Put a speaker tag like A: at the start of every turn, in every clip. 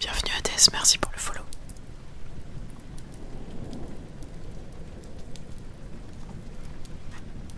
A: Bienvenue à Tess, merci pour le follow.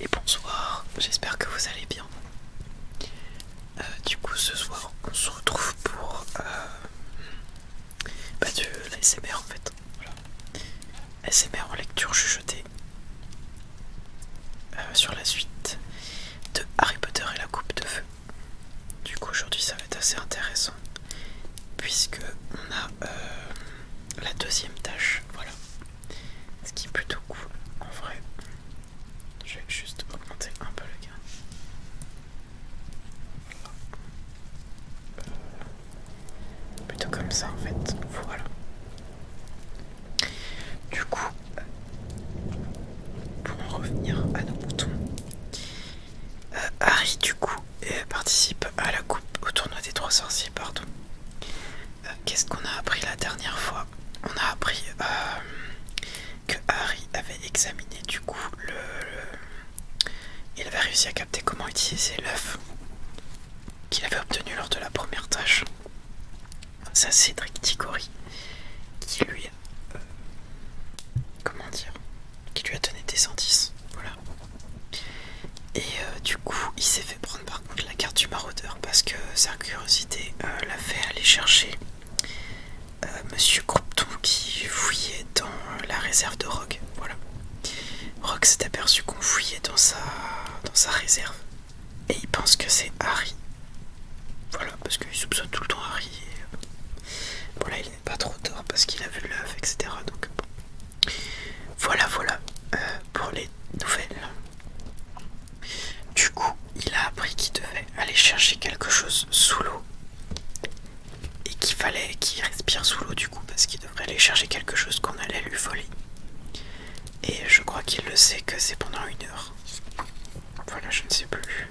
A: Et bonsoir, j'espère que vous allez bien. Euh, du coup, ce soir, on se retrouve pour euh, bah, la bah, en fait. Voilà. en lecture chuchotée euh, sur la suite de Harry Potter et la Coupe de Feu. Du coup, aujourd'hui, ça va être assez intéressant puisque on a euh, la deuxième tâche, voilà. Ce qui est plutôt cool en vrai. Je vais juste augmenter un peu le gain. Euh, plutôt comme ça en fait. Voilà. Du coup, euh, pour en revenir à nos boutons, Harry, du coup, euh, participe à la coupe au tournoi des trois sorciers, partout. Euh, qu'est-ce qu'on a appris la dernière fois On a appris euh, que Harry avait examiné, du coup, le, il avait réussi à capter comment utiliser l'œuf qu'il avait obtenu lors de la première tâche. Ça, c'est Cédric Diggory qui lui a... comment dire qui lui a donné des 110 Voilà. Et euh, du coup, il s'est fait prendre par contre la carte du maraudeur parce que sa curiosité euh, l'a fait aller chercher euh, Monsieur Croupton qui fouillait dans la réserve de Rogue. Voilà. Rogue s'est aperçu qu'on fouillait dans sa, dans sa réserve et il pense que c'est Harry. Voilà, parce qu'il soupçonne tout le temps Harry pas trop tard parce qu'il a vu l'œuf, etc. Donc voilà, voilà euh, pour les nouvelles. Du coup, il a appris qu'il devait aller chercher quelque chose sous l'eau et qu'il fallait qu'il respire sous l'eau du coup parce qu'il devrait aller chercher quelque chose qu'on allait lui voler. Et je crois qu'il le sait que c'est pendant une heure. Voilà, je ne sais plus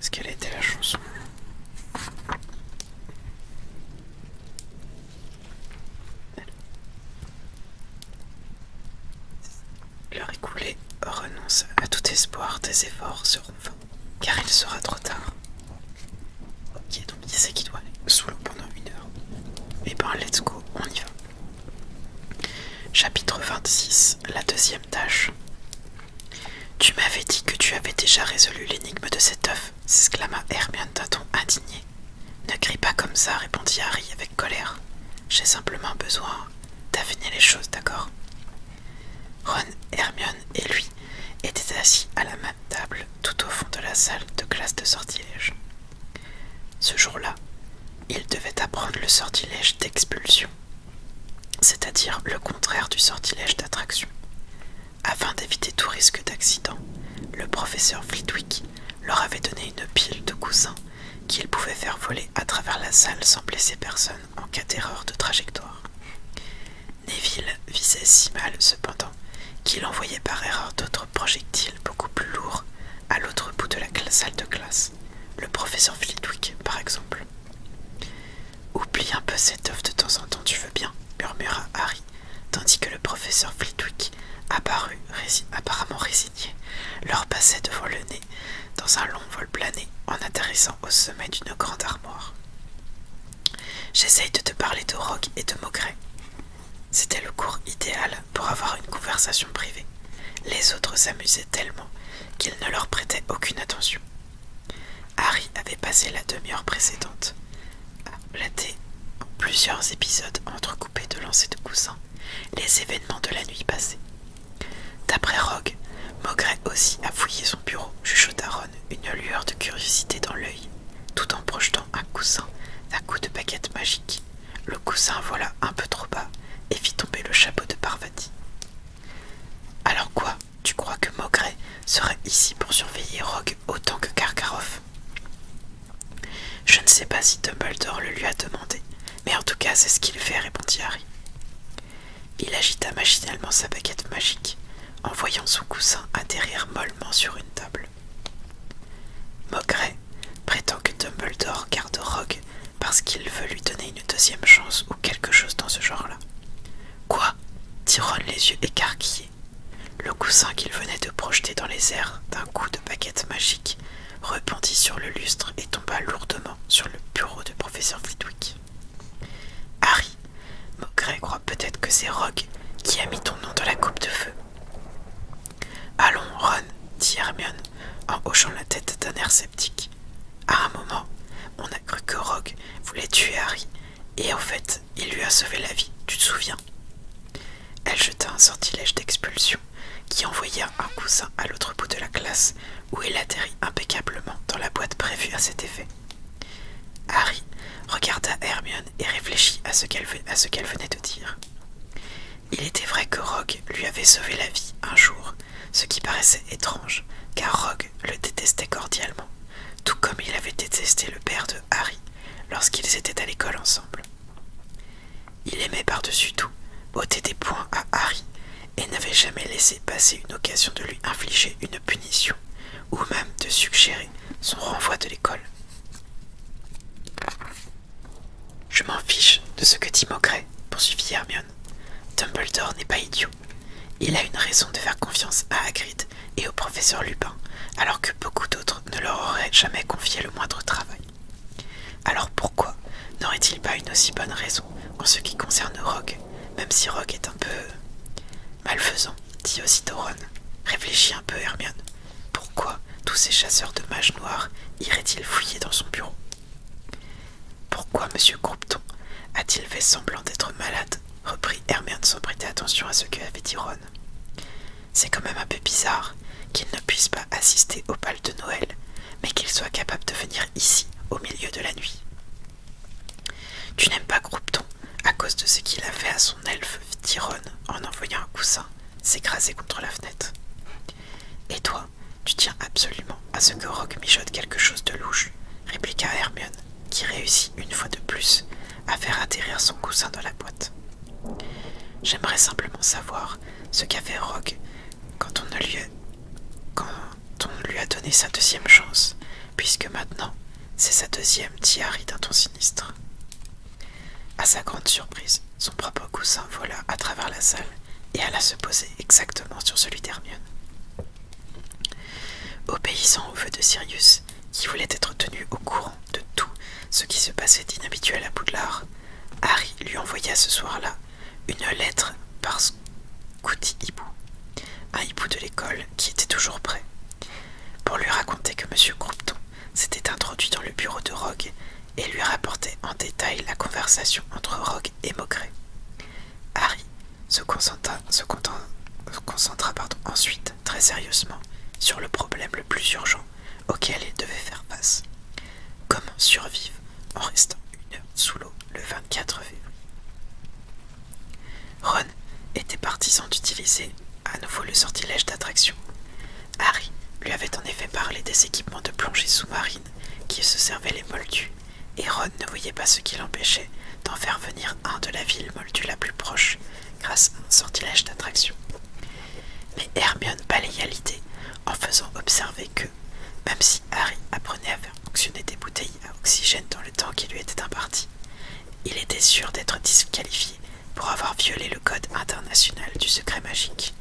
A: ce qu'elle était la chanson. L'heure écoulée renonce à tout espoir, tes efforts seront vains, car il sera trop tard. Ok, donc il sait qu'il doit aller sous l'eau pendant une heure. Et eh ben, let's go, on y va. Chapitre 26, la deuxième tâche. Tu m'avais dit que tu avais déjà résolu l'énigme de cet œuf, s'exclama Hermione d'un ton indigné. Ne crie pas comme ça, répondit Harry avec colère. J'ai simplement besoin d'affiner les choses, d'accord Ron, Hermione et lui étaient assis à la même table tout au fond de la salle de classe de sortilège. Ce jour-là, ils devaient apprendre le sortilège d'expulsion, c'est-à-dire le contraire du sortilège d'attraction. Afin d'éviter tout risque d'accident, le professeur Flitwick leur avait donné une pile de coussins qu'ils pouvaient faire voler à travers la salle sans blesser personne en cas d'erreur de trajectoire. Neville visait si mal cependant qu'il envoyait par erreur d'autres projectiles beaucoup plus lourds à l'autre bout de la salle de classe, le professeur Flitwick par exemple. Oublie un peu cette oeuvre de temps en temps, tu veux bien, murmura Harry, tandis que le professeur Flitwick, apparu, apparemment résigné, leur passait devant le nez dans un long vol plané en atterrissant au sommet d'une grande armoire. J'essaye de te parler de rock et de Maugret. C'était le cours idéal pour avoir une conversation privée. Les autres s'amusaient tellement qu'ils ne leur prêtaient aucune attention. Harry avait passé la demi-heure précédente à en plusieurs épisodes entrecoupés de lancers de coussins les événements de la nuit passée. D'après Rogue, Maugret aussi a fouillé son bureau, chuchota Ron, une lueur de curiosité dans l'œil, tout en projetant un coussin d'un coup de baguette magique. Le coussin vola un peu trop bas et fit tomber le chapeau de Parvati. Alors quoi tu crois que Maugret serait ici pour surveiller Rogue autant que Karkaroff Je ne sais pas si Dumbledore le lui a demandé, mais en tout cas c'est ce qu'il fait, répondit Harry. Il agita machinalement sa baguette magique en voyant son coussin atterrir mollement sur une table. Maugret prétend que Dumbledore garde Rogue parce qu'il veut lui donner une deuxième chance ou quelque chose dans ce genre-là. Quoi dit Ron les yeux écarquillés. Le coussin qu'il venait de projeter dans les airs d'un coup de baguette magique rebondit sur le lustre et tomba lourdement sur le bureau de professeur Flitwick. Harry, Maugrey croit peut-être que c'est Rogue qui a mis ton nom dans la coupe de feu. Allons, Ron, dit Hermione en hochant la tête d'un air sceptique. À un moment, on a cru que Rogue voulait tuer Harry et en fait, il lui a sauvé la vie, tu te souviens Elle jeta un sortilège d'expulsion qui envoya un coussin à l'autre bout de la classe où il atterrit impeccablement dans la boîte prévue à cet effet. Harry regarda Hermione et réfléchit à ce qu'elle venait de dire. Il était vrai que Rogue lui avait sauvé la vie un jour, ce qui paraissait étrange, car Rogue le détestait cordialement, tout comme il avait détesté le père de Harry lorsqu'ils étaient à l'école ensemble. Il aimait par-dessus tout ôter des points à Harry et n'avait jamais laissé passer une occasion de lui infliger une punition ou même de suggérer son renvoi de l'école. Je m'en fiche de ce que dit Maugrey, poursuivit Hermione. Dumbledore n'est pas idiot. Il a une raison de faire confiance à Hagrid et au professeur Lupin, alors que beaucoup d'autres ne leur auraient jamais confié le moindre travail. Alors pourquoi n'aurait-il pas une aussi bonne raison en ce qui concerne Rogue, même si Rogue est un peu... Malfaisant, dit aussi Réfléchis un peu, Hermione. Pourquoi tous ces chasseurs de mages noirs iraient-ils fouiller dans son bureau Pourquoi M. Groupton a-t-il fait semblant d'être malade reprit Hermione sans prêter attention à ce que avait dit Ron. C'est quand même un peu bizarre qu'il ne puisse pas assister au bal de Noël, mais qu'il soit capable de venir ici au milieu de la nuit. Tu n'aimes pas Groupton à cause de ce qu'il a fait à son elfe, dit Ron en envoyant un coussin s'écraser contre la fenêtre. Et toi, tu tiens absolument à ce que Rogue mijote quelque chose de louche, répliqua Hermione qui réussit une fois de plus à faire atterrir son coussin dans la boîte. J'aimerais simplement savoir ce qu'a fait Rogue quand on, lui a, lui a donné sa deuxième chance, puisque maintenant c'est sa deuxième tiari d'un ton sinistre. À sa grande surprise, son propre coussin vola à travers la salle et alla se poser exactement sur celui d'Hermione. Obéissant au vœu de Sirius, qui voulait être tenu au courant de tout ce qui se passait d'inhabituel à Poudlard, Harry lui envoya ce soir-là une lettre par Scouty Hibou, un hibou de l'école qui était toujours prêt, pour lui raconter que M. Crompton s'était introduit dans le bureau de Rogue et lui rapportait en détail la conversation entre Rogue et Maugré. Harry se concentra, ensuite très sérieusement sur le problème le plus urgent auquel il devait faire face. Comment survivre en restant une heure sous l'eau le 24 février Ron était partisan d'utiliser à nouveau le sortilège d'attraction. Harry lui avait en effet parlé des équipements de plongée sous-marine qui se servaient les Moldus, et Ron ne voyait pas ce qui l'empêchait d'en faire venir un de la ville moldue la plus proche grâce à un sortilège d'attraction. Mais Hermione balaya l'idée en faisant observer que, même si Harry apprenait à faire fonctionner des bouteilles à oxygène dans le temps qui lui était imparti, il était sûr d'être disqualifié pour avoir violé le code international du secret magique.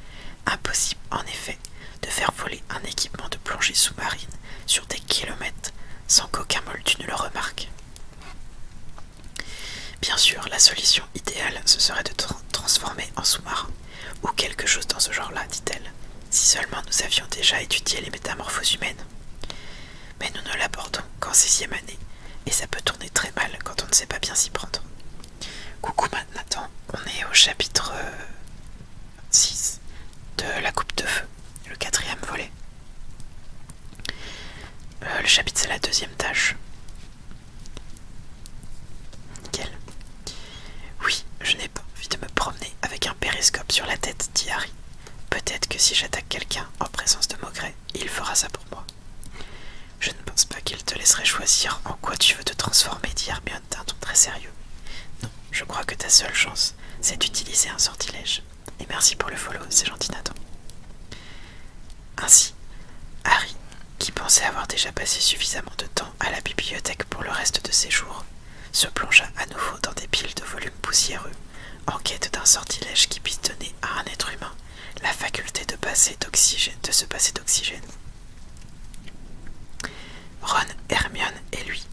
A: Impossible en effet de faire voler un équipement de plongée sous-marine sur des kilomètres sans qu'aucun moldu ne le remarque. Bien sûr, la solution idéale, ce serait de transformer en sous-marin, ou quelque chose dans ce genre-là, dit-elle, si seulement nous avions déjà étudié les métamorphoses humaines. Mais nous ne l'abordons qu'en sixième année, et ça peut tourner très mal quand on ne sait pas bien s'y prendre. Coucou maintenant, on est au chapitre 6 euh, de la coupe de feu le quatrième volet. Euh, le chapitre, c'est la deuxième tâche. Nickel. Oui, je n'ai pas envie de me promener avec un périscope sur la tête, dit Harry. Peut-être que si j'attaque quelqu'un en présence de Maugret, il fera ça pour moi. Je ne pense pas qu'il te laisserait choisir en quoi tu veux te transformer, dit Hermione d'un ton très sérieux. Non, je crois que ta seule chance, c'est d'utiliser un sortilège. Et merci pour le follow, c'est gentil Nathan. Ainsi, Harry, qui pensait avoir déjà passé suffisamment de temps à la bibliothèque pour le reste de ses jours, se plongea à nouveau dans des piles de volumes poussiéreux, en quête d'un sortilège qui puisse donner à un être humain la faculté de, passer de se passer d'oxygène. Ron, Hermione et lui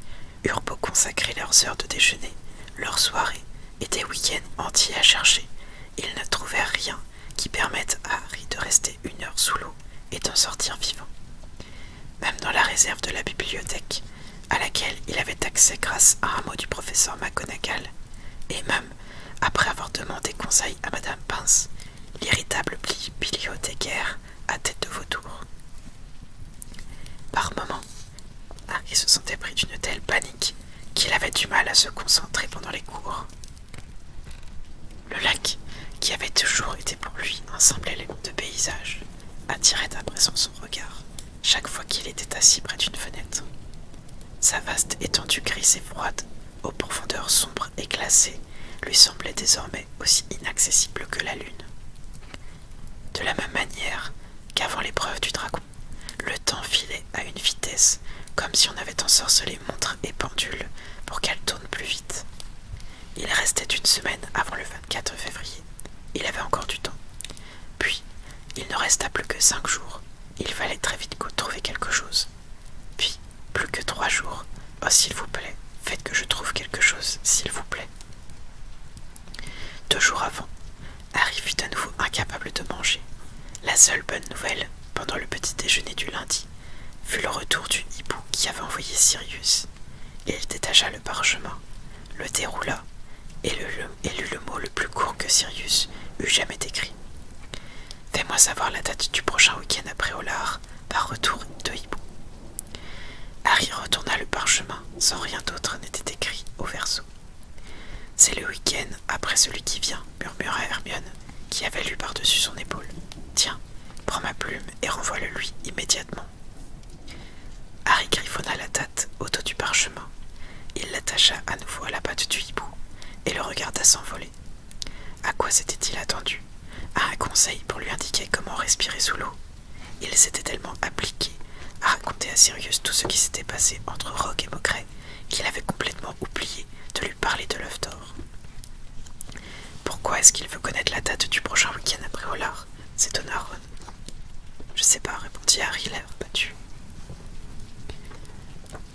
A: eurent beau consacrer leurs heures de déjeuner, leurs soirées et des week-ends entiers à chercher, ils ne trouvèrent rien qui permette à Harry de rester une heure sous l'eau et d'en sortir vivant. Même dans la réserve de la bibliothèque, à laquelle il avait accès grâce à un mot du professeur McConagall, et même après avoir demandé conseil à Madame Pince, l'irritable bibliothécaire à tête de vautour. Par moments, il se sentait pris d'une telle panique qu'il avait du mal à se concentrer pendant les cours. Le lac, qui avait toujours été pour lui un simple élément de paysage, attirait à présent son regard chaque fois qu'il était assis près d'une fenêtre. Sa vaste étendue grise et froide, aux profondeurs sombres et glacées, lui semblait désormais aussi inaccessible que la lune. De la même manière qu'avant l'épreuve du dragon le temps filait à une vitesse, comme si on avait ensorcelé montres et pendules pour qu'elles tournent plus vite. Il restait une semaine avant le 24 février. Il avait encore du temps. Puis, il ne resta plus que cinq jours. Il fallait très vite trouver quelque chose. Puis, plus que trois jours. Oh, s'il vous plaît, faites que je trouve quelque chose, s'il vous plaît. Deux jours avant, Harry fut à nouveau incapable de manger. La seule bonne nouvelle, pendant le petit déjeuner du lundi, fut le retour du hibou qui avait envoyé Sirius. Il détacha le parchemin, le déroula et, lut le mot le plus court que Sirius eût jamais écrit Fais-moi savoir la date du prochain week-end après lard, par retour de hibou. Harry retourna le parchemin sans rien d'autre n'était écrit au verso. C'est le week-end après celui qui vient, murmura Hermione, qui avait lu par-dessus son épaule. Tiens, prends ma plume et renvoie-le lui immédiatement. Harry griffonna la tête autour du parchemin. Il l'attacha à nouveau à la patte du hibou et le regarda s'envoler. À quoi s'était-il attendu À un conseil pour lui indiquer comment respirer sous l'eau. Il s'était tellement appliqué à raconter à Sirius tout ce qui s'était passé entre Rogue et qu'il avait complètement oublié de lui parler de l'œuf d'or. Pourquoi est-ce qu'il veut connaître la date du prochain week-end après Hollard s'étonna Ron. Je sais pas, répondit Harry, l'air battu.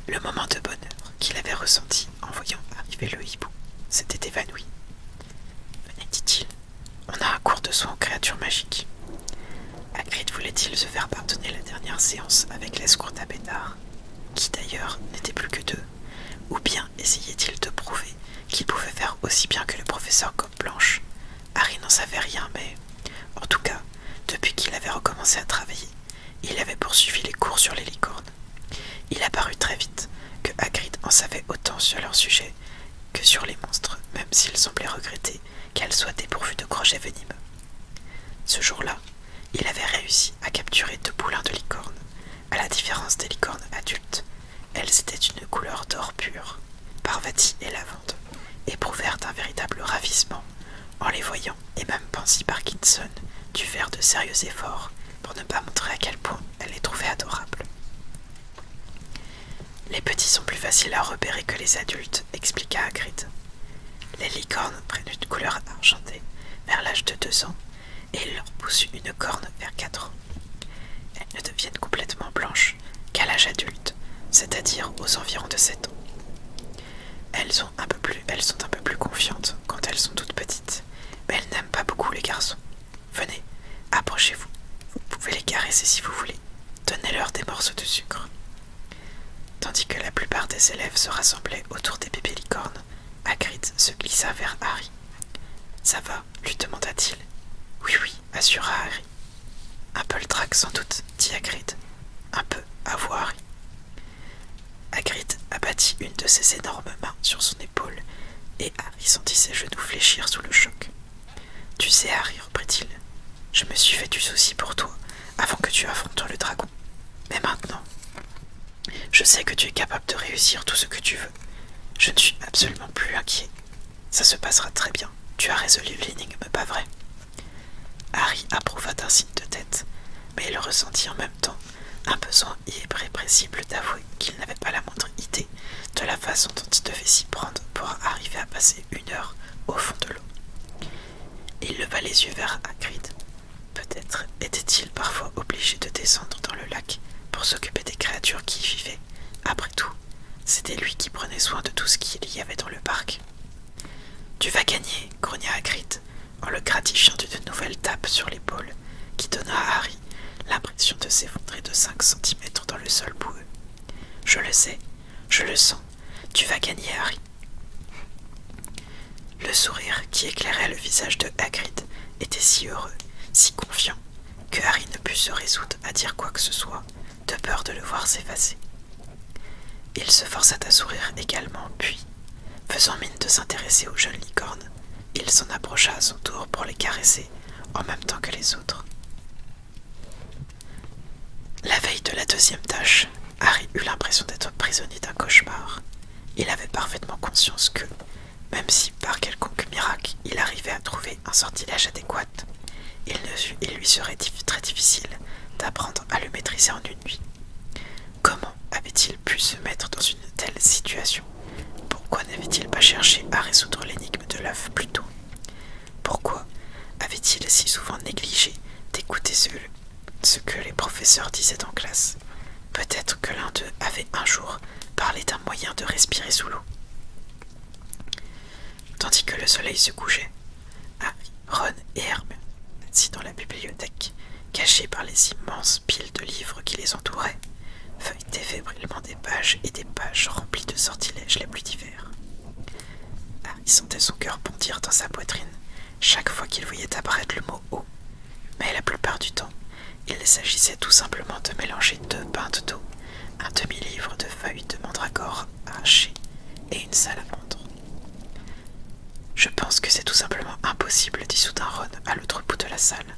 A: Le moment de bonheur qu'il avait ressenti en voyant arriver le hibou s'était évanoui. Venez, dit-il, on a un cours de soins aux créatures magiques. Hagrid voulait-il se faire pardonner la dernière séance avec les à Bédard, qui d'ailleurs n'était plus que deux, ou bien essayait-il de prouver qu'il pouvait faire aussi bien que le professeur Blanche Harry n'en savait rien, mais en tout cas, depuis qu'il avait recommencé à travailler, il avait poursuivi les cours sur les licornes. Il apparut très vite que Hagrid en savait autant sur leur sujet que sur les monstres, même s'il semblait regretter qu'elle soit dépourvue de crochets venimeux. Ce jour-là, il avait réussi à capturer deux poulains de licorne. À la différence des licornes adultes, elles étaient d'une couleur d'or pur. Parvati et Lavande éprouvèrent un véritable ravissement en les voyant, et même par Parkinson du faire de sérieux efforts pour ne pas montrer à quel point elle les trouvait adorables. Les petits sont plus faciles à repérer que les adultes expliqua à Les licornes prennent une couleur argentée vers l'âge de deux ans et leur poussent une corne vers quatre ans. Elles ne deviennent complètement blanches qu'à l'âge adulte, c'est-à-dire aux environs de sept ans. Elles sont, un peu plus, elles sont un peu plus confiantes quand elles sont toutes petites, mais elles n'aiment pas beaucoup les garçons. Venez, approchez-vous, vous pouvez les caresser si vous voulez, donnez-leur des morceaux de sucre. Tandis que la plupart des élèves se rassemblaient autour des bébés licornes, Hagrid se glissa vers Harry. Ça va lui demanda-t-il. Oui, oui, assura Harry. Un peu le trac sans doute, dit Hagrid. Un peu, à Harry. Hagrid abattit une de ses énormes mains sur son épaule et Harry sentit ses genoux fléchir sous le choc. Tu sais, Harry, reprit-il. Je me suis fait du souci pour toi avant que tu affrontes le dragon. Mais maintenant, je sais que tu es capable de réussir tout ce que tu veux. Je ne suis absolument plus inquiet. Ça se passera très bien. Tu as résolu l'énigme, pas vrai Harry approuva d'un signe de tête, mais il ressentit en même temps un besoin irrépressible d'avouer qu'il n'avait pas la moindre idée de la façon dont il devait s'y prendre pour arriver à passer une heure au fond de l'eau. Il leva les yeux vers Hagrid. Peut-être était-il parfois obligé de descendre dans le lac pour s'occuper des créatures qui y vivaient. Après tout, c'était lui qui prenait soin de tout ce qu'il y avait dans le parc. Tu vas gagner, grogna Hagrid en le gratifiant d'une nouvelle tape sur l'épaule qui donna à Harry l'impression de s'effondrer de cinq centimètres dans le sol boueux. Je le sais, je le sens. Tu vas gagner, Harry. Le sourire qui éclairait le visage de Hagrid était si heureux, si confiant, que Harry ne put se résoudre à dire quoi que ce soit, de peur de le voir s'effacer. Il se força à sourire également, puis, faisant mine de s'intéresser aux jeunes licornes, il s'en approcha à son tour pour les caresser en même temps que les autres. La veille de la deuxième tâche, Harry eut l'impression d'être prisonnier d'un cauchemar. Il avait parfaitement conscience que, même si par quelconque miracle il arrivait à trouver un sortilège adéquat, il, lui serait très difficile d'apprendre à le maîtriser en une nuit. Comment avait-il pu se mettre dans une telle situation Pourquoi n'avait-il pas cherché à résoudre l'énigme de l'œuf plus tôt pourquoi avaient-ils si souvent négligé d'écouter ce, que les professeurs disaient en classe Peut-être que l'un d'eux avait un jour parlé d'un moyen de respirer sous l'eau. Tandis que le soleil se couchait, Harry, Ron et Herbe, assis dans la bibliothèque, cachés par les immenses piles de livres qui les entouraient, feuilletaient fébrilement des pages et des pages remplies de sortilèges les plus difficiles. Ah, il sentait son cœur bondir dans sa poitrine chaque fois qu'il voyait apparaître le mot eau. Mais la plupart du temps, il s'agissait tout simplement de mélanger deux pintes d'eau, un demi-livre de feuilles de mandragore hachées et une à vendre. Je pense que c'est tout simplement impossible, dit soudain Ron à l'autre bout de la salle.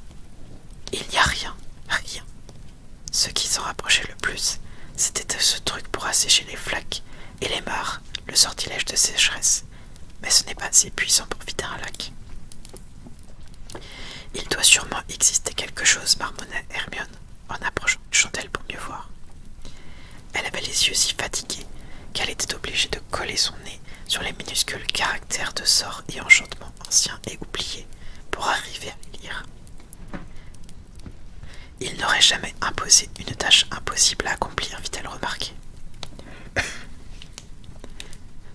A: Il n'y a rien, rien. Ce qui s'en rapprochait le plus, c'était ce truc pour assécher les flaques et les mares, le sortilège de sécheresse, mais ce n'est pas assez puissant pour vider un lac. Il doit sûrement exister quelque chose, marmonna Hermione en approchant de pour mieux voir. Elle avait les yeux si fatigués qu'elle était obligée de coller son nez sur les minuscules caractères de sorts et enchantements anciens et oubliés pour arriver à les lire. Il n'aurait jamais imposé une tâche impossible à accomplir, » elle remarquer.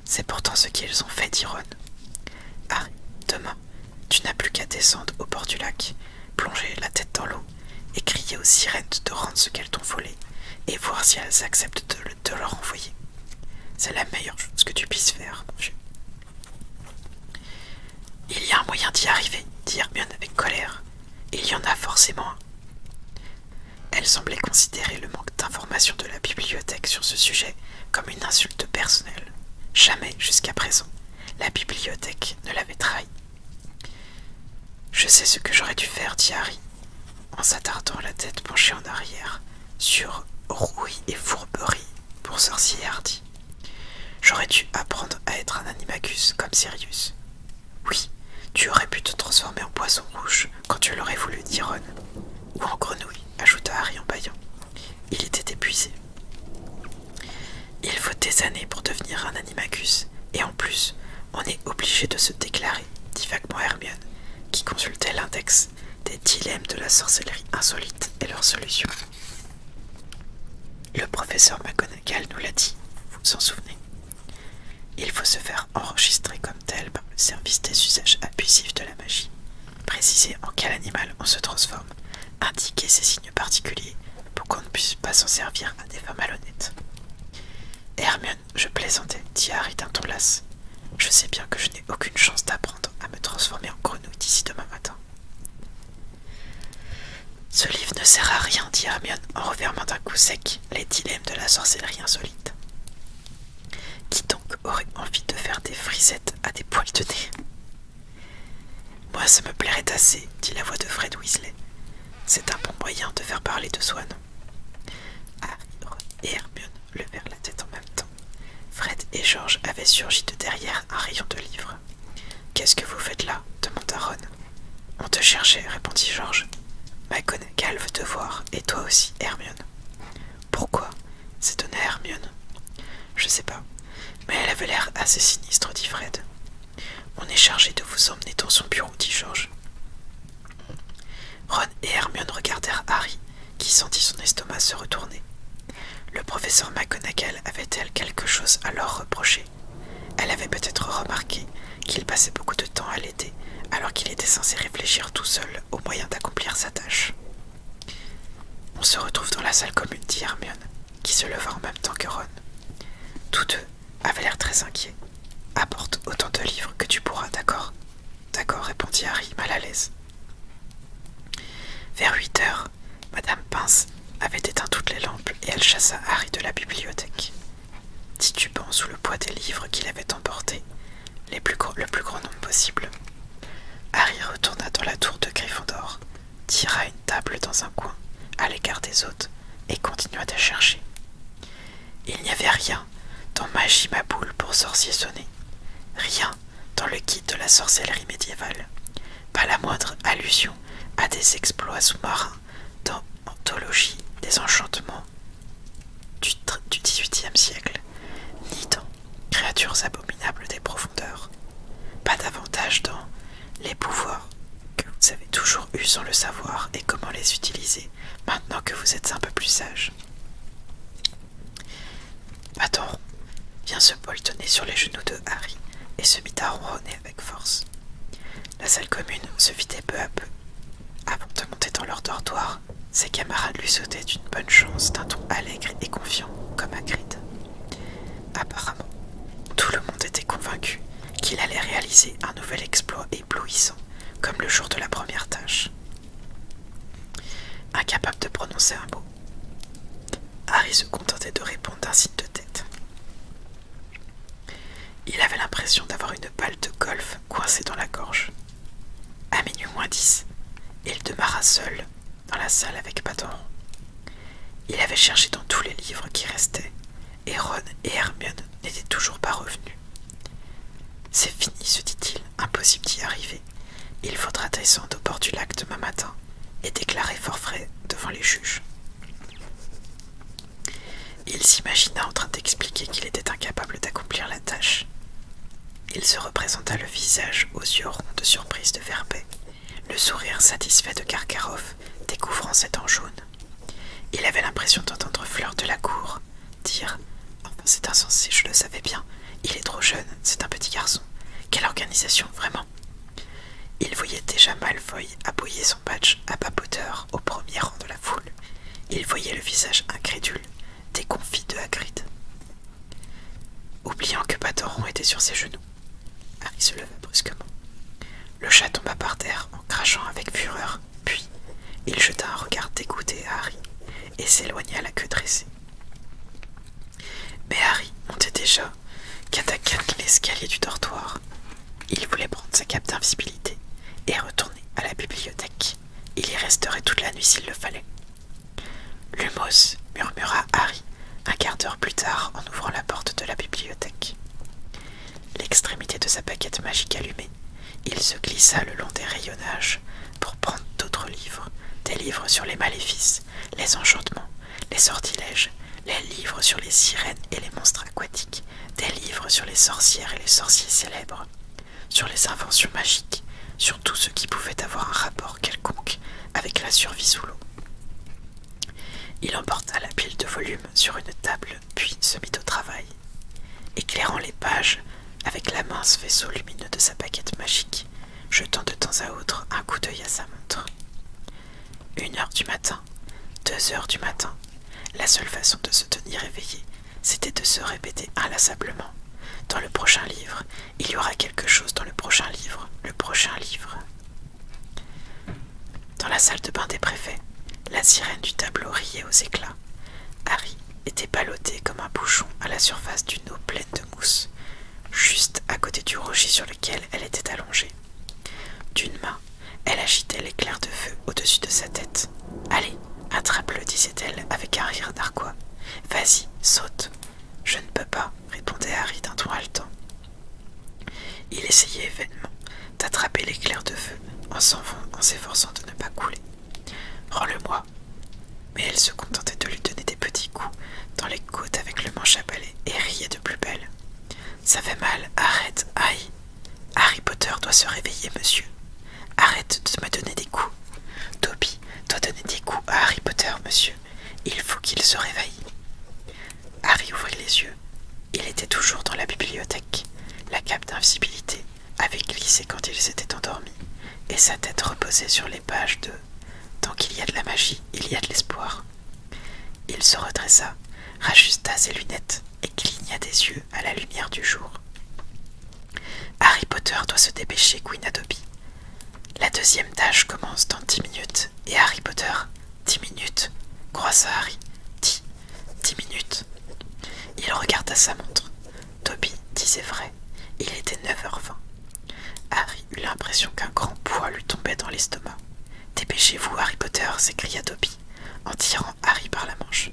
A: C'est pourtant ce qu'ils ont fait, dit Ron. Ah, demain, tu n'as plus qu'à descendre au bord du lac, plonger la tête dans l'eau et crier aux sirènes de rendre ce qu'elles t'ont volé et voir si elles acceptent de, le, renvoyer. leur envoyer. C'est la meilleure chose que tu puisses faire, Il y a un moyen d'y arriver, dit Hermione avec colère. Il y en a forcément un. Elle semblait considérer le manque d'informations de la bibliothèque sur ce sujet comme une insulte personnelle. Jamais jusqu'à présent, la bibliothèque ne l'avait trahi. Je sais ce que j'aurais dû faire, dit Harry, en s'attardant la tête penchée en arrière sur rouille et fourberie pour sorcier Hardy. J'aurais dû apprendre à être un animacus comme Sirius, oui, tu aurais pu te transformer en poisson rouge quand tu l'aurais voulu, dit Ron. Ou en grenouille, ajouta Harry en baillant. Il était épuisé. Il faut des années pour devenir un animacus, et en plus, on est obligé de se déclarer, dit vaguement Hermione, qui consultait l'index des dilemmes de la sorcellerie insolite et leurs solutions. Le professeur nous l'a dit, vous vous en souvenez Il faut se faire enregistrer comme tel par le service des usages abusifs de la magie, préciser en quel animal on se transforme, indiquer ses signes particuliers pour qu'on ne puisse pas s'en servir à des fins malhonnêtes. Hermione, je plaisantais, dit Harry d'un ton las. Je sais bien que je n'ai aucune chance d'apprendre à me transformer en grenouille d'ici demain matin. Ce livre ne sert à rien, dit Hermione en refermant d'un coup sec les dilemmes de la sorcellerie insolite. Qui donc aurait envie de faire des frisettes à des poils de nez Moi, ça me plairait assez, dit la voix de Fred Weasley. C'est un bon moyen de faire parler de Swan. Harry, et Hermione levèrent la tête en même temps. Fred et George avaient surgi de derrière un rayon de livres. Qu'est-ce que vous faites là demanda Ron. On te cherchait, répondit George. Bah, « McGonagall veut te voir, et toi aussi, Hermione. Pourquoi s'étonna Hermione. Je ne sais pas, mais elle avait l'air assez sinistre, dit Fred. On est chargé de vous emmener dans son bureau, dit George. Ron et Hermione regardèrent Harry, qui sentit son estomac se retourner. Le professeur McGonagall avait-elle quelque chose à leur reprocher elle avait peut-être remarqué qu'il passait beaucoup de temps à l'aider, alors qu'il était censé réfléchir tout seul au moyen d'accomplir sa tâche. On se retrouve dans la salle commune, dit Hermione, qui se leva en même temps que Ron. Tous deux avaient l'air très inquiets. Apporte autant de livres que tu pourras, d'accord D'accord, répondit Harry, mal à l'aise. Vers huit heures, Madame Pince avait éteint toutes les lampes et elle chassa Harry de la bibliothèque titubant sous le poids des livres qu'il avait emportés, le plus grand nombre possible. Harry retourna dans la tour de Gryffondor, tira une table dans un coin, à l'écart des autres, et continua de chercher. Il n'y avait rien dans Magie ma pour sorcier sonner, rien dans le guide de la sorcellerie médiévale, pas la moindre allusion à des exploits sous-marins dans Anthologie des enchantements du XVIIIe siècle, ni dans Créatures abominables des profondeurs, pas davantage dans les pouvoirs que vous avez toujours eu sans le savoir et comment les utiliser maintenant que vous êtes un peu plus sage. Attends, vient se poltonner sur les genoux de Harry et se mit à ronronner avec force. La salle commune se vidait peu à peu. Avant de monter dans leur dortoir, ses camarades lui sautaient d'une bonne chance d'un ton allègre et confiant, comme Hagrid. Apparemment, tout le monde était convaincu qu'il allait réaliser un nouvel exploit éblouissant, comme le jour de la première tâche. Incapable de prononcer un mot, Harry se contentait de répondre d'un signe de tête. Il avait l'impression d'avoir une balle de golf coincée dans la gorge. À minuit moins dix, il demeura seul dans la salle avec Patron. Il avait cherché dans tous les livres qui restaient, et Ron et Hermione n'étaient toujours pas revenus. C'est fini, se dit-il, impossible d'y arriver. Il faudra descendre au bord du lac demain matin et déclarer forfait devant les juges. Il s'imagina en train d'expliquer qu'il était incapable d'accomplir la tâche. Il se représenta le visage aux yeux ronds de surprise de Verbet, le sourire satisfait de Karkaroff découvrant cet dents jaune. Il avait l'impression d'entendre Fleur de la Cour dire Enfin, c'est insensé, je le savais bien, il est trop jeune, c'est un petit garçon. Quelle organisation, vraiment Il voyait déjà Malfoy appuyer son badge à papoteur au premier rang de la foule. Il voyait le visage incrédule, déconfit de Hagrid. Oubliant que Batoron était sur ses genoux, Harry se leva brusquement. Le chat tomba par terre en crachant avec fureur, puis il jeta un regard dégoûté à Harry et s'éloigna la queue dressée. Mais Harry montait déjà, quatre l'escalier du dortoir, il voulait prendre sa cape d'invisibilité et retourner à la bibliothèque. Il y resterait toute la nuit s'il le fallait. Lumos, murmura Harry un quart d'heure plus tard en ouvrant la porte de la bibliothèque. L'extrémité de sa paquette magique allumée, il se glissa le long des rayonnages pour prendre d'autres livres, des livres sur les maléfices, les enchantements, les sortilèges, les livres sur les sirènes et les monstres aquatiques, des livres sur les sorcières et les sorciers célèbres, sur les inventions magiques, sur tout ce qui pouvait avoir un rapport quelconque avec la survie sous l'eau. Il emporta la pile de volumes sur une table, puis se mit au travail, éclairant les pages avec la mince vaisseau lumineux de sa paquette magique, jetant de temps à autre un coup d'œil à sa montre. Une heure du matin deux heures du matin. La seule façon de se tenir éveillé, c'était de se répéter inlassablement. Dans le prochain livre, il y aura quelque chose dans le prochain livre, le prochain livre. Dans la salle de bain des préfets, la sirène du tableau riait aux éclats. Harry était ballotté comme un bouchon à la surface d'une eau pleine de mousse, juste à côté du rocher sur lequel elle était allongée. D'une main, elle agitait l'éclair de feu au-dessus de sa tête. Allez, attrape-le, disait-elle avec un rire narquois. Vas-y, saute. Je ne peux pas, répondait Harry d'un ton haletant. Il essayait vainement d'attraper l'éclair de feu en s'efforçant de ne pas couler. Rends-le-moi. Mais elle se contentait de lui donner des petits coups dans les côtes avec le manche à balai et riait de plus belle. Ça fait mal, arrête, aïe. Harry Potter doit se réveiller, monsieur. Arrête de me donner des coups. Toby doit donner des coups à Harry Potter, monsieur. Il faut qu'il se réveille. Harry ouvrit les yeux. Il était toujours dans la bibliothèque. La cape d'invisibilité avait glissé quand il s'était endormi, et sa tête reposait sur les pages de Tant qu'il y a de la magie, il y a de l'espoir. Il se redressa, rajusta ses lunettes et cligna des yeux à la lumière du jour. Harry Potter doit se dépêcher, Queen Adobe. La deuxième tâche commence dans dix minutes et Harry Potter, dix minutes, croise Harry, dix, dix minutes. Il regarde sa montre. Toby disait vrai, il était 9h20. Harry eut l'impression qu'un grand poids lui tombait dans l'estomac. Dépêchez-vous, Harry Potter, s'écria Toby en tirant Harry par la manche.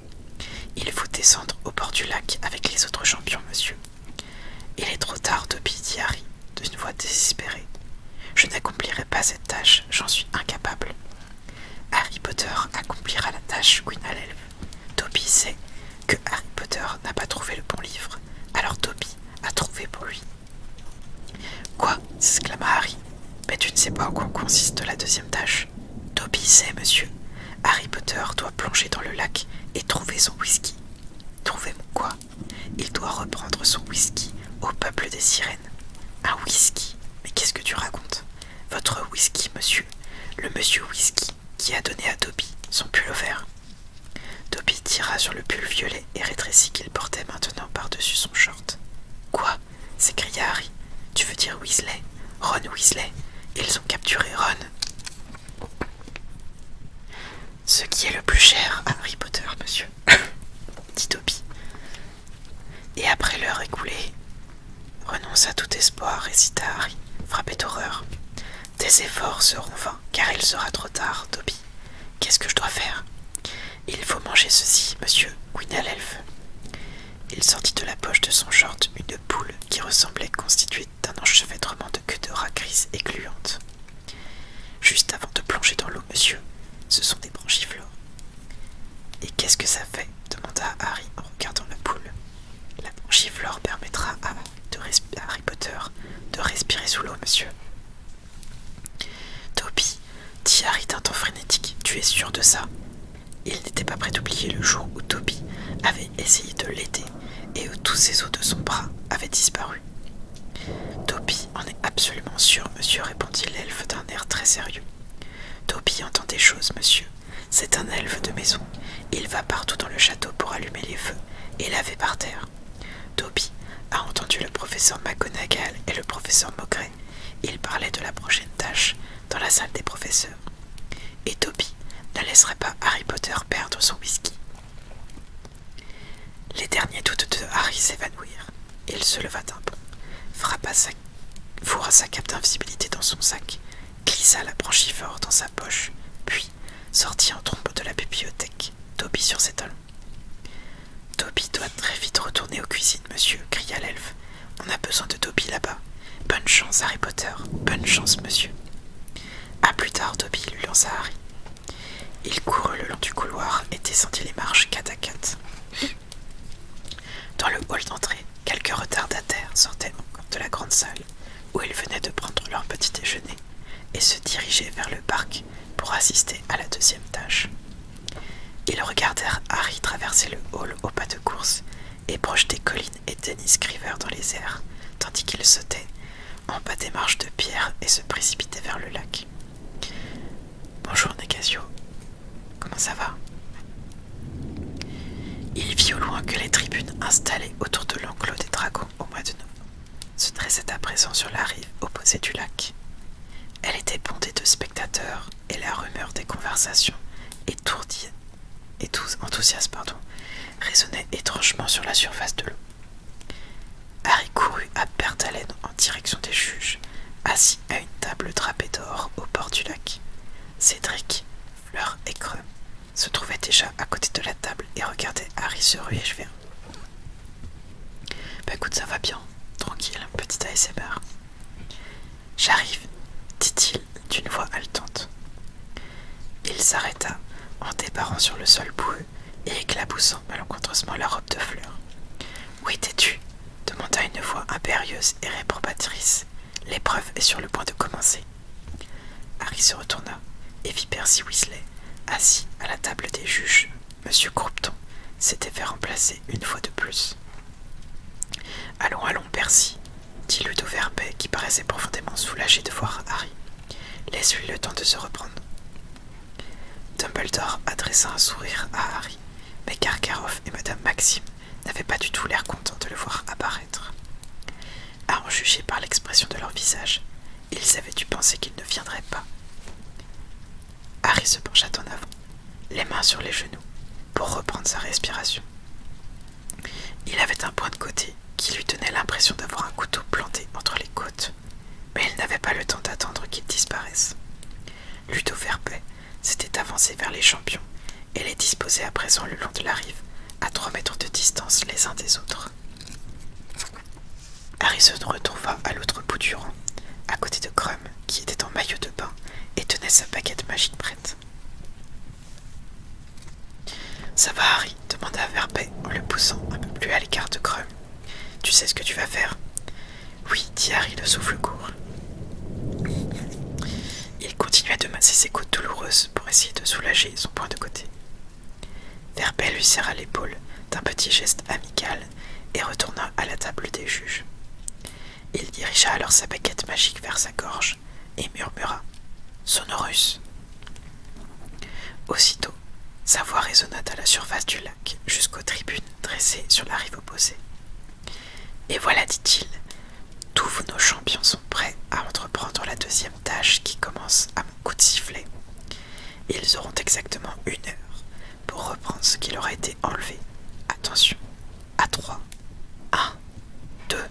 A: Il faut descendre au bord du lac avec les autres champions, monsieur. Il est trop tard, Toby dit Harry, d'une voix désespérée. Je n'accomplirai pas cette tâche, j'en suis incapable. Harry Potter accomplira la tâche, Queen Alelve. Toby sait que Harry Potter n'a pas trouvé le bon livre, alors Toby a trouvé pour lui. Quoi s'exclama Harry. Mais tu ne sais pas en quoi consiste la deuxième tâche. Toby sait, monsieur. Harry Potter doit plonger dans le lac et trouver son whisky. Trouver quoi Il doit reprendre son whisky au peuple des sirènes. Un whisky Mais qu'est-ce que tu racontes Votre whisky, monsieur. Le monsieur whisky qui a donné à Toby son pull au vert. Toby tira sur le pull violet et rétrécit qu'il portait maintenant par-dessus son short. Quoi s'écria Harry. Tu veux dire Weasley Ron Weasley Ils ont capturé Ron. Ce qui est le plus cher à Harry Potter, monsieur, dit Toby. Et après l'heure écoulée, renonce à tout espoir, récita Harry, frappé d'horreur. Tes efforts seront vains, car il sera trop tard, Toby. Qu'est-ce que je dois faire Il faut manger ceci, monsieur il sortit de la poche de son short une poule qui ressemblait constituée d'un enchevêtrement de queue de rats grise et gluante. Juste avant de plonger dans l'eau, monsieur, ce sont des branchiflores. Et qu'est-ce que ça fait demanda Harry en regardant la poule. La branchiflore permettra à Harry Potter de respirer sous l'eau, monsieur. Toby dit d'un temps frénétique. Tu es sûr de ça Il n'était pas prêt d'oublier le jour où Toby avait essayé de l'aider et où tous ses os de son bras avaient disparu. Toby en est absolument sûr, monsieur, répondit l'elfe d'un air très sérieux. Toby entend des choses, monsieur. C'est un elfe de maison. Il va partout dans le château pour allumer les feux et laver par terre. Toby a entendu le professeur McGonagall et le professeur il parlait de la prochaine tâche dans la salle des professeurs. Et Toby ne laisserait pas Harry Potter perdre son whisky. Les derniers doutes de Harry s'évanouirent. Il se leva d'un bond, frappa sa... fourra sa cape d'invisibilité dans son sac, glissa la branchiflore dans sa poche, puis sortit en trombe de la bibliothèque, Toby sur ses talons. Toby doit très vite retourner aux cuisines, monsieur, cria l'elfe. On a besoin de Toby là-bas. Bonne chance, Harry Potter. Bonne chance, monsieur. À plus tard, Toby lui lança Harry. Il courut le long du couloir et descendit les marches quatre à quatre. Dans le hall d'entrée, quelques retardataires sortaient encore de la grande salle où ils venaient de prendre leur petit déjeuner et se dirigeaient vers le parc pour assister à la deuxième tâche. Ils regardèrent Harry traverser le hall au pas de course et projetait collines et Dennis Criver dans les airs, tandis qu'il sautait en bas des marches de pierre et se précipitait vers le lac. Bonjour Negasio, comment ça va Il vit au loin que les tribunes installées autour de l'enclos des dragons au mois de novembre se dressaient à présent sur la rive opposée du lac. Elle était bondée de spectateurs et la rumeur des conversations, étourdie et tous enthousiastes, pardon, résonnait étrangement sur la surface de l'eau. Harry courut à perte d'haleine en direction des juges, assis à une table drapée d'or au bord du lac. Cédric, fleur et creux, se trouvait déjà à côté de la table et regardait Harry se ruer vers Bah écoute, ça va bien, tranquille, petit ASMR. J'arrive, dit-il d'une voix haletante. Il s'arrêta en débarrant sur le sol boueux et éclaboussant malencontreusement la robe de fleurs. Où étais-tu demanda une voix impérieuse et réprobatrice. L'épreuve est sur le point de commencer. Harry se retourna et vit Percy Weasley assis à la table des juges. Monsieur Croupton s'était fait remplacer une fois de plus. Allons, allons, Percy, dit le doux Verbet, qui paraissait profondément soulagé de voir Harry. Laisse-lui le temps de se reprendre. Dumbledore adressa un sourire à Harry, mais Karkaroff et Madame Maxime n'avaient pas du tout l'air contents de le voir apparaître. À en juger par l'expression de leur visage, ils avaient dû penser qu'il ne viendrait pas. Harry se pencha en avant, les mains sur les genoux, pour reprendre sa respiration. Il avait un point de côté qui lui tenait l'impression d'avoir un couteau planté entre les côtes, mais il n'avait pas le temps d'attendre qu'il disparaisse. Ludo Verbet s'était avancé vers les champions et les disposait à présent le long de la rive, à trois mètres de distance les uns des autres. Harrison se retrouva à l'autre bout du rang, à côté de Crum, qui était en maillot de bain et tenait sa baguette magique prête. Ça va, Harry demanda Verbet en le poussant un peu plus à l'écart de Creux. « Tu sais ce que tu vas faire Oui, dit Harry le souffle court. Il continua de masser ses côtes douloureuses pour essayer de soulager son point de côté. Verbet lui serra l'épaule d'un petit geste amical et retourna à la table des juges. Il dirigea alors sa baguette magique vers sa gorge et murmura Sonorus. Aussitôt, sa voix résonna à la surface du lac jusqu'aux tribunes dressées sur la rive opposée. Et voilà, dit-il, tous nos champions sont prêts à entreprendre la deuxième tâche qui commence à mon coup de sifflet. Ils auront exactement une heure pour reprendre ce qui leur a été enlevé. Attention, à trois. Un, deux,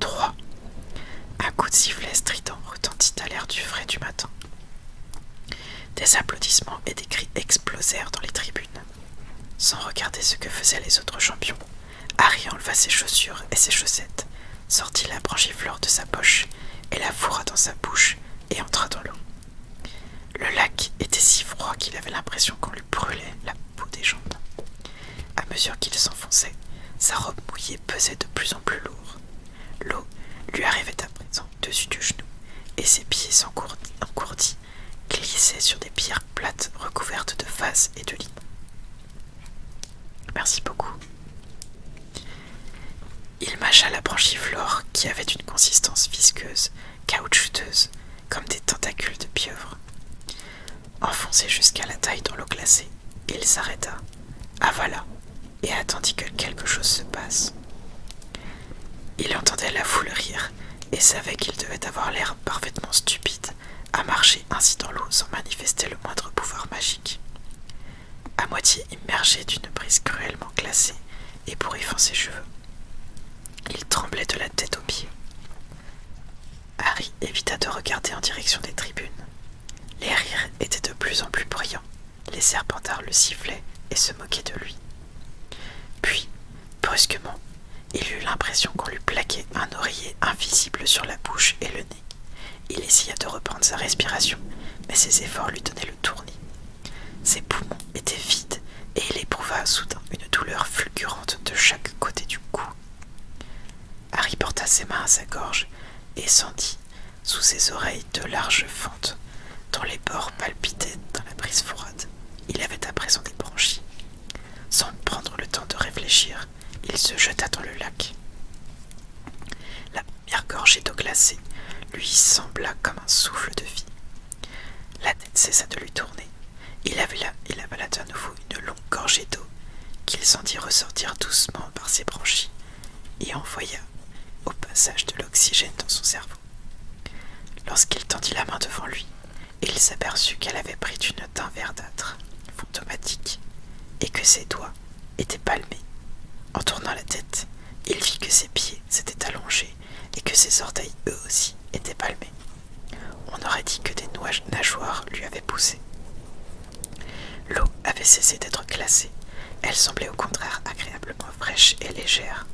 A: trois. Un coup de sifflet strident retentit à l'air du frais du matin. Des applaudissements et des cris explosèrent dans les tribunes. Sans regarder ce que faisaient les autres champions, Harry enleva ses chaussures et ses chaussettes, sortit la branchiflore de sa poche et la fourra dans sa bouche et entra dans l'eau. Le lac était si froid qu'il avait l'impression qu'on brûlait la peau des jambes. À mesure qu'il s'enfonçait, sa robe mouillée pesait de plus en plus lourd. L'eau lui arrivait à présent dessus du genou, et ses pieds encourdis glissaient sur des pierres plates recouvertes de vases et de lits. Merci beaucoup. Il mâcha la branchiflore qui avait une consistance visqueuse, caoutchouteuse, comme des tentacules de pieuvre enfoncé jusqu'à la taille dans l'eau glacée. Il s'arrêta, avala et attendit que quelque chose se passe. Il entendait la foule rire et savait qu'il devait avoir l'air parfaitement stupide à marcher ainsi dans l'eau sans manifester le moindre pouvoir magique. À moitié immergé d'une brise cruellement glacée et fin ses cheveux, il tremblait de la tête aux pieds. Harry évita de regarder en direction des tribunes. Les rires étaient de plus en plus bruyants, les serpentards le sifflaient et se moquaient de lui. Puis, brusquement, il eut l'impression qu'on lui plaquait un oreiller invisible sur la bouche et le nez. Il essaya de reprendre sa respiration, mais ses efforts lui donnaient le tournis. Ses poumons étaient vides et il éprouva soudain une douleur fulgurante de chaque côté du cou Harry porta ses mains à sa gorge et sentit sous ses oreilles de larges fentes dont les bords palpitaient dans la brise froide. Il avait à présent des Sans prendre le temps de réfléchir, il se jeta dans le lac. La première gorge d'eau glacée lui sembla comme un souffle de vie. La tête cessa de lui tourner il avala, et avala à nouveau une longue gorgée d'eau qu'il sentit ressortir doucement par ses branchies et envoya au passage de l'oxygène dans son cerveau. Lorsqu'il tendit la main devant lui, il s'aperçut qu'elle avait pris une teinte verdâtre, fantomatique, et que ses doigts étaient palmés. En tournant la tête, il vit que ses pieds s'étaient allongés et que ses orteils eux aussi étaient palmés. On aurait dit que des nageoires lui avaient poussé. L'eau avait cessé d'être glacée, elle semblait au contraire agréablement fraîche et légère.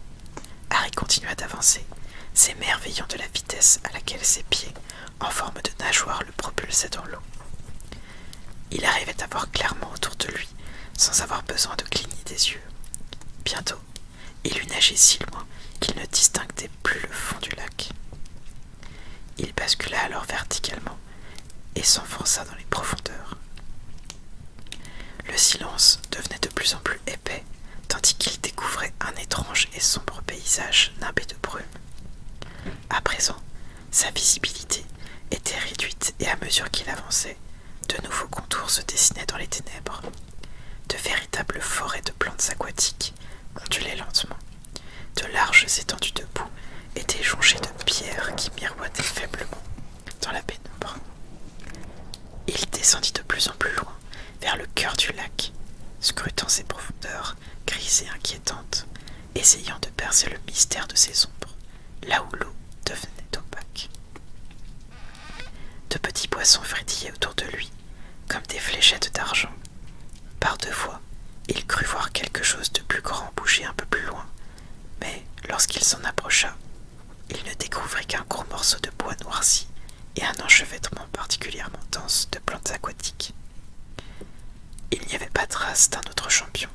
A: Harry continua d'avancer, s'émerveillant de la vitesse à laquelle ses pieds, en forme de nageoire, le propulsaient dans l'eau. Il arrivait à voir clairement autour de lui, sans avoir besoin de cligner des yeux. Bientôt, il eut nagé si loin qu'il ne distinguait plus le fond du lac. Il bascula alors verticalement et s'enfonça dans les profondeurs. Le silence devenait de plus en plus épais, tandis qu'il découvrait un étrange et sombre paysage nimbé de brume. À présent, sa visibilité était réduite et à mesure qu'il avançait, de nouveaux contours se dessinaient dans les ténèbres, de véritables forêts de plantes aquatiques ondulaient lentement. De larges étendues de boue étaient jonchées de pierres qui miroitaient faiblement dans la pénombre. Il descendit de plus en plus loin, vers le cœur du lac, scrutant ses profondeurs grises et inquiétantes, essayant de percer le mystère de ses ombres, là où l'eau devenait opaque. De petits poissons frétillaient autour de lui, comme des fléchettes d'argent, par deux fois, il crut voir quelque chose de plus grand bouger un peu plus loin, mais lorsqu'il s'en approcha, il ne découvrit qu'un court morceau de bois noirci et un enchevêtrement particulièrement dense de plantes aquatiques. Il n'y avait pas trace d'un autre champion,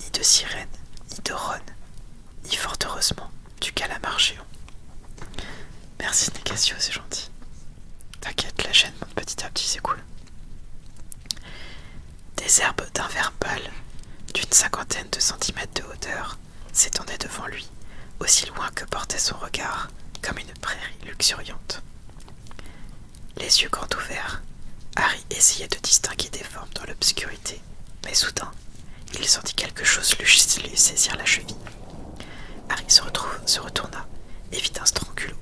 A: ni de sirène, ni de rhône ni fort heureusement du calamar géant. Merci Nicasio, c'est gentil. T'inquiète, la chaîne monte petit à petit, c'est cool. Des herbes d'un vert pâle, d'une cinquantaine de centimètres de hauteur, s'étendaient devant lui, aussi loin que portait son regard, comme une prairie luxuriante. Les yeux grands ouverts, Harry essayait de distinguer des formes dans l'obscurité, mais soudain, il sentit quelque chose lui saisir la cheville. Harry se, retourna et vit un strangulot,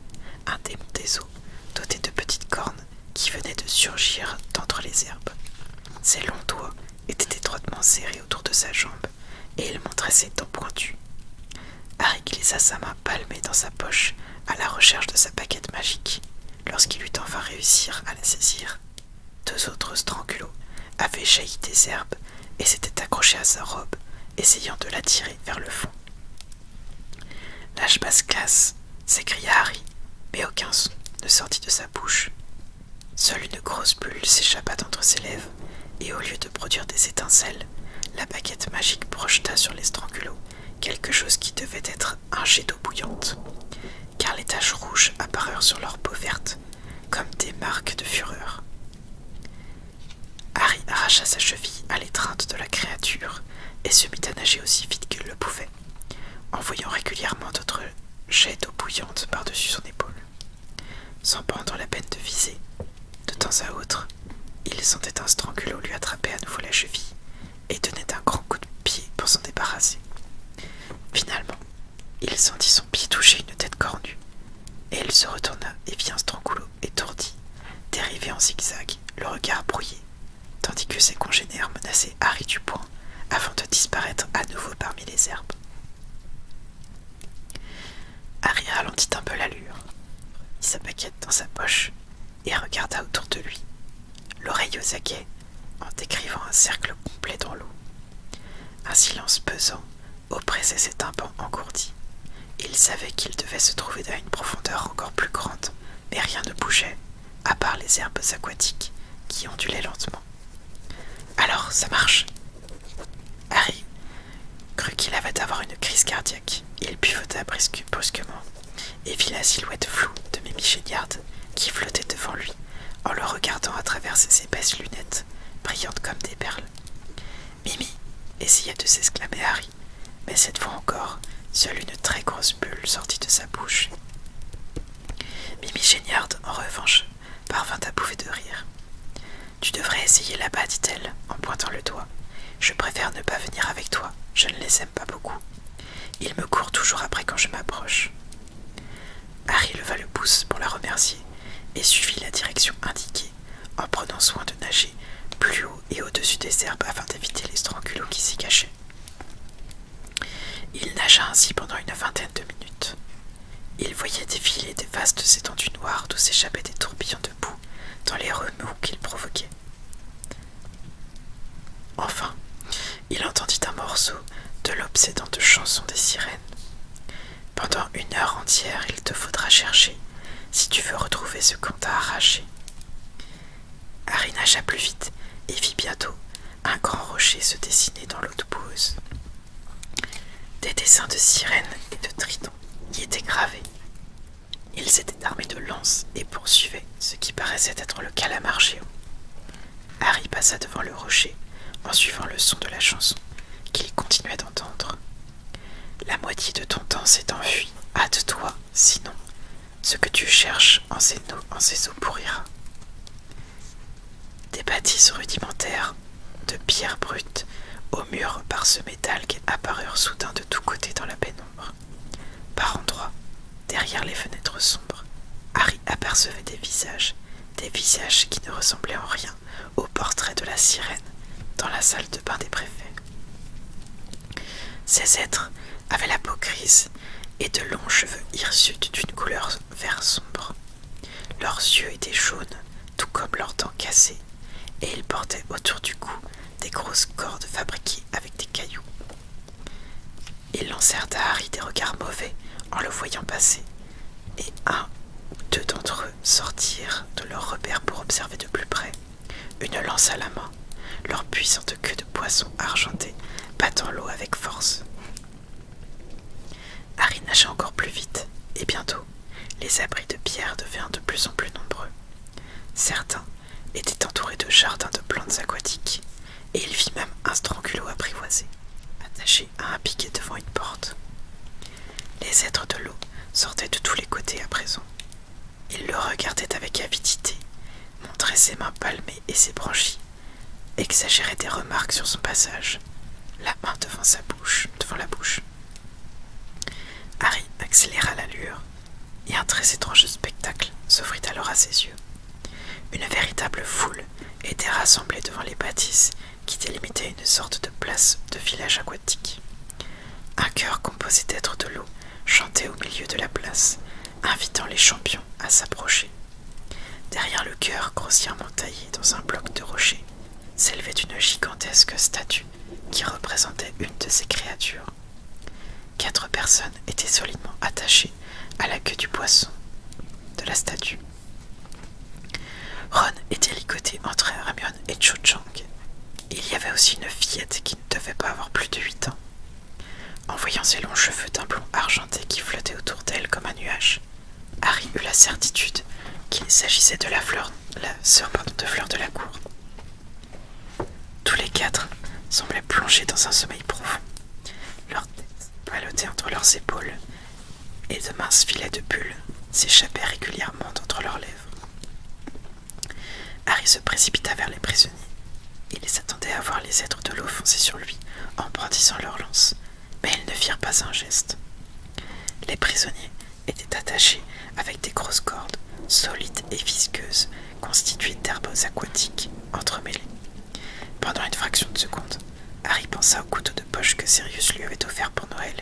A: un démon des eaux, doté de petites cornes qui venaient de surgir d'entre les herbes. Ses longs doigts étaient étroitement serrés autour de sa jambe et il montrait ses dents pointues. Harry glissa sa main palmée dans sa poche à la recherche de sa paquette magique. Lorsqu'il eut enfin réussi à la saisir, deux autres strangulots avaient jailli des herbes et s'était accroché à sa robe, essayant de l'attirer vers le fond. Lâche casse s'écria Harry, mais aucun son ne sortit de sa bouche. Seule une grosse bulle s'échappa d'entre ses lèvres, et au lieu de produire des étincelles, la baguette magique projeta sur les strangulots quelque chose qui devait être un jet d'eau bouillante, car les taches rouges apparurent sur leur peau verte, comme des marques de fureur. Harry arracha sa cheville à l'étreinte de la créature et se mit à nager aussi vite qu'il le pouvait, En voyant régulièrement d'autres jets d'eau bouillante par-dessus son épaule. Sans prendre la peine de viser, de temps à autre, il sentait un strangulo lui attraper à nouveau la cheville et tenait un grand coup de pied pour s'en débarrasser. Finalement, il sentit son pied toucher une tête cornue, et il se retourna et vit un strangulo étourdi, dérivé en zigzag, le regard brouillé, tandis que ses congénères menaçaient Harry du avant de disparaître à nouveau parmi les herbes. Harry ralentit un peu l'allure, mit sa paquette dans sa poche et regarda autour de lui, l'oreille aux aguets, en décrivant un cercle complet dans l'eau. Un silence pesant oppressait ses tympans engourdis. Il savait qu'il devait se trouver dans une profondeur encore plus grande, mais rien ne bougeait, à part les herbes aquatiques qui ondulaient lentement. Alors, ça marche Harry crut qu'il avait avoir une crise cardiaque. Il pivota brusquement et vit la silhouette floue de Mimi qui flottait devant lui en le regardant à travers ses épaisses lunettes, brillantes comme des perles. Mimi essaya de s'exclamer Harry, mais cette fois encore, seule une très grosse bulle sortit de sa bouche. Mimi Géniard, en revanche, parvint à bouffer de rire. Tu devrais essayer là-bas, dit-elle, en pointant le doigt. Je préfère ne pas venir avec toi, je ne les aime pas beaucoup. Ils me courent toujours après quand je m'approche. Harry leva le pouce pour la remercier et suivit la direction indiquée en prenant soin de nager plus haut et au-dessus des herbes afin d'éviter les strangulots qui s'y cachaient. Il nagea ainsi pendant une vingtaine de minutes. Il voyait défiler des vastes étendues noires d'où s'échappaient des tourbillons de boue dans les remous qu'il provoquait. Enfin, il entendit un morceau de l'obsédante chanson des sirènes. Pendant une heure entière, il te faudra chercher si tu veux retrouver ce qu'on t'a arraché. Harry nagea plus vite et vit bientôt un grand rocher se dessiner dans l'eau de Des dessins de sirènes et de tritons y étaient gravés. Ils étaient armés de lances et poursuivaient ce qui paraissait être le calamar géant. Harry passa devant le rocher en suivant le son de la chanson qu'il continuait d'entendre. La moitié de ton temps s'est enfuie. Hâte-toi, sinon, ce que tu cherches en ces, eaux pourrira. Des bâtisses rudimentaires, de pierres brutes, aux murs parsemés qui apparurent soudain de tous côtés dans la pénombre. Par endroits, derrière les fenêtres sombres, Harry apercevait des visages, des visages qui ne ressemblaient en rien au portrait de la sirène dans la salle de bain des préfets. Ces êtres avaient la peau grise et de longs cheveux hirsutes d'une couleur vert sombre. Leurs yeux étaient jaunes, tout comme leurs dents cassées, et ils portaient autour du cou des grosses cordes fabriquées avec des cailloux. Ils lancèrent à Harry des regards mauvais en le voyant passer, et un ou deux d'entre eux sortirent de leur repère pour observer de plus près une lance à la main, leur puissante queue de poisson argentée battant l'eau avec force. Harry nagea encore plus vite, et bientôt, les abris de pierre devinrent de plus en plus nombreux. Certains étaient entourés de jardins de plantes aquatiques, et il vit même un strangulo apprivoisé, attaché à un piquet devant une porte. Les êtres de l'eau sortaient de tous les côtés à présent, il le regardait avec avidité, montrait ses mains palmées et ses branchies, exagérait des remarques sur son passage, la main devant sa bouche, devant la bouche. Harry accéléra l'allure, et un très étrange spectacle s'offrit alors à ses yeux. Une véritable foule était rassemblée devant les bâtisses qui délimitaient une sorte de place de village aquatique. Un chœur composé d'êtres de l'eau chantait au milieu de la place, invitant les champions à s'approcher. Derrière le chœur grossièrement taillé dans un bloc de rocher, s'élevait une gigantesque statue qui représentait une de ces créatures. Quatre personnes étaient solidement attachées à la queue du poisson de la statue. Ron était licoté entre Ramion et Cho Chang. Il y avait aussi une fillette qui ne devait pas avoir plus de huit ans. En voyant ses longs cheveux d'un blond argenté qui flottaient autour d'elle comme un nuage, Harry eut la certitude qu'il s'agissait de la fleur, la sœur de fleur de la cour. Tous les quatre semblaient plongés dans un sommeil profond, leurs têtes palotées entre leurs épaules, et de minces filets de bulles s'échappaient régulièrement entre leurs lèvres. Harry se précipita vers les prisonniers. Il les attendait à voir les êtres de l'eau foncer sur lui en brandissant leurs lances, mais ils ne firent pas un geste. Les prisonniers étaient attachés avec des grosses cordes, solides et visqueuses, constituées d'herbes aquatiques entremêlées. Pendant une fraction de seconde, Harry pensa au couteau de poche que Sirius lui avait offert pour Noël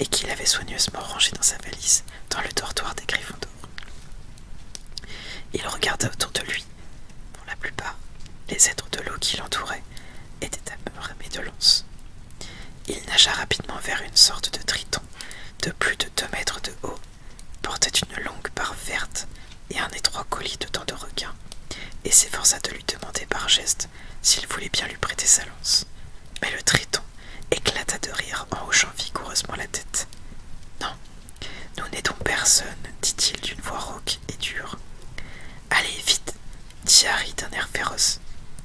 A: et qu'il avait soigneusement rangé dans sa valise dans le dortoir des griffons dor Il regarda autour de lui. Pour la plupart, les êtres de l'eau qui l'entouraient étaient à armés de lances. Il nagea rapidement vers une sorte de triton de plus de deux mètres de haut, portait une longue barre verte et un étroit colis de dents de requin, et s'efforça de lui demander par geste s'il voulait bien lui prêter sa lance. Mais le triton éclata de rire en hochant vigoureusement la tête. Non, nous n'aidons personne, dit-il d'une voix rauque et dure. Allez, vite, dit Harry d'un air féroce,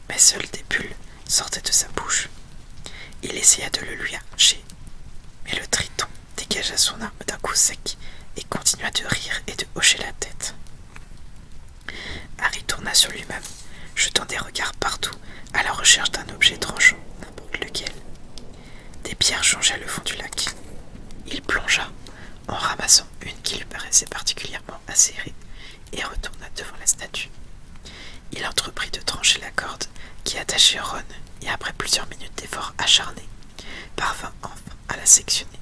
A: mais seules des bulles sortaient de sa bouche. Il essaya de le lui arracher, mais le triton dégagea son arme d'un coup sec et continua de rire et de hocher la tête. Harry tourna sur lui-même jetant des regards partout à la recherche d'un objet tranchant, n'importe lequel. Des pierres changeaient le fond du lac. Il plongea en ramassant une qui lui paraissait particulièrement acérée et retourna devant la statue. Il entreprit de trancher la corde qui attachait Ron et après plusieurs minutes d'efforts acharnés, parvint enfin à la sectionner.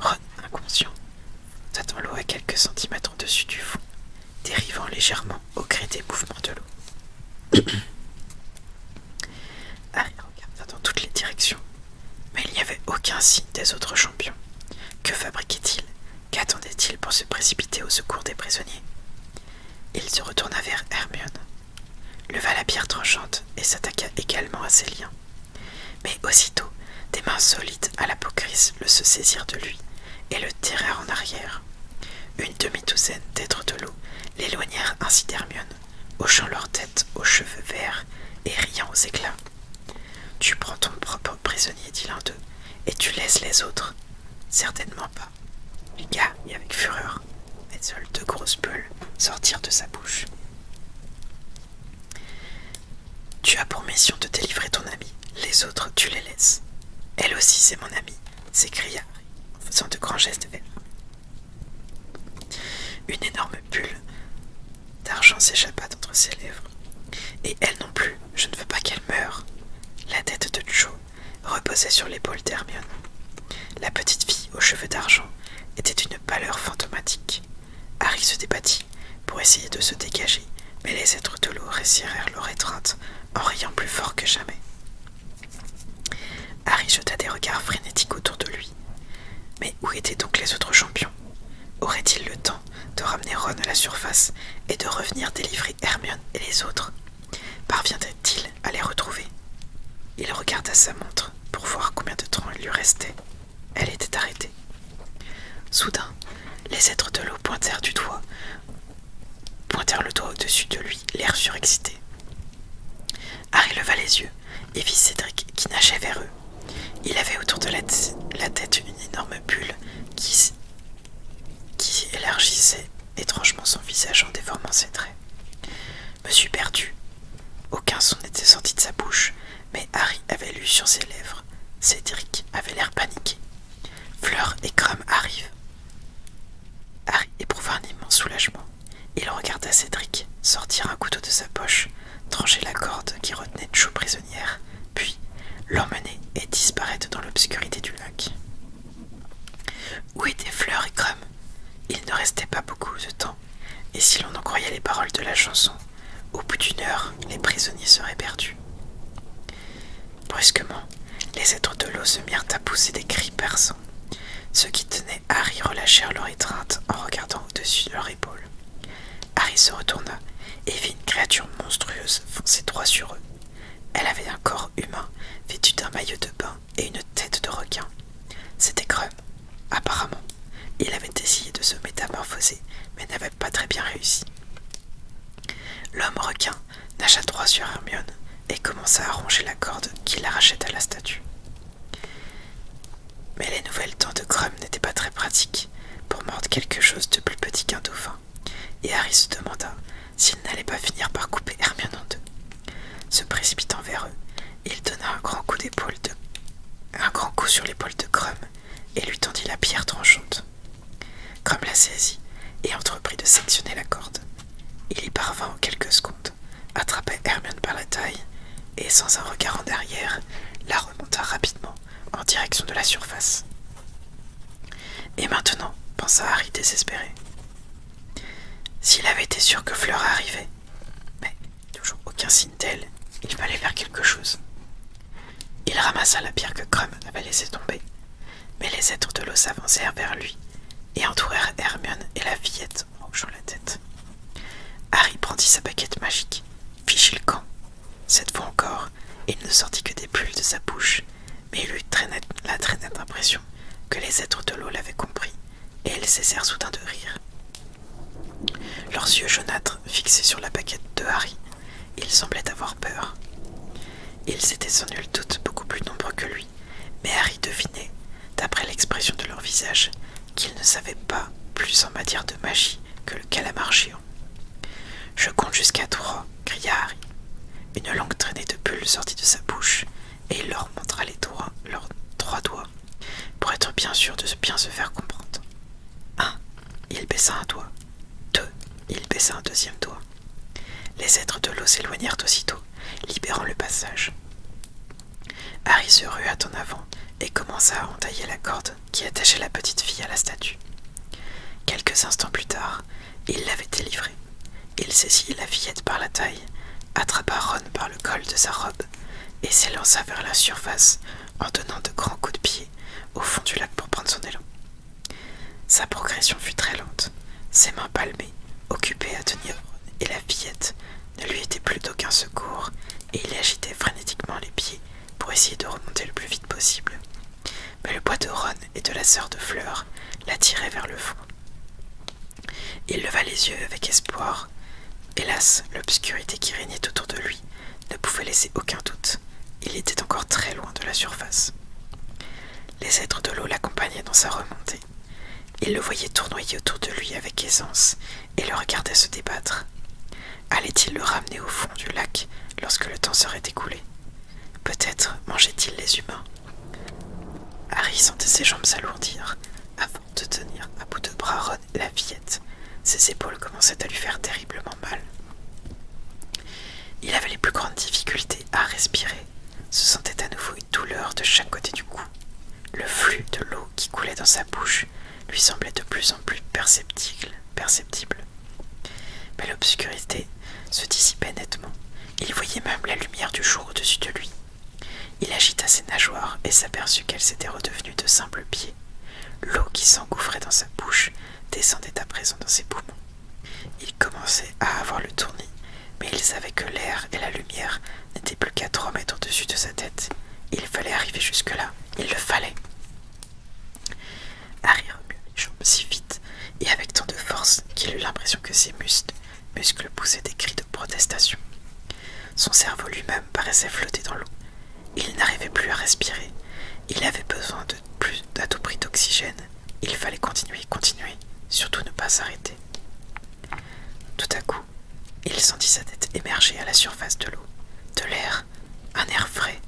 A: Ron, inconscient, s'attend l'eau à quelques centimètres au-dessus du fond dérivant légèrement au gré des mouvements de l'eau. Harry regarda dans toutes les directions, mais il n'y avait aucun signe des autres champions. Que fabriquait-il Qu'attendait-il pour se précipiter au secours des prisonniers Il se retourna vers Hermione, leva la pierre tranchante et s'attaqua également à ses liens. Mais aussitôt, des mains solides à l'apocrysme le se saisirent de lui et le tirèrent en arrière. Une demi-douzaine d'êtres de l'eau l'éloignèrent ainsi d'Hermione, hochant leur tête aux cheveux verts et riant aux éclats. Tu prends ton propre prisonnier, dit l'un d'eux, et tu laisses les autres. Certainement pas. Lucas et avec fureur, et seules deux grosses bulles sortirent de sa bouche. Tu as pour mission de délivrer ton ami, les autres, tu les laisses. Elle aussi, c'est mon amie, s'écria Harry en faisant de grands gestes vers Une énorme bulle d'argent s'échappa d'entre ses lèvres. Et elle non plus, je ne veux pas qu'elle meure. La tête de Joe reposait sur l'épaule d'Hermione. La petite fille aux cheveux d'argent était d'une pâleur fantomatique. Harry se débattit pour essayer de se dégager, mais les êtres de l'eau resserrèrent leur étreinte en riant plus fort que jamais. Harry jeta des regards frénétiques autour de lui. Mais où étaient donc les autres champions Aurait-il le temps de ramener Ron à la surface et de revenir délivrer Hermione et les autres Parviendrait-il à les retrouver Il regarda sa montre pour voir combien de temps il lui restait. Elle était arrêtée. Soudain, les êtres de l'eau pointèrent du doigt pointèrent le doigt au-dessus de lui, l'air surexcité. Harry leva les yeux et vit Cédric qui nageait vers eux. Il avait autour de la, tête une énorme bulle qui, qui élargissait étrangement son visage en déformant ses traits. « Me suis perdu !» Aucun son n'était sorti de sa bouche, mais Harry avait lu sur ses lèvres. Cédric avait l'air paniqué. Fleur et Crum arrivent. Harry éprouva un immense soulagement. Il regarda Cédric sortir un couteau de sa poche, trancher la corde qui retenait Joe prisonnière, puis l'emmener et disparaître dans l'obscurité du lac. Où étaient Fleur et Crumb Il ne restait pas beaucoup de temps, et si l'on en croyait les paroles de la chanson, au bout d'une heure, les prisonniers seraient perdus. Brusquement, les êtres de l'eau se mirent à pousser des cris perçants. Ceux qui tenaient Harry relâchèrent leur étreinte en regardant au-dessus de leur épaule. Harry se retourna et vit une créature monstrueuse foncer droit sur eux. Elle avait un corps humain vêtu d'un maillot de bain et une tête de requin. C'était Grum. Apparemment, il avait essayé de se métamorphoser mais n'avait pas très bien réussi. L'homme requin nagea droit sur Hermione et commença à ronger la corde qui l'arrachait à la statue. Mais les nouvelles dents de Crum n'étaient pas très pratiques pour mordre quelque chose de plus petit qu'un dauphin, et Harry se demanda s'il n'allait pas finir par couper Hermione en deux. Se précipitant vers eux, il donna un grand coup d'épaule de un grand coup sur l'épaule de Crum et lui tendit la pierre tranchante. Crum la saisit et entreprit de sectionner la corde. Il y parvint en quelques secondes, attrapa Hermione par la taille et, sans un regard en arrière, la remonta rapidement en direction de la surface. Et maintenant, pensa Harry désespéré. S'il avait été sûr que Fleur arrivait, mais toujours aucun signe d'elle, il fallait faire quelque chose. Il ramassa la pierre que Crumb avait laissée tomber mais les êtres de l'eau s'avancèrent vers lui et entourèrent Hermione et la fillette en hochant la tête. Harry prendit sa baguette magique, fichit le camp. Cette fois encore, il ne sortit que des bulles de sa bouche, mais il eut la très nette impression que les êtres de l'eau l'avaient compris, et elles cessèrent soudain de rire. Leurs yeux jaunâtres, fixés sur la baguette de Harry, ils semblaient avoir peur. Ils étaient sans nul doute beaucoup plus nombreux que lui, mais Harry devinait, d'après l'expression de leur visage, qu'ils ne savaient pas plus en matière de magie que le calamar géant. Je compte jusqu'à trois, cria Harry. Une langue traînée de bulles sortit de sa bouche, et il leur montra les doigts, leurs trois doigts, pour être bien sûr de bien se faire comprendre. Un. Il baissa un doigt. Deux. Il baissa un deuxième doigt. Les êtres de l'eau s'éloignèrent aussitôt, libérant le passage. Harry se rua en avant et commença à entailler la corde qui attachait la petite fille à la statue. Quelques instants plus tard, il l'avait délivrée. Il saisit la fillette par la taille, attrapa Ron par le col de sa robe et s'élança vers la surface en donnant de grands coups de pied au fond du lac pour prendre son élan. Sa progression fut très lente, ses mains palmées, occupées à tenir et la fillette, ne lui était plus d'aucun secours, et il agitait frénétiquement les pieds pour essayer de remonter le plus vite possible. Mais le poids de Ron et de la sœur de Fleur l'attiraient vers le fond. Il leva les yeux avec espoir. Hélas, l'obscurité qui régnait autour de lui ne pouvait laisser aucun doute. Il était encore très loin de la surface. Les êtres de l'eau l'accompagnaient dans sa remontée. Il le voyait tournoyer autour de lui avec aisance et le regardait se débattre. Allait-il le ramener au fond du lac lorsque le temps serait écoulé Peut-être mangeait-il les humains. Harry sentait ses jambes s'alourdir avant de tenir à bout de bras la fillette. Ses épaules commençaient à lui faire terriblement mal. Il avait les plus grandes difficultés à respirer se sentait à nouveau une douleur de chaque côté du cou. Le flux de l'eau qui coulait dans sa bouche lui semblait de plus en plus perceptible. perceptible. Mais l'obscurité se dissipait nettement. Il voyait même la lumière du jour au-dessus de lui. Il agita ses nageoires et s'aperçut qu'elles s'étaient redevenues de simples pieds. L'eau qui s'engouffrait dans sa bouche descendait à présent dans ses poumons. Il commençait à avoir le tournis, mais il savait que l'air et la lumière n'étaient plus qu'à trois mètres au-dessus de sa tête. Il fallait arriver jusque-là, il le fallait. Harry remua les jambes si vite et avec tant de force qu'il eut l'impression que ses muscles, muscles poussaient des cris de protestation. Son cerveau lui-même paraissait flotter dans l'eau. Il n'arrivait plus à respirer. Il avait besoin de plus à tout prix d'oxygène il fallait continuer, continuer, surtout ne pas s'arrêter. Tout à coup, il sentit sa tête émerger à la surface de l'eau, de l'air, un air frais,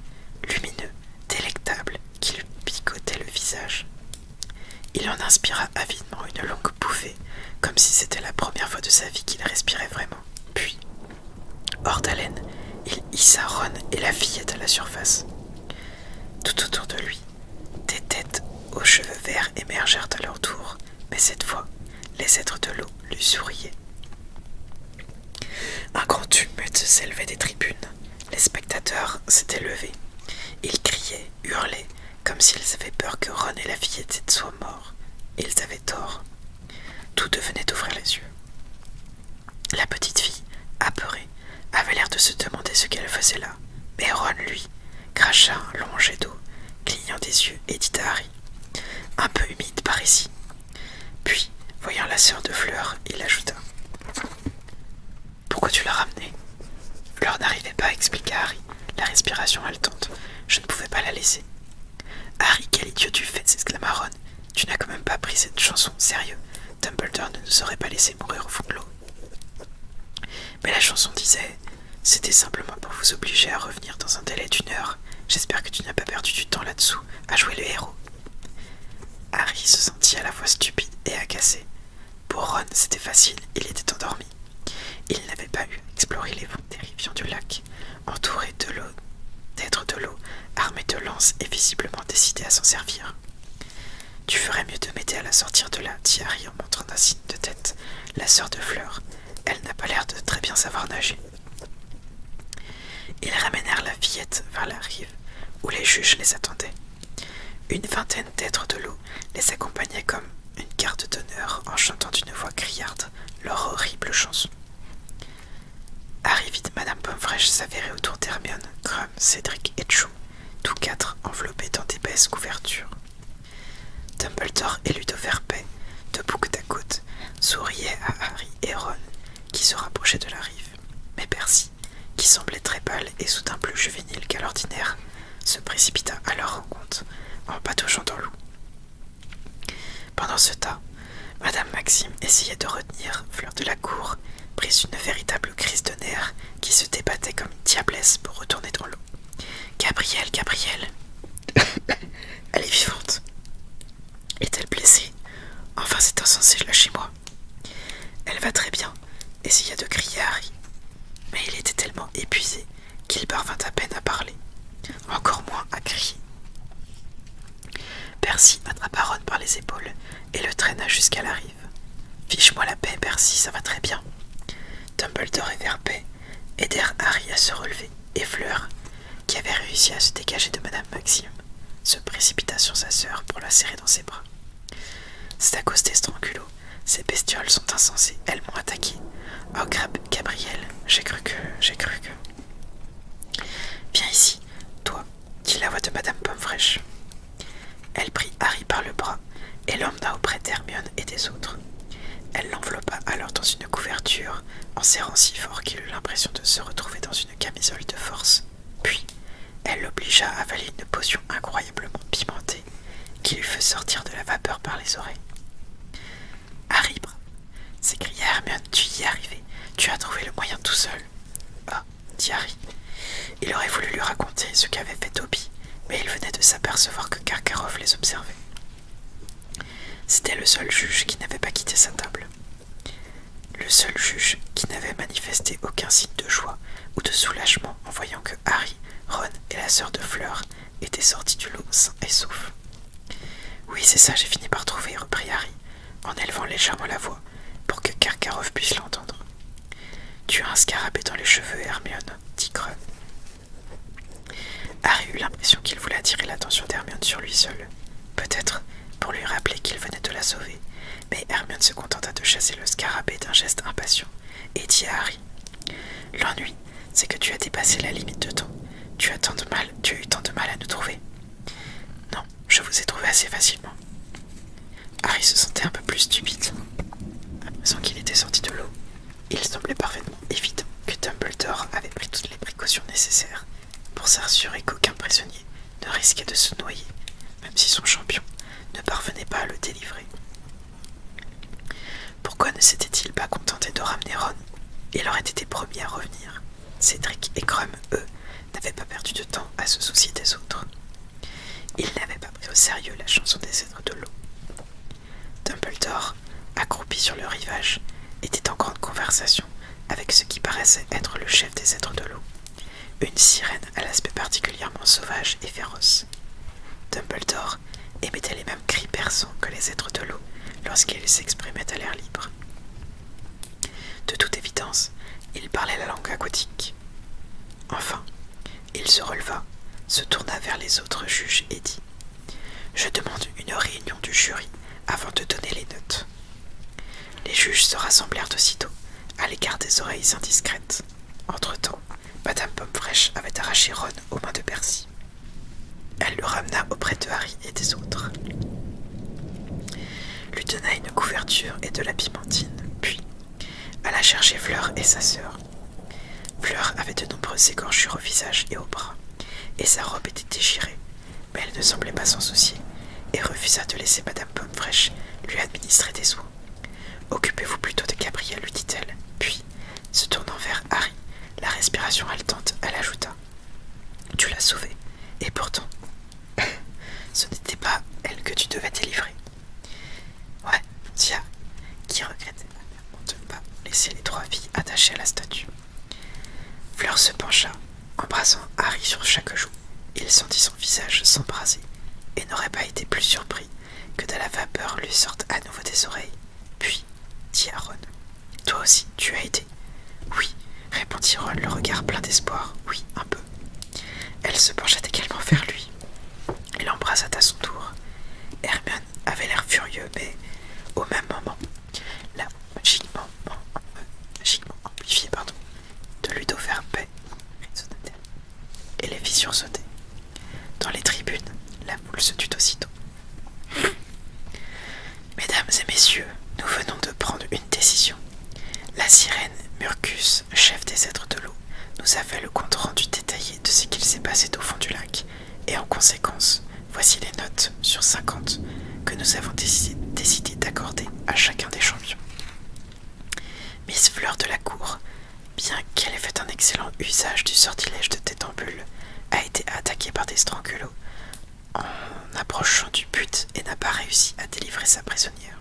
A: lumineux, délectable, qui lui picotait le visage. Il en inspira avidement une longue bouffée, comme si c'était la première fois de sa vie qu'il respirait vraiment. Puis, hors d'haleine, il hissa Ron et la fillette à la surface. Tout autour de lui, des têtes aux cheveux verts émergèrent à leur tour, mais cette fois, les êtres de l'eau lui souriaient. Un grand tumulte s'élevait des tribunes. Les spectateurs s'étaient levés. Ils criaient, hurlaient, comme s'ils avaient peur que Ron et la fillette soient morts. Ils avaient tort. Tout devenait d'ouvrir les yeux. La petite fille, apeurée, avait l'air de se demander ce qu'elle faisait là, mais Ron, lui, cracha long jet d'eau, clignant des yeux et dit à Harry Un peu humide par ici. Puis, voyant la sœur de Fleur, il ajouta Pourquoi tu l'as ramenée Fleur n'arrivait pas, expliqua Harry, la respiration haletante. Je ne pouvais pas la laisser. Harry, quel idiot tu fais s'exclama Ron. Tu n'as quand même pas pris cette chanson, sérieux. Dumbledore ne nous aurait pas laissé mourir au fond de l'eau. Mais la chanson disait C'était simplement pour vous obliger à revenir dans un délai d'une heure. J'espère que tu n'as pas perdu du temps là-dessous à jouer le héros. Harry se sentit à la fois stupide et agacé. Pour Ron, c'était facile, il était endormi. Il n'avait pas eu à explorer les des rivières du lac, entouré de l'eau, d'êtres de l'eau, armé de lances et visiblement décidé à s'en servir. Tu ferais mieux de m'aider à la sortir de là, dit Harry en montrant un signe de tête. La sœur de Fleur, elle n'a pas l'air de très bien savoir nager. Ils ramenèrent la fillette vers la rive, où les juges les attendaient. Une vingtaine d'êtres de l'eau les accompagnaient comme une garde d'honneur en chantant d'une voix criarde leur horrible chanson. Harry vite Madame Fraîche, s'avérait autour d'Hermione, Grum, Cédric et Joe tous quatre enveloppés dans d'épaisses couvertures. Dumbledore et Ludo debout que à côte, souriaient à Harry et Ron, qui se rapprochaient de la rive. Mais Percy, qui semblait très pâle et soudain plus juvénile qu'à l'ordinaire, se précipita à leur rencontre en patouchant dans l'eau. Pendant ce temps, Madame Maxime essayait de retenir Fleur de la Cour, prise d'une véritable crise de nerfs qui se débattait comme une diablesse pour retourner dans l'eau. gabriel gabriel Elle est vivante. Est-elle blessée Enfin, c'est insensé, je chez moi. Elle va très bien, essaya de crier Harry. Mais il était tellement épuisé qu'il parvint à peine à parler, encore moins à crier. Percy attrapa Ron par les épaules et le traîna jusqu'à la Fiche-moi la paix, Percy, ça va très bien. Dumbledore et Verpet aidèrent Harry à se relever, et Fleur, qui avait réussi à se dégager de Madame Maxime, se précipita sur sa sœur pour la serrer dans ses bras. C'est à cause des strangulots, ces bestioles sont insensées, elles m'ont attaqué. Oh, Gabriel, j'ai cru que. j'ai cru que. Viens ici, toi, qui la voix de Madame Pomme fraîche. Elle prit Harry par le bras et l'emmena auprès d'Hermione et des autres. Elle l'enveloppa alors dans une couverture, en serrant si fort qu'il eut l'impression de se retrouver dans une camisole de force. Puis, elle l'obligea à avaler une potion incroyablement pimentée qui lui fait sortir de la vapeur par les oreilles. Harry s'écria Hermione, tu y es arrivé, tu as trouvé le moyen tout seul. Ah, dit Harry. Il aurait voulu lui raconter ce qu'avait fait Toby, mais il venait de s'apercevoir que Karkaroff les observait. C'était le seul juge qui n'avait pas quitté sa table. Le seul juge qui n'avait manifesté aucun signe de joie ou de soulagement en voyant que Harry, Ron et la sœur de Fleur étaient sortis du lot sains et saufs. Oui, c'est ça, j'ai fini par trouver, reprit Harry, en élevant légèrement la voix pour que Karkaroff puisse l'entendre. Tu as un scarabée dans les cheveux, Hermione, dit Creux. Harry eut l'impression qu'il voulait attirer l'attention d'Hermione sur lui seul. Peut-être pour lui rappeler qu'il venait de la sauver, mais Hermione se contenta de chasser le scarabée d'un geste impatient et dit à Harry L'ennui, c'est que tu as dépassé la limite de temps. Tu as, tant mal, tu as eu tant de mal à nous trouver. Non, je vous ai trouvé assez facilement. Harry se sentait un peu plus stupide. Sans qu'il était sorti de l'eau, il semblait parfaitement évident que Dumbledore avait pris toutes les précautions nécessaires pour s'assurer qu'aucun prisonnier ne risquait de se noyer, même si son champion ne parvenait pas à le délivrer. Pourquoi ne s'était-il pas contenté de ramener Ron Il aurait été promis à revenir. Cédric et Crumb, eux, n'avaient pas perdu de temps à se soucier des autres. Il n'avait pas pris au sérieux la chanson des êtres de l'eau. Dumbledore, accroupi sur le rivage, était en grande conversation avec ce qui paraissait être le chef des êtres de l'eau, une sirène à l'aspect particulièrement sauvage et féroce. Dumbledore émettait les mêmes cris perçants que les êtres de l'eau lorsqu'ils s'exprimaient à l'air libre. De toute évidence, il parlait la langue aquatique. Enfin, il se releva, se tourna vers les autres juges et dit Je demande une réunion du jury avant de donner les notes. Les juges se rassemblèrent aussitôt, à l'égard des oreilles indiscrètes. Entre-temps, Madame pomme avait arraché Ron aux mains de Percy. Elle le ramena auprès de Harry et des autres, lui donna une couverture et de la pimentine, puis alla chercher Fleur et sa sœur, Fleur avait de nombreuses écorchures au visage et aux bras, et sa robe était déchirée, mais elle ne semblait pas s'en soucier, et refusa de laisser Madame Pomme-Fraîche lui administrer des soins. Occupez-vous plutôt de Gabriel, lui dit-elle, puis, se tournant vers Harry, la respiration haletante, elle ajouta. Tu l'as sauvée, et pourtant, ce n'était pas elle que tu devais délivrer. Ouais, Tia, qui regrette, de ne pas laisser les trois filles attachées à la statue. Fleur se pencha, embrassant Harry sur chaque joue. Il sentit son visage s'embraser et n'aurait pas été plus surpris que de la vapeur lui sorte à nouveau des oreilles. Puis, dit Ron, Toi aussi, tu as été Oui, répondit Ron, le regard plein d'espoir. Oui, un peu. Elle se pencha également vers lui. Il l'embrassa à son tour. Hermione avait l'air furieux, mais au même moment, la magiquement, magiquement amplifiée pardon, de Ludo paix. et les fissures sautaient. Dans les tribunes, la boule se tut aussitôt. Mesdames et messieurs, nous venons de prendre une décision. La sirène Murcus chef des êtres de l'eau, nous a fait le compte rendu détaillé de ce qu'il s'est passé au fond du lac, et en conséquence, voici les notes sur 50 que nous avons décidé d'accorder à chacun des champions. Miss Fleur de la Cour, bien qu'elle ait fait un excellent usage du sortilège de Tétambule, a été attaquée par des strangulots en approchant du but et n'a pas réussi à délivrer sa prisonnière.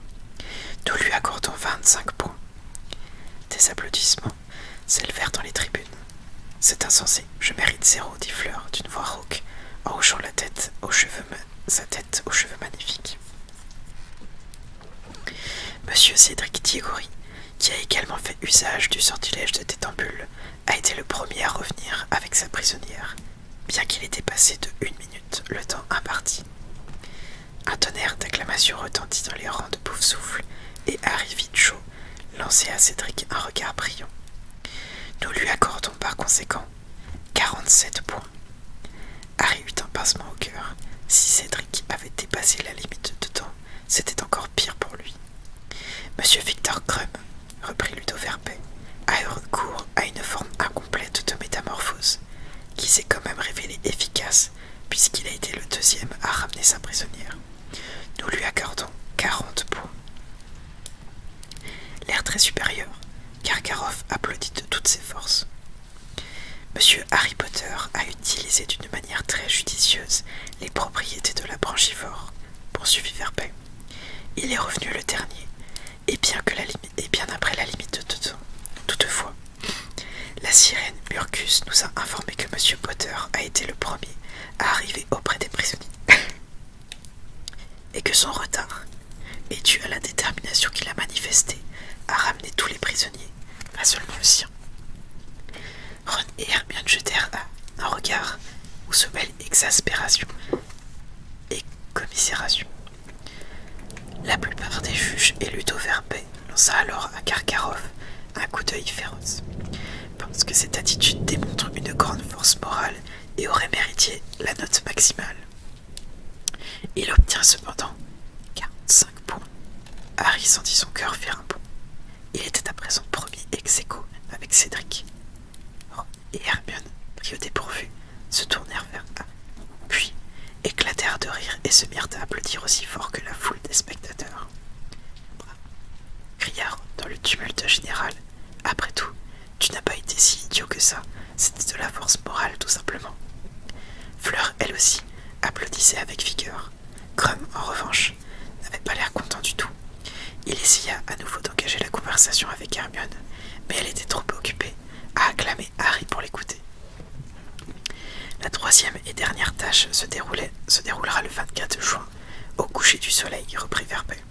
A: Nous lui accordons 25 points des applaudissements s'élevèrent dans les tribunes. C'est insensé, je mérite zéro, dit Fleur d'une voix rauque, en hochant la tête aux cheveux, sa tête aux cheveux magnifiques. Monsieur Cédric Diégory, qui a également fait usage du sortilège de Tétambule, a été le premier à revenir avec sa prisonnière, bien qu'il ait dépassé de une minute le temps imparti. Un tonnerre d'acclamations retentit dans les rangs de bouffe-souffle et Harry chaud, lançait à Cédric un regard brillant. Nous lui accordons par conséquent 47 points. Harry eut un pincement au cœur. Si Cédric avait dépassé la limite de temps, c'était encore pire pour lui. Monsieur Victor Crumb, reprit Ludo Verbet, a eu recours à une forme incomplète de métamorphose, qui s'est quand même révélée efficace puisqu'il a été le deuxième à ramener sa prisonnière. Nous lui accordons 40 points. L'air très supérieur, Karkaroff applaudit de toutes ses forces. Monsieur Harry Potter a utilisé d'une manière très judicieuse les propriétés de la branchivore, poursuivit Verbet. Il est revenu le dernier, et bien, après la limite de temps. Toutefois, la sirène Murcus nous a informé que Monsieur Potter a été le premier à arriver auprès des prisonniers et que son retard est dû à la détermination qu'il a manifestée à ramener tous les prisonniers, pas seulement le sien. Ron et Hermione jetèrent un regard où se mêlent exaspération et commisération. La plupart des juges élus au lança alors à Karkarov un coup d'œil féroce. Pense que cette attitude démontre une grande force morale et aurait mérité la note maximale. Il obtient cependant 45 points. Harry sentit son cœur faire un bond. Il était à présent premier ex aequo avec Cédric. et Hermione, qui au dépourvu, se tournèrent vers A. Puis, éclatèrent de rire et se mirent à applaudir aussi fort que la foule des spectateurs. Crièrent dans le tumulte général, après tout, tu n'as pas été si idiot que ça, c'était de la force morale tout simplement. Fleur, elle aussi, applaudissait avec vigueur. Crum, en revanche, n'avait pas l'air content du tout. Il essaya à nouveau d'engager la conversation avec Hermione, mais elle était trop occupée à acclamer Harry pour l'écouter. La troisième et dernière tâche se, déroulera le 24 juin, au coucher du soleil, reprit Verbet.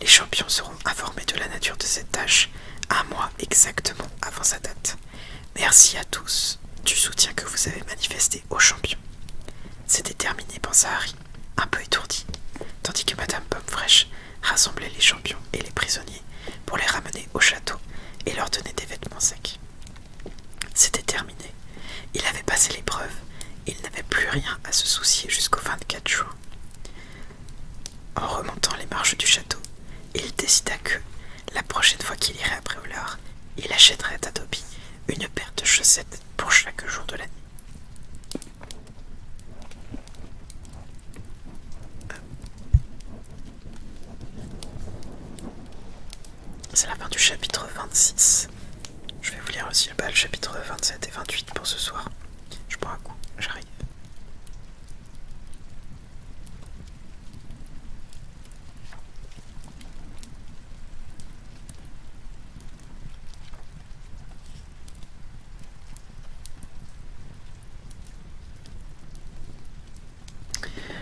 A: Les champions seront informés de la nature de cette tâche un mois exactement avant sa date. Merci à tous du soutien que vous avez manifesté aux champions. C'était terminé, pensa Harry, un peu étourdi, tandis que Madame Pomme-Fraîche rassemblait les champions et les prisonniers pour les ramener au château et leur donner des vêtements secs. C'était terminé. Il avait passé l'épreuve il n'avait plus rien à se soucier jusqu'au 24 juin. En remontant les marches du château, il décida que, la prochaine fois qu'il irait après Bréolard, il achèterait à Toby une paire de chaussettes pour chaque jour de l'année. C'est la fin du chapitre 26. Je vais vous lire aussi le chapitre 27 et 28 pour ce soir. Je prends un coup, j'arrive.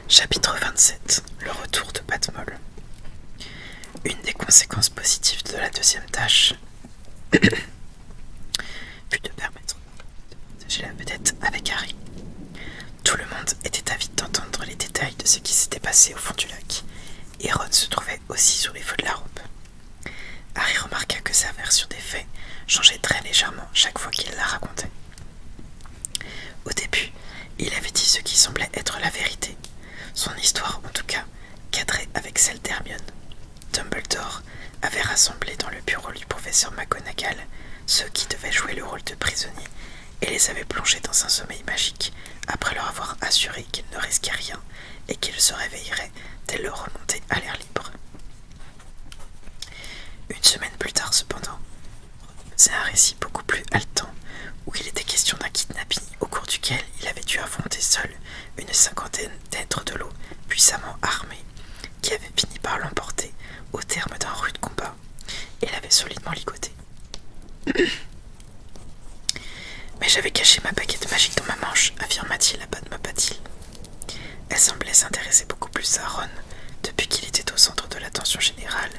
A: Chapitre 27 Le retour de Patmol Une des conséquences positives de la deuxième tâche fut de permettre de partager la vedette avec Harry. Tout le monde était avide d'entendre les détails de ce qui s'était passé au fond du lac, et Ron se trouvait aussi sur les feux de la robe. Harry remarqua que sa version des faits changeait très légèrement chaque fois qu'il la racontait, au début, il avait dit ce qui semblait être la vérité. Son histoire, en tout cas, cadrée avec celle d'Hermione. Dumbledore avait rassemblé dans le bureau du professeur McGonagall ceux qui devaient jouer le rôle de prisonnier et les avait plongés dans un sommeil magique après leur avoir assuré qu'ils ne risquaient rien et qu'ils se réveilleraient dès leur remontée à l'air libre. Une semaine plus tard, cependant, c'est un récit beaucoup plus haletant, où il était question d'un kidnapping au cours duquel il avait dû affronter seul une cinquantaine d'êtres de l'eau puissamment armés, qui avaient fini par l'emporter au terme d'un rude combat et l'avaient solidement ligoté. Mais j'avais caché ma baguette magique dans ma manche, affirma-t-il à ma patille. Elle semblait s'intéresser beaucoup plus à Ron depuis qu'il était au centre de l'attention générale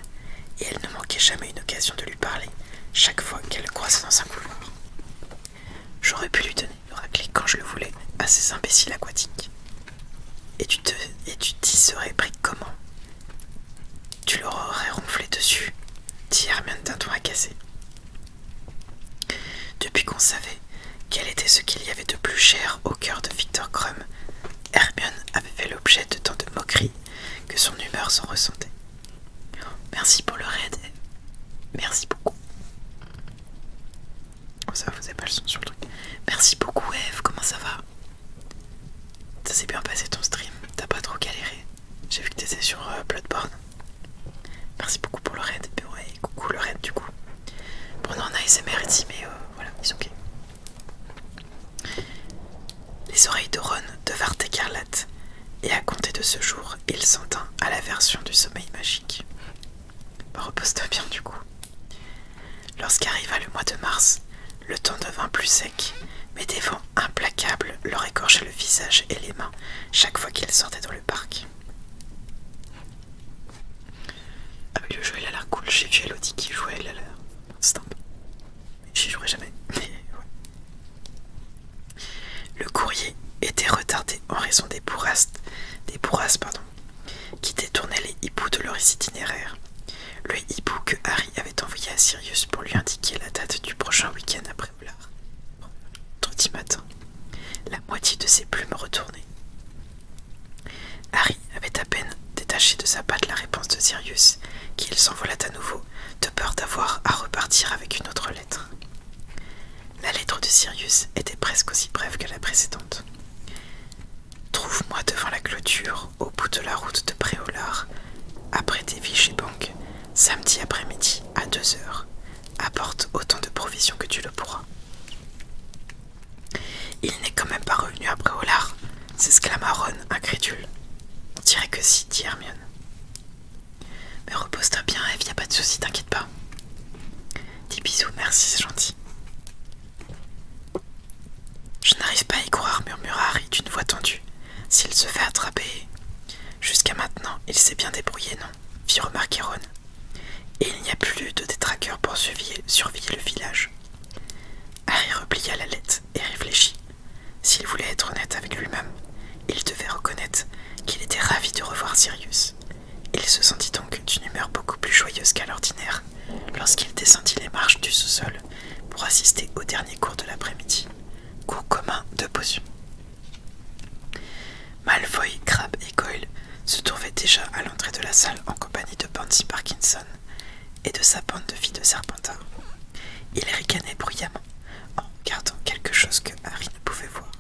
A: et elle ne manquait jamais une occasion de lui parler chaque fois qu'elle le croisait dans un couloir. J'aurais pu lui donner une raclée quand je le voulais à ces imbéciles aquatiques. Et tu te, t'y serais pris comment Tu l'aurais ronflé dessus, dit Hermione d'un ton agacé. Depuis qu'on savait quel était ce qu'il y avait de plus cher au cœur de Victor Crum, Hermione avait fait le objet de tant de moqueries que son humeur s'en ressentait. Merci pour le raid. Merci beaucoup. Oh, ça vous avez pas le son sur le truc. Merci beaucoup Eve, comment ça va Ça s'est bien passé ton stream, t'as pas trop galéré. J'ai vu que t'étais sur euh, Bloodborne. Merci beaucoup pour le raid. Et bah ouais, coucou le raid du coup. Bon, on a SMR ici, mais voilà, ils sont ok. Les oreilles de Ron devinrent écarlates, et à compter de ce jour, il s'en tint à la version du sommeil magique. Bah, repose-toi bien du coup. Lorsqu'arriva le mois de mars, le temps devint plus sec, mais des vents implacables leur écorchaient le visage et les mains chaque fois qu'ils sortaient dans le parc. Ah, mais le jeu il a l'air cool, j'ai vu qui jouait, à l'heure. J'y jouerai jamais, Le courrier était retardé en raison des bourrasques, des pardon, qui détournaient les hiboux de leur itinéraire. Le hibou que Harry avait envoyé à Sirius pour lui indiquer la date du prochain week-end après Blard. dit matin, la moitié de ses plumes retournait. Harry avait à peine détaché de sa patte la réponse de Sirius, qu'il s'envola à nouveau, de peur d'avoir à repartir avec une autre lettre. La lettre de Sirius était presque aussi brève que la précédente. Trouve-moi devant la clôture, au bout de la route de Préolard, après vies et banques samedi après-midi à deux heures. Apporte autant de provisions que tu le pourras. Il n'est quand même pas revenu à Préolard, s'exclama Ron, incrédule. On dirait que si, dit Hermione. Mais repose-toi bien, Eve, y a pas de soucis, t'inquiète pas. Dis bisous, merci, c'est gentil. Je n'arrive pas à y croire, murmura Harry d'une voix tendue. S'il se fait attraper. Jusqu'à maintenant, il s'est bien débrouillé, non fit remarquer Ron. Et il n'y a plus de détraqueurs pour surveiller, surveiller le village. Harry replia la lettre et réfléchit. S'il voulait être honnête avec lui-même, il devait reconnaître qu'il était ravi de revoir Sirius. Il se sentit donc d'une humeur beaucoup plus joyeuse qu'à l'ordinaire lorsqu'il descendit les marches du sous-sol pour assister au dernier cours de l'après-midi, cours commun de potions. Malfoy, Crabbe et Coyle se trouvaient déjà à l'entrée de la salle en compagnie de Pansy Parkinson et de sa bande de filles de Serpentin. Il ricanait bruyamment en gardant quelque chose que Harry ne pouvait voir.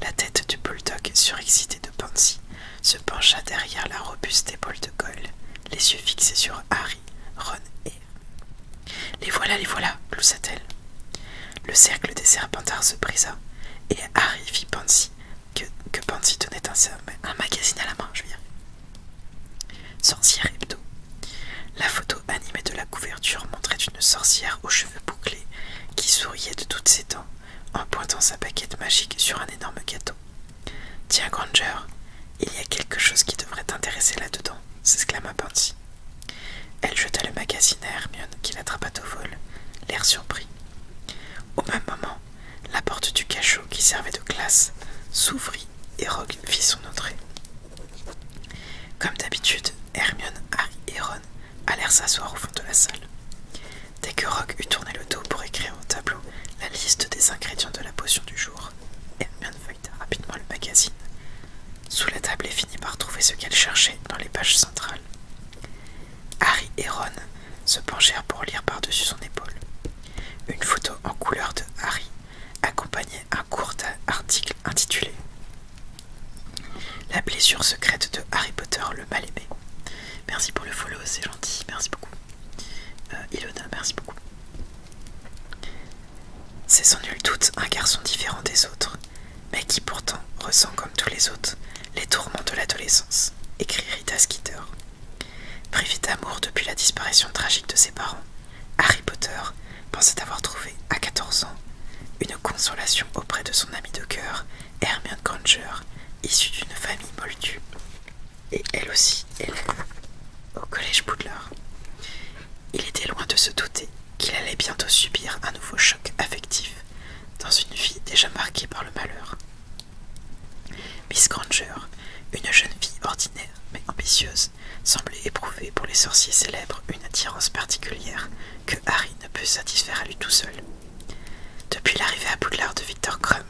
A: La tête du bulldog surexcité de Pansy se pencha derrière la robuste épaule de cole, les yeux fixés sur Harry, Ron et Les voilà, les voilà, gloussa-t-elle. Le cercle des serpentards se brisa, et Harry vit Pansy, que, Pansy tenait un, un magazine à la main, je viens. Sorcière hebdo. La photo animée de la couverture montrait une sorcière aux cheveux bouclés qui souriait de toutes ses dents en pointant sa paquette magique sur un énorme gâteau. Tiens, Granger, il y a quelque chose qui devrait t'intéresser là-dedans, s'exclama Pansy. Elle jeta le magazine à Hermione qui l'attrapa au vol, l'air surpris. Au même moment, la porte du cachot qui servait de classe s'ouvrit et Rogue fit son entrée. Comme d'habitude, Hermione, Harry et Ron allèrent s'asseoir au fond de la salle. Dès que Rogue eut tourné le dos pour écrire au tableau la liste des ingrédients de la potion du jour, Hermione feuilleta rapidement le magazine sous la table et finit par trouver ce qu'elle cherchait dans les pages centrales. Harry et Ron se penchèrent pour lire par-dessus son épaule. Une photo en couleur de Harry accompagnait un court article intitulé La blessure secrète de Harry Potter le mal-aimé. Merci pour le follow, c'est gentil, merci beaucoup. Euh, Ilona, merci beaucoup. C'est sans nul doute un garçon différent des autres, mais qui pourtant ressent comme tous les autres les tourments de l'adolescence, écrit Rita Skeeter. Privé d'amour depuis la disparition tragique de ses parents, Harry Potter pensait avoir trouvé, à 14 ans, une consolation auprès de son ami de cœur, Hermione Granger, issue d'une famille moldue, et elle aussi élève au collège Poudlard. Il était loin de se douter qu'il allait bientôt subir un nouveau choc affectif dans une vie déjà marquée par le malheur. Miss Granger, une jeune fille ordinaire mais ambitieuse, semblait éprouver pour les sorciers célèbres une attirance particulière que Harry ne peut satisfaire à lui tout seul. Depuis l'arrivée à Poudlard de Victor Crumb,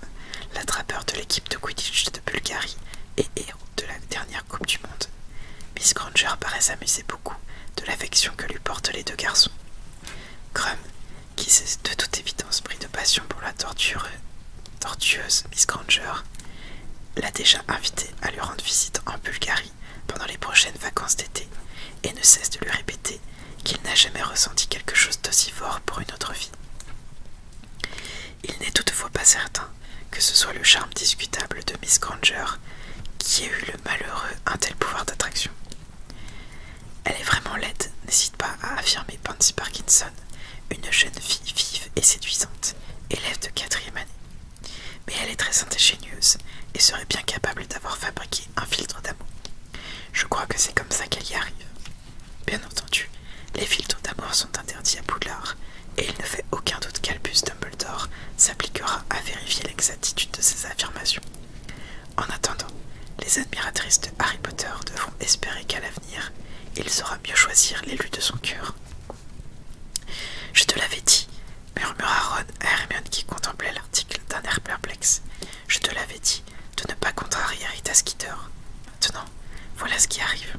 A: l'attrapeur de l'équipe de Quidditch de Bulgarie et héros de la dernière Coupe du Monde, Miss Granger paraît s'amuser beaucoup de l'affection que lui portent les deux garçons. Crumb, qui s'est de toute évidence pris de passion pour la torture tortueuse Miss Granger l'a déjà invité à lui rendre visite en Bulgarie pendant les prochaines vacances d'été et ne cesse de lui répéter qu'il n'a jamais ressenti quelque chose d'aussi fort pour une autre fille. Il n'est toutefois pas certain que ce soit le charme discutable de Miss Granger qui ait eu le malheureux un tel pouvoir d'attraction. Elle est vraiment laide, n'hésite pas à affirmer Pansy Parkinson, une jeune fille vive et séduisante élève de quatrième année. Mais elle est très ingénieuse et serait bien capable d'avoir fabriqué un filtre d'amour. Je crois que c'est comme ça qu'elle y arrive. Bien entendu, les filtres d'amour sont interdits à Poudlard et il ne fait aucun doute qu'Albus Dumbledore s'appliquera à vérifier l'exactitude de ses affirmations. En attendant, les admiratrices de Harry Potter devront espérer qu'à l'avenir, il saura mieux choisir l'élu de son cœur. Je te l'avais dit, murmura Ron à Hermione qui contemplait l'article d'un air perplexe. Je te l'avais dit de ne pas contrarier Rita Skeeter. Maintenant, voilà ce qui arrive.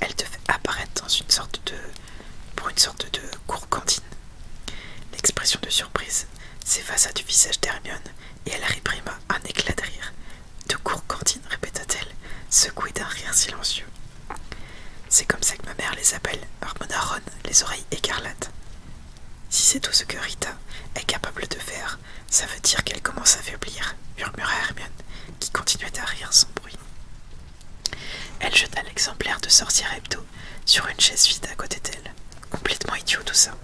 A: Elle te fait apparaître dans une sorte de. pour une sorte de cour cantine. L'expression de surprise s'effaça du visage d'Hermione et elle réprima un éclat de rire de court cantine, répéta-t-elle, secouée d'un rire silencieux. C'est comme ça que ma mère les appelle, par Ron, les oreilles écarlates. Si c'est tout ce que Rita est capable de faire, ça veut dire qu'elle commence à faiblir, murmura Hermione, qui continuait à rire sans bruit. Elle jeta l'exemplaire de sorcière Hebdo sur une chaise vide à côté d'elle. Complètement idiot tout ça.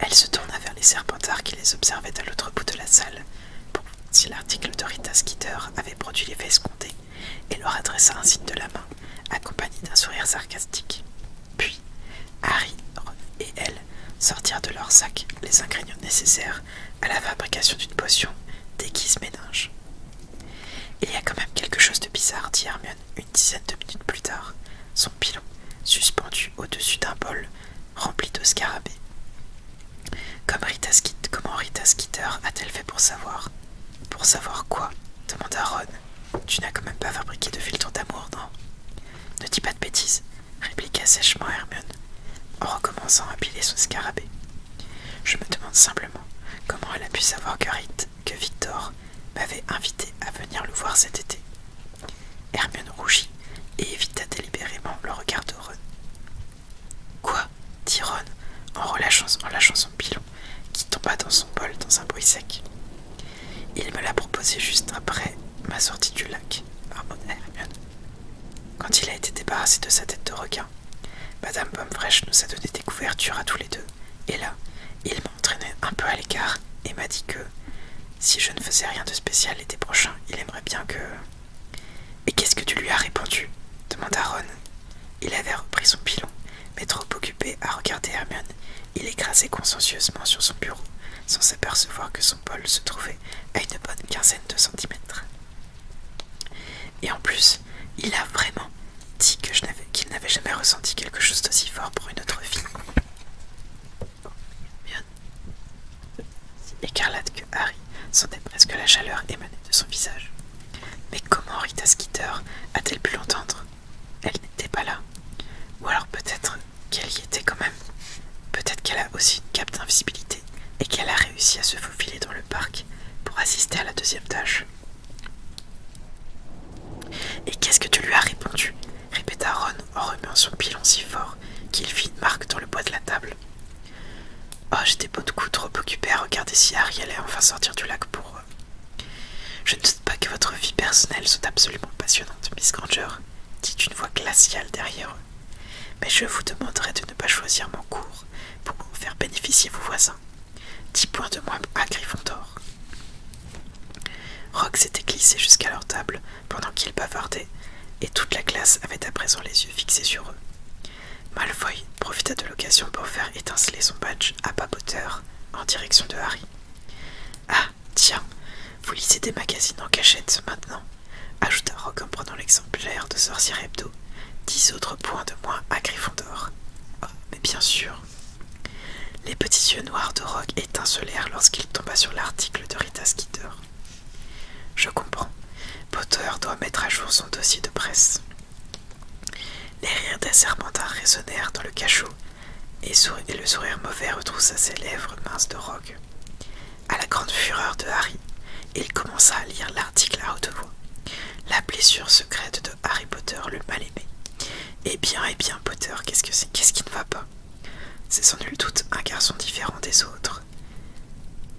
A: Elle se tourna vers les serpentards qui les observaient à l'autre bout de la salle si l'article de Rita Skeeter avait produit l'effet escompté, et leur adressa un signe de la main, accompagné d'un sourire sarcastique. Puis, Harry et elle sortirent de leur sac les ingrédients nécessaires à la fabrication d'une potion déguise méninge. Il y a quand même quelque chose de bizarre, dit Hermione une dizaine de minutes plus tard, son pilon suspendu au-dessus d'un bol rempli de scarabées. Rita comment Rita Skeeter a-t-elle fait pour savoir Pour savoir quoi demanda Ron. Tu n'as quand même pas fabriqué de filtre d'amour, non Ne dis pas de bêtises, répliqua sèchement Hermione, en recommençant à piler son scarabée. Je me demande simplement comment elle a pu savoir que, que Victor m'avait invité à venir le voir cet été. Hermione rougit et évita délibérément le regard de Ron. Quoi dit Ron en relâchant, en lâchant son pilon, qui tomba dans son bol dans un bruit sec. Il me l'a proposé juste après ma sortie du lac, ah, Quand il a été débarrassé de sa tête de requin, Madame Pomme-Fraîche nous a donné des couvertures à tous les deux, et là, il m'a entraîné un peu à l'écart et m'a dit que si je ne faisais rien de spécial l'été prochain, il aimerait bien que. Et qu'est-ce que tu lui as répondu demanda Ron. Il avait repris son pilon, mais trop occupé à regarder Hermione, il écrasait consciencieusement sur son bureau, sans s'apercevoir que son bol se trouvait à une bonne quinzaine de centimètres. Et en plus, il a vraiment dit que je qu'il n'avait jamais ressenti quelque chose d'aussi fort pour une autre fille. Si écarlate que Harry sentait presque la chaleur émaner de son visage. Mais comment Rita Skeeter a-t-elle pu l'entendre Elle n'était pas là. Ou alors peut-être qu'elle y était quand même. Peut-être qu'elle a aussi une cape d'invisibilité et qu'elle a réussi à se faufiler dans le parc pour assister à la deuxième tâche. Et qu'est-ce que tu lui as répondu répéta Ron en remuant son pilon si fort qu'il fit une marque dans le bois de la table. Oh, j'étais beaucoup de coup trop occupé à regarder si Harry allait enfin sortir du lac pour eux. Je ne doute pas que votre vie personnelle soit absolument passionnante, Miss Granger, dit une voix glaciale derrière eux. Mais je vous demanderai de ne pas choisir mon cours pour faire bénéficier vos voisins. Dix points de moi à Gryffondor. Rox s'était glissé jusqu'à leur table pendant qu'ils bavardaient, et toute la classe avait à présent les yeux fixés sur eux. Malfoy profita de l'occasion pour faire étinceler son badge à bas en direction de Harry. Ah, tiens, vous lisez des magazines en cachette maintenant, ajouta Rogue en prenant l'exemplaire de Sorcier Hebdo. Dix autres points de moins à Griffondor. Oh, ah, mais bien sûr. Les petits yeux noirs de Rogue étincelèrent lorsqu'il tomba sur l'article de Rita Skeeter. Je comprends. Potter doit mettre à jour son dossier de presse. Les rires d'un serpentin résonnèrent dans le cachot, et, le sourire mauvais retroussa ses lèvres minces de rogue. À la grande fureur de Harry, il commença à lire l'article à haute voix. La blessure secrète de Harry Potter, le mal-aimé. Eh bien, eh bien, Potter, qu'est-ce que c'est Qu'est-ce qui ne va pas C'est sans nul doute un garçon différent des autres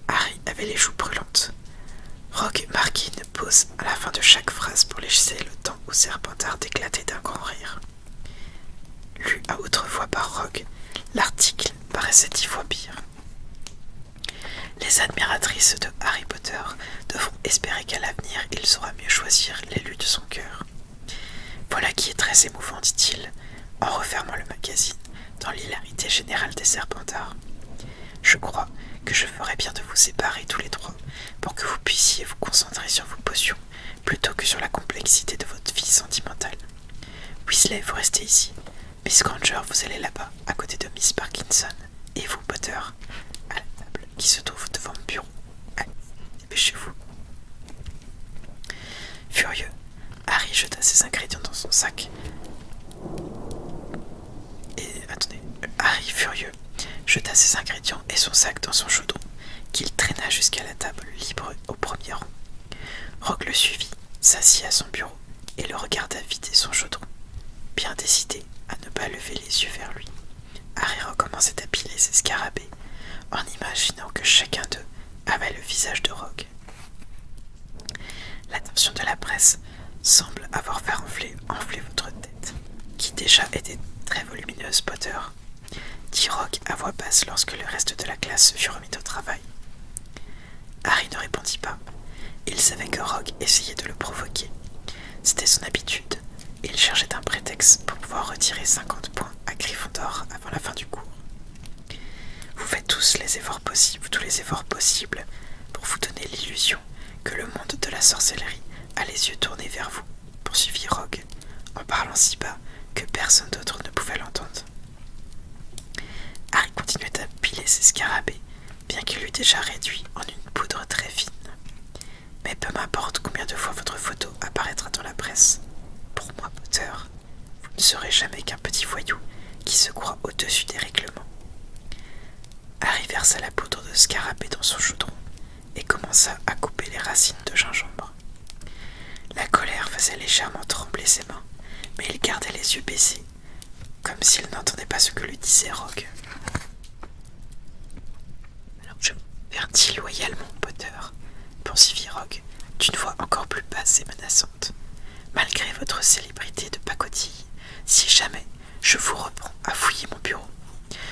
A: Harry avait les joues brûlantes. Rogue marquait une pause à la fin de chaque phrase pour laisser le temps au serpentard d'éclater d'un grand rire. Lu à autrefois par Rogue, l'article paraissait dix fois pire. Les admiratrices de Harry Potter devront espérer qu'à l'avenir il saura mieux choisir l'élu de son cœur. Voilà qui est très émouvant, dit-il, en refermant le magazine dans l'hilarité générale des serpentards. Je crois que je ferais bien de vous séparer tous les trois pour que vous puissiez vous concentrer sur vos potions plutôt que sur la complexité de votre vie sentimentale. Weasley, vous restez ici. Miss Granger, vous allez là-bas, à côté de Miss Parkinson. Et vous, Potter, à la table qui se trouve devant le bureau. Allez, dépêchez-vous. Furieux, Harry jeta ses ingrédients dans son sac. Et attendez, Harry furieux jeta ses ingrédients et son sac dans son chaudron, qu'il traîna jusqu'à la table libre au premier rang. Rogue le suivit, s'assit à son bureau et le regarda vider son chaudron, bien décidé à ne pas lever les yeux vers lui. Harry recommençait à piler ses scarabées en imaginant que chacun d'eux avait le visage de Rogue. L'attention de la presse semble avoir fait enfler, votre tête, qui déjà était très volumineuse, Potter, dit Rock à voix basse lorsque le reste de la classe fut remis au travail. Harry ne répondit pas. Il savait que Rogue essayait de le provoquer. C'était son habitude. Et il cherchait un prétexte pour pouvoir retirer 50 points à Gryffondor avant la fin du cours. Vous faites tous les efforts possibles, tous les efforts possibles pour vous donner l'illusion que le monde de la sorcellerie a les yeux tournés vers vous, poursuivit Rogue, en parlant si bas que personne d'autre ne pouvait l'entendre. Harry continuait à piler ses scarabées, bien qu'il l'eût déjà réduit en une poudre très fine. Mais peu m'importe combien de fois votre photo apparaîtra dans la presse. Pour moi, Potter, vous ne serez jamais qu'un petit voyou qui se croit au-dessus des règlements Harry versa la poudre de scarabée dans son chaudron et commença à couper les racines de gingembre. La colère faisait légèrement trembler ses mains, mais il gardait les yeux baissés, comme s'il n'entendait pas ce que lui disait Rogue. Alors je vertis loyalement, Potter, poursuivit Rogue, d'une voix encore plus basse et menaçante malgré votre célébrité de pacotille, si jamais je vous reprends à fouiller mon bureau.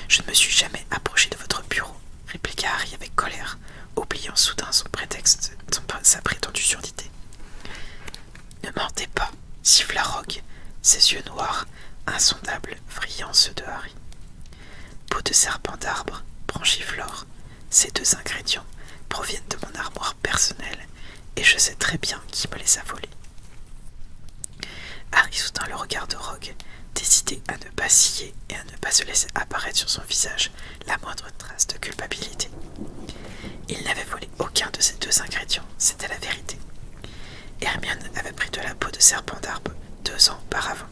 A: Je ne me suis jamais approché de votre bureau, répliqua Harry avec colère, oubliant soudain son prétexte, sa prétendue surdité. Ne mentez pas, siffla Rogue, ses yeux noirs, insondables, brillants ceux de Harry. Peau de serpent d'arbre, branchiflore, ces deux ingrédients proviennent de mon armoire personnelle et je sais très bien qui me les a volés. Harry soutint le regard de Rogue, décidé à ne pas scier et à ne pas se laisser apparaître sur son visage la moindre trace de culpabilité. Il n'avait volé aucun de ces deux ingrédients, c'était la vérité. Hermione avait pris de la peau de serpent d'arbre deux ans auparavant.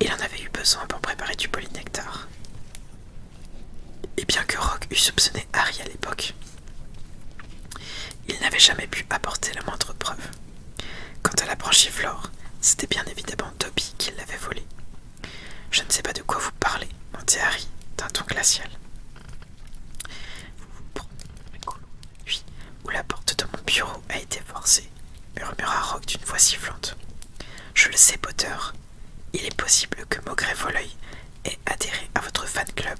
A: Il en avait eu besoin pour préparer du polynectar. Et bien que Rock eût soupçonné Harry à l'époque, il n'avait jamais pu apporter la moindre preuve. Quant à la flore c'était bien évidemment Toby qui l'avait volée. Je ne sais pas de quoi vous parlez, mentit Harry d'un ton glacial. Vous vous prenez oui, où la porte de mon bureau a été forcée, murmura Rock d'une voix sifflante. Je le sais, Potter, il est possible que Maugré Voleuil ait adhéré à votre fan club,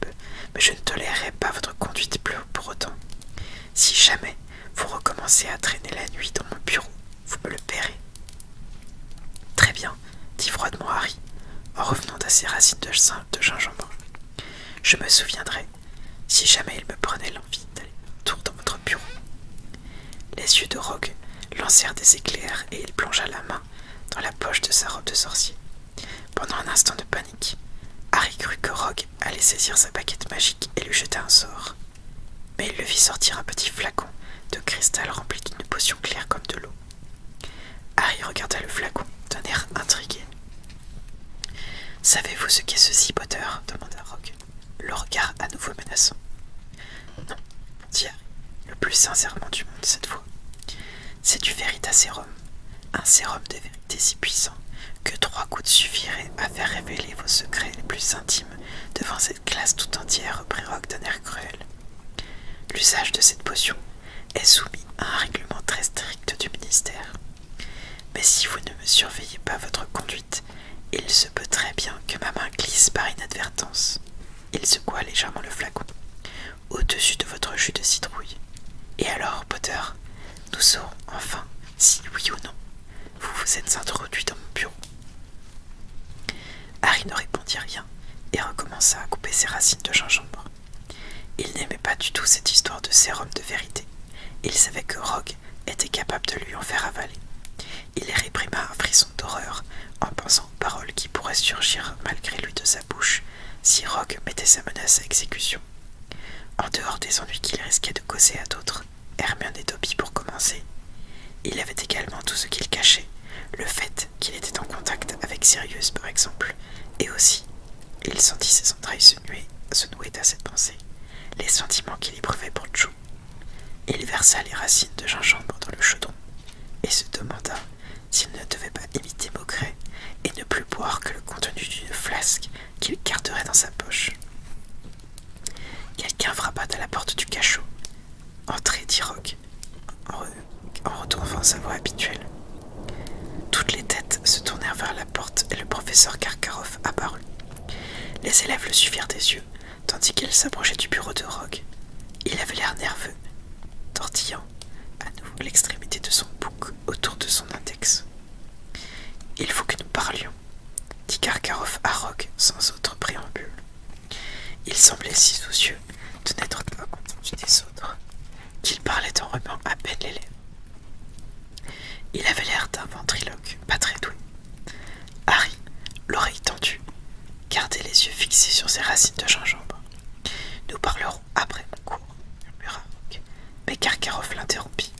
A: mais je ne tolérerai pas votre conduite bleue pour autant. Si jamais vous recommencez à traîner la nuit dans mon bureau, vous me le paierez. Très bien, dit froidement Harry, en revenant à ses racines de, de gingembre. Je me souviendrai, si jamais il me prenait l'envie d'aller tour dans votre bureau. Les yeux de Rogue lancèrent des éclairs et il plongea la main dans la poche de sa robe de sorcier. Pendant un instant de panique, Harry crut que Rogue allait saisir sa baguette magique et lui jeter un sort. Mais il le vit sortir un petit flacon de cristal rempli d'une potion claire comme de l'eau. Harry regarda le flacon d'un air intrigué. Savez-vous ce qu'est ceci, Potter demanda Rogue, le regard à nouveau menaçant. Non, le plus sincèrement du monde cette fois. C'est du véritasérum, un sérum de vérité si puissant que trois gouttes suffiraient à faire révéler vos secrets les plus intimes devant cette classe tout entière, reprit Rogue d'un air cruel. L'usage de cette potion est soumis à un règlement très strict du ministère. Mais si vous ne me surveillez pas votre conduite, il se peut très bien que ma main glisse par inadvertance. Il secoua légèrement le flacon au-dessus de votre jus de citrouille. Et alors, Potter, nous saurons enfin si oui ou non vous vous êtes introduit dans mon bureau. Harry ne répondit rien et recommença à couper ses racines de gingembre. Il n'aimait pas du tout cette histoire de sérum de vérité. Il savait que Rogue était capable de lui en faire avaler. Il réprima un frisson d'horreur en pensant paroles qui pourraient surgir malgré lui de sa bouche si Rogue mettait sa menace à exécution. En dehors des ennuis qu'il risquait de causer à d'autres, Hermione et Toby pour commencer, il avait également tout ce qu'il cachait, le fait qu'il était en contact avec Sirius par exemple, et aussi, il sentit ses entrailles se nouer, se nouer à cette pensée, les sentiments qu'il éprouvait pour Joe. Il versa les racines de gingembre dans le chaudron et se demanda s'il ne devait pas imiter moquerait et ne plus boire que le contenu d'une flasque qu'il garderait dans sa poche. Quelqu'un frappa à la porte du cachot. Entrez, dit Rogue, en, retournant sa voix habituelle. Toutes les têtes se tournèrent vers la porte et le professeur Karkaroff apparut. Les élèves le suivirent des yeux, tandis qu'il s'approchait du bureau de Rogue. Il avait l'air nerveux, tortillant à nouveau l'extrémité de son bouc autour de son index. Il faut que nous parlions, dit Karkarov à Rogue sans autre préambule. Il semblait si soucieux de n'être pas content des autres qu'il parlait en remuant à peine les lèvres. Il avait l'air d'un ventriloque pas très doué. Harry, l'oreille tendue, gardait les yeux fixés sur ses racines de gingembre nous parlerons après mon cours, murmura Mais Karkarov l'interrompit.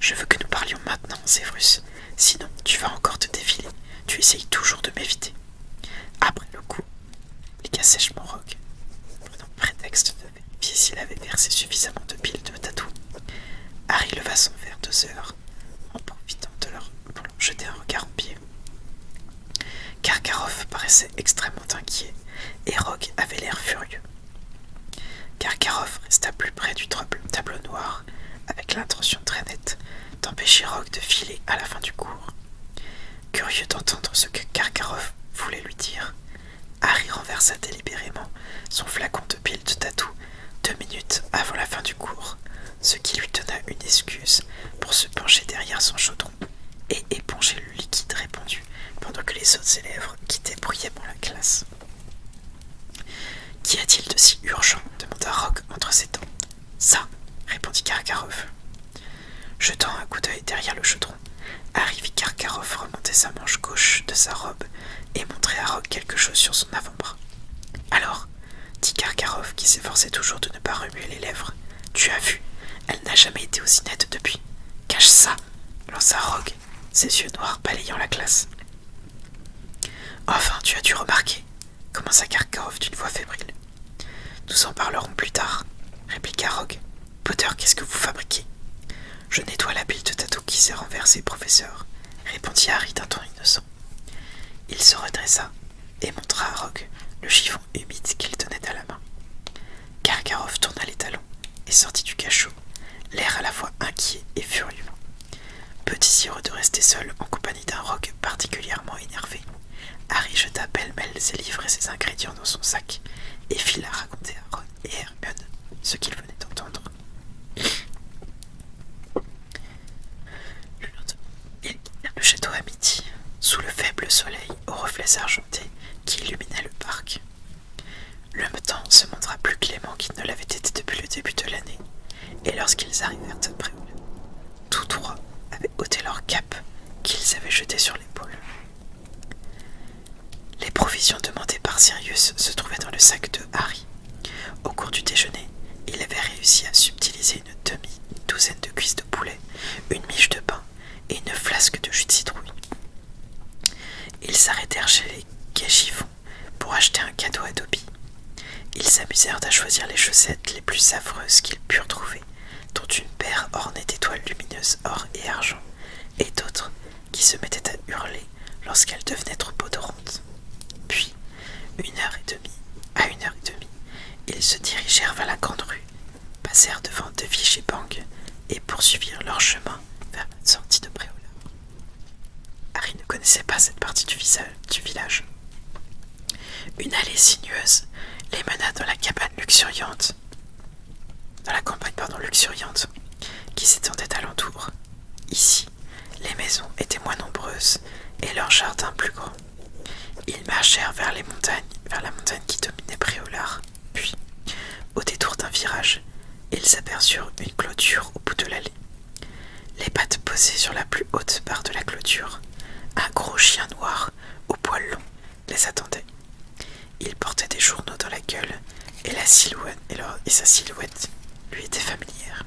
A: Je veux que nous parlions maintenant, Sevrus. Sinon, tu vas encore te défiler. Tu essayes toujours de m'éviter. Après le coup, il sèchement roc, prenant prétexte de vérifier s'il avait versé suffisamment de piles de tatou. Harry leva son verre deux heures, en profitant de leur pour leur jeter un regard en pied. Karkaroff paraissait extrêmement inquiet et Rogue avait l'air furieux. Karkaroff resta plus près du tableau noir avec l'intention très nette d'empêcher Rogue de filer à la fin du cours. Curieux d'entendre ce que Karkaroff voulait lui dire, Harry renversa délibérément son flacon de pile de tatou deux minutes avant la fin du cours, ce qui lui donna une excuse pour se pencher derrière son chaudron et éponger le liquide répandu pendant que les autres élèves quittaient bruyamment la classe. Qu'y a-t-il de si urgent demanda Rock entre ses dents. Ça, répondit Karkaroff. Jetant un coup d'œil derrière le chaudron, Harry Karkaroff remonter sa manche gauche de sa robe et montrer à Rock quelque chose sur son avant-bras. Alors, dit Karkaroff qui s'efforçait toujours de ne pas remuer les lèvres, tu as vu elle n'a jamais été aussi nette depuis. Cache ça lança Rogue, ses yeux noirs balayant la classe. Enfin, tu as dû remarquer, commença Karkov d'une voix fébrile. Nous en parlerons plus tard, répliqua Rogue. Potter, qu'est-ce que vous fabriquez Je nettoie la bille de tatou qui s'est renversée, professeur, répondit Harry d'un ton innocent. Il se redressa, et montra à Rogue le chiffon humide qu'il tenait à la main. Karkaroff tourna les talons et sortit du cachot, l'air à la fois inquiet et furieux. Petit heureux de rester seul en compagnie d'un rogue particulièrement énervé, Harry jeta pêle-mêle ses livres et ses ingrédients dans son sac et la raconter à Ron et Hermione ce qu'il venait d'entendre. Le château à midi, sous le faible soleil aux reflets argent qui illuminait le parc. Le temps se montra plus clément qu'il ne l'avait été depuis le début de l'année, et lorsqu'ils arrivèrent à pré, tous trois avaient ôté leur cape qu'ils avaient jetée sur l'épaule. Les provisions demandées par Sirius se trouvaient dans le sac de Harry. Au cours du déjeuner, il avait réussi à subtiliser une demi-douzaine de cuisses de poulet, une miche de pain et une flasque de jus de citrouille. Ils s'arrêtèrent chez les Gagivons pour acheter un cadeau à Dobby. Ils s'amusèrent à choisir les chaussettes les plus affreuses qu'ils purent trouver, dont une paire ornée d'étoiles lumineuses or et argent, et d'autres qui se mettaient à hurler lorsqu'elles devenaient trop odorantes. Puis, une heure et demie, à une heure et demie, ils se dirigèrent vers la grande rue passèrent devant De et Bang et poursuivirent leur chemin vers la sortie de Préola. Harry ne connaissait pas cette partie du, village. Une allée sinueuse les mena dans la cabane luxuriante, dans la campagne luxuriante, qui s'étendait alentour. Ici, les maisons étaient moins nombreuses et leurs jardins plus grands. Ils marchèrent vers les montagnes, vers la montagne qui dominait Préolard. Puis, au détour d'un virage, ils aperçurent une clôture au bout de l'allée. Les pattes posées sur la plus haute barre de la clôture, un gros chien noir aux poils longs les attendait. Il portait des journaux dans la gueule et, la silhouette, et, et sa silhouette lui était familière.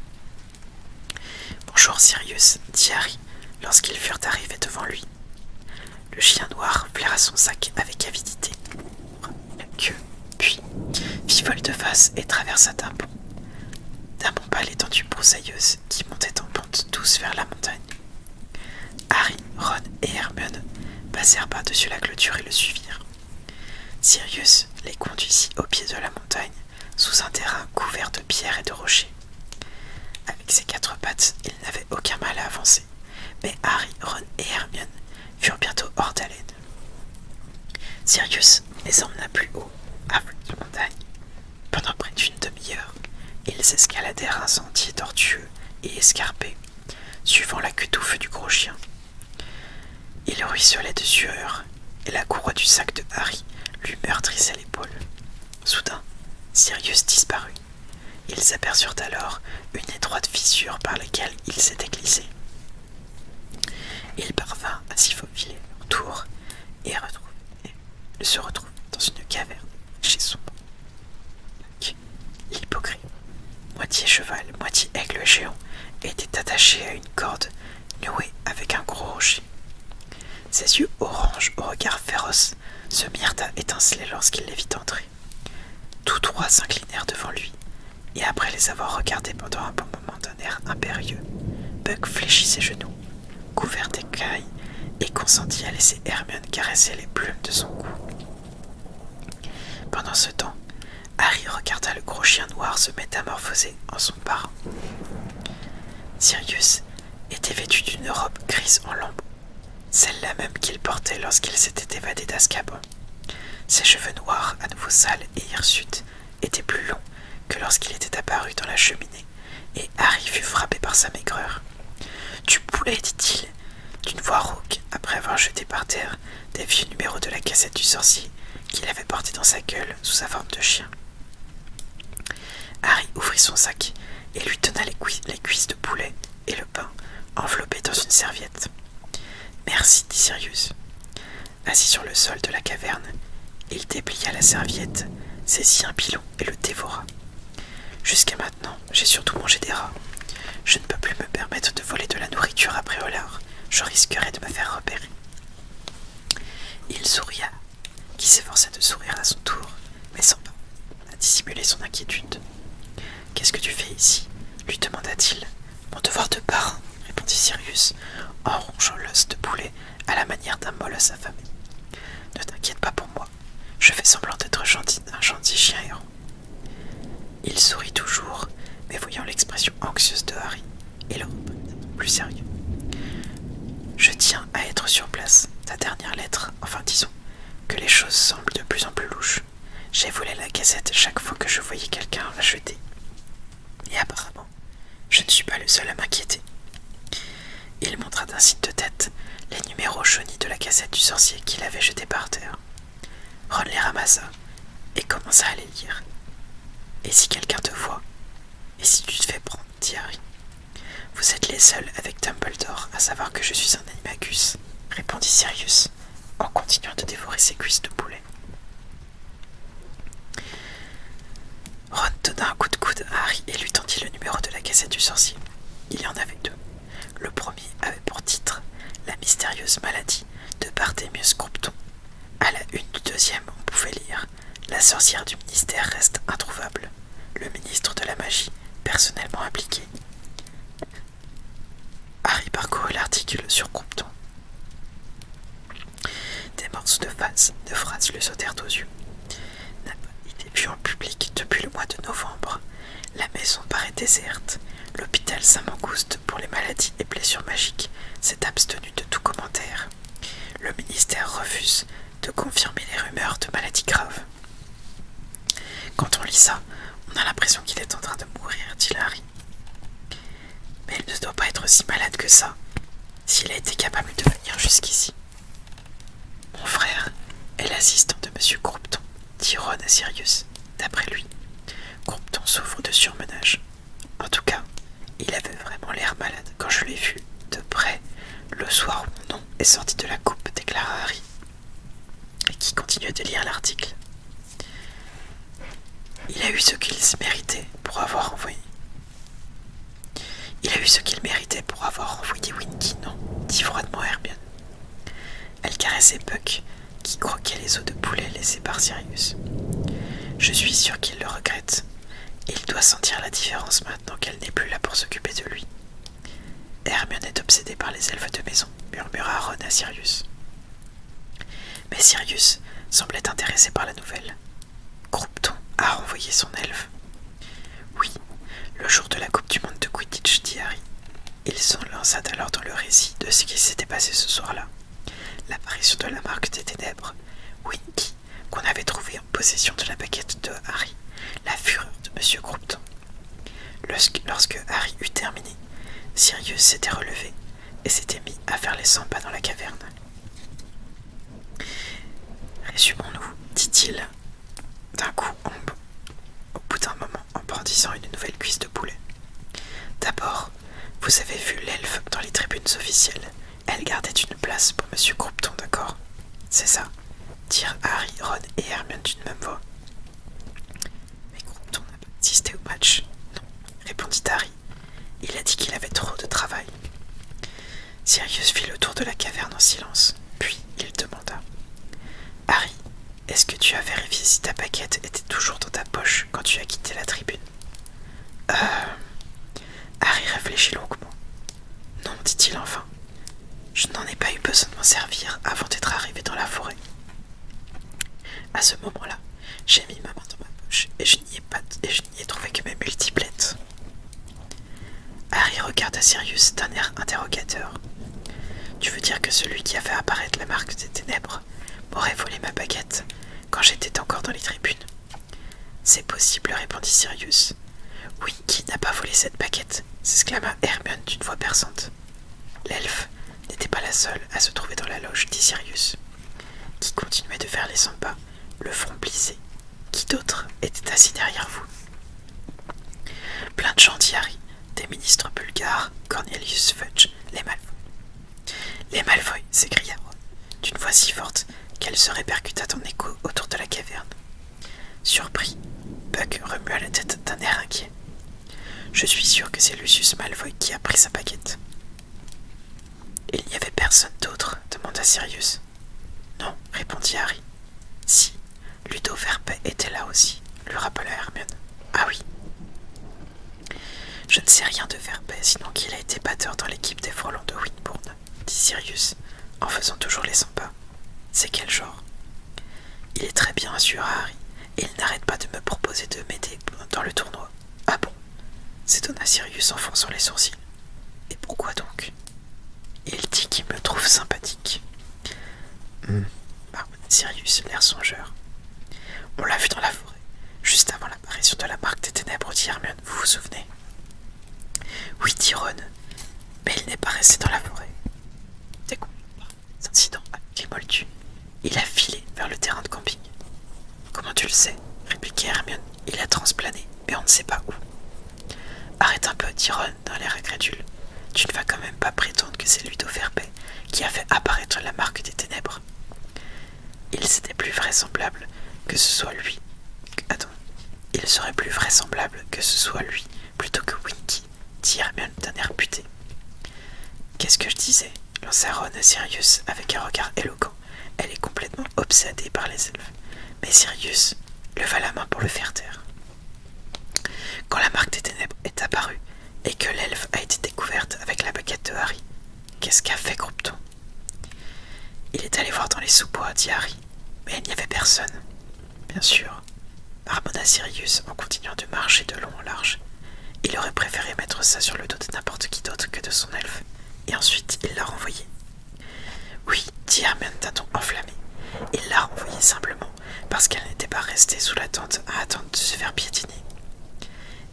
A: Bonjour Sirius, dit Harry lorsqu'ils furent arrivés devant lui. Le chien noir flaira son sac avec avidité, puis fit vol de face et traversa d'un pont, d'un bond pas l'étendue broussailleuse qui montait en pente douce vers la montagne. Harry, Ron et Hermione passèrent par-dessus la clôture et le suivirent. Sirius les conduisit au pied de la montagne, sous un terrain couvert de pierres et de rochers. Avec ses quatre pattes, il n'avait aucun mal à avancer mais Harry, Ron et Hermione furent bientôt hors d'haleine. Sirius les emmena plus haut, à de montagne. Pendant près d'une demi-heure, ils escaladèrent un sentier tortueux et escarpé, suivant la queue touffe du gros chien. Il ruisselait de sueur, et la courroie du sac de Harry lui meurtrissait l'épaule. Soudain, Sirius disparut. Ils aperçurent alors une étroite fissure par laquelle ils s'étaient glissés. Il parvint à s'y faufiler autour et, et se retrouve dans une caverne chez son L'hypocrite, moitié cheval, moitié aigle géant, était attaché à une corde nouée avec un gros rocher. Ses yeux orange au regard féroce se mirent à étinceler lorsqu'il les vit entrer. Tous trois s'inclinèrent devant lui, et après les avoir regardés pendant un bon moment d'un air impérieux, Buck fléchit ses genoux, couvert d'écailles, et consentit à laisser Hermione caresser les plumes de son cou. Pendant ce temps, Harry regarda le gros chien noir se métamorphoser en son parrain. Sirius était vêtu d'une robe grise en lambeaux celle-là même qu'il portait lorsqu'il s'était évadé d'Azkaban. Ses cheveux noirs, à nouveau sales et hirsutes, étaient plus longs que lorsqu'il était apparu dans la cheminée, et Harry fut frappé par sa maigreur. Du poulet, dit-il, d'une voix rauque, après avoir jeté par terre des vieux numéros de la cassette du sorcier qu'il avait porté dans sa gueule sous sa forme de chien. Harry ouvrit son sac et lui donna les, cuisses de poulet et le pain enveloppé dans une serviette. Merci, dit Sirius. Assis sur le sol de la caverne, il déplia la serviette, saisit un pilon et le dévora. Jusqu'à maintenant, j'ai surtout mangé des rats. Je ne peux plus me permettre de voler de la nourriture après Ollard. Je risquerai de me faire repérer. Il souria, qui s'efforça de sourire à son tour, mais sans a dissimuler son inquiétude. Qu'est-ce que tu fais ici lui demanda-t-il. Mon devoir de parrain, répondit Sirius, en rongeant l'os de poulet à la manière d'un à sa famille. Ne t'inquiète pas pour moi, je fais semblant d'être un gentil chien Il sourit toujours, mais voyant l'expression anxieuse de Harry, et le plus sérieux. Je tiens à être sur place. Ta dernière lettre, enfin disons, que les choses semblent de plus en plus louches. J'ai volé la cassette chaque fois que je voyais quelqu'un la jeter. Et apparemment, je ne suis pas le seul à m'inquiéter. Il montra d'un signe de tête les numéros jaunis de la cassette du sorcier qu'il avait jeté par terre. Ron les ramassa et commença à les lire. Et si quelqu'un te voit Et si tu te fais prendre, dit Harry Vous êtes les seuls avec Dumbledore à savoir que je suis un animagus répondit Sirius, en continuant de dévorer ses cuisses de poulet. Ron donna un coup de coude à Harry et lui tendit le numéro de la cassette du sorcier. Il y en avait deux. Le premier avait pour titre La mystérieuse maladie de Barthémius Compton. À la une du deuxième, on pouvait lire La sorcière du ministère reste introuvable. Le ministre de la magie, personnellement impliqué, Harry parcourut l'article sur Compton. Des morceaux de, face, de phrases lui sautèrent aux yeux. Il est vu en public depuis le mois de novembre. La maison paraît déserte. L'hôpital Saint-Mangouste pour les maladies et blessures magiques s'est abstenu de tout commentaire. Le ministère refuse de confirmer les rumeurs de maladies graves. Quand on lit ça, on a l'impression qu'il est en train de mourir, dit Larry. Mais il ne doit pas être aussi malade que ça, s'il a été capable de venir jusqu'ici. Mon frère est l'assistant de M. Croupton, dit Ron à Sirius. D'après lui, Croupton souffre de surmenage. En tout cas, il avait vraiment l'air malade quand je l'ai vu de près le soir où mon nom est sorti de la coupe, déclara Harry. Et qui continuait de lire l'article. Il a eu ce qu'il méritait pour avoir envoyé. Il a eu ce qu'il méritait pour avoir envoyé Winky, non dit froidement Hermione. Elle caressait Buck, qui croquait les os de poulet laissés par Sirius. Je suis sûre qu'il le regrette. Il doit sentir la différence maintenant qu'elle n'est plus là pour s'occuper de lui. Hermione est obsédée par les elfes de maison, murmura Ron à Sirius. Mais Sirius semblait intéressé par la nouvelle. Groupton a renvoyé son elfe. Oui, le jour de la Coupe du Monde de Quidditch, dit Harry. Il s'en lança alors dans le récit de ce qui s'était passé ce soir-là. L'apparition de la marque des ténèbres, Winky, qu'on avait trouvé en possession de la baguette de Harry, la fureur de Monsieur Lorsque, Harry eut terminé, Sirius s'était relevé et s'était mis à faire les cent pas dans la caverne. Résumons-nous, dit-il, d'un coup au bout d'un moment en brandissant une nouvelle cuisse de poulet. D'abord, vous avez vu l'elfe dans les tribunes officielles. Elle gardait une place pour M. Croupton, d'accord C'est ça dirent Harry, Ron et Hermione d'une même voix. Mais comment n'a assisté au match. Non, répondit Harry. Il a dit qu'il avait trop de travail. Sirius fit le tour de la caverne en silence, puis il demanda Harry, est-ce que tu as vérifié si ta paquette était toujours dans ta poche quand tu as quitté la tribune Euh. Harry réfléchit longuement. Non, dit-il enfin, je n'en ai pas eu besoin de m'en servir avant d'être arrivé dans la forêt. À ce moment-là, j'ai mis ma main dans ma poche et je n'y ai, trouvé que mes multiplettes. Harry regarda Sirius d'un air interrogateur. Tu veux dire que celui qui a fait apparaître la marque des ténèbres m'aurait volé ma baguette quand j'étais encore dans les tribunes C'est possible, répondit Sirius. Oui, qui n'a pas volé cette baguette s'exclama Hermione d'une voix perçante. L'elfe n'était pas la seule à se trouver dans la loge, dit Sirius, qui continuait de faire les cent pas, le front plissé. Qui d'autre était assis derrière vous Plein de chantiers, des ministres bulgares, Cornelius Fudge, les Malfoy. Les Malfoy s'écria d'une voix si forte qu'elle se répercuta en écho autour de la caverne. Surpris, Buck remua la tête d'un air inquiet. Je suis sûr que c'est Lucius Malvoy qui a pris sa baguette. Il n'y avait personne d'autre demanda Sirius. Non, répondit Harry. Si, Ludo Verpe était là aussi, lui rappela Hermione. Ah oui. Je ne sais rien de Verpe, sinon qu'il a été batteur dans l'équipe des frelons de Windbourne, » dit Sirius, en faisant toujours les 100 pas. C'est quel genre Il est très bien, sûr, Harry, et il n'arrête pas de me proposer de m'aider dans le tournoi. Ah bon s'étonna Sirius en sur les sourcils. Et pourquoi donc Il dit qu'il me trouve sympathique. Hmm. Ah, Sirius, l'air songeur. On l'a vu dans la forêt, juste avant l'apparition de la marque des ténèbres, dit Hermione, vous vous souvenez Oui, dit mais il n'est pas resté dans la forêt. C'est quoi Incident, a il a filé vers le terrain de camping. Comment tu le sais répliqua Hermione. Il a transplané, mais on ne sait pas où. Arrête un peu, dit Ron l'air incrédule. Tu ne vas quand même pas prétendre que c'est lui d'Overpay qui a fait apparaître la marque des ténèbres. Il s'était plus vraisemblable que ce soit lui. Il serait plus vraisemblable que ce soit lui plutôt que Winky dit Hermione d'un air puté. Qu'est-ce que je disais lança Ron à Sirius avec un regard éloquent. Elle est complètement obsédée par les elfes. Mais Sirius leva la main pour le faire taire. Quand la marque des ténèbres est apparue et que l'elfe a été découverte avec la baguette de Harry, qu'est-ce qu'a fait Groupton ?« Il est allé voir dans les sous-bois, dit Harry, mais il n'y avait personne. Bien sûr, marmonna Sirius en continuant de marcher de long en large. Il aurait préféré mettre ça sur le dos de n'importe qui d'autre que de son elfe, et ensuite il l'a renvoyé. Oui, dit Hermione d'un ton enflammé, il l'a renvoyé simplement parce qu'elle n'était pas restée sous la à attendre de se faire piétiner.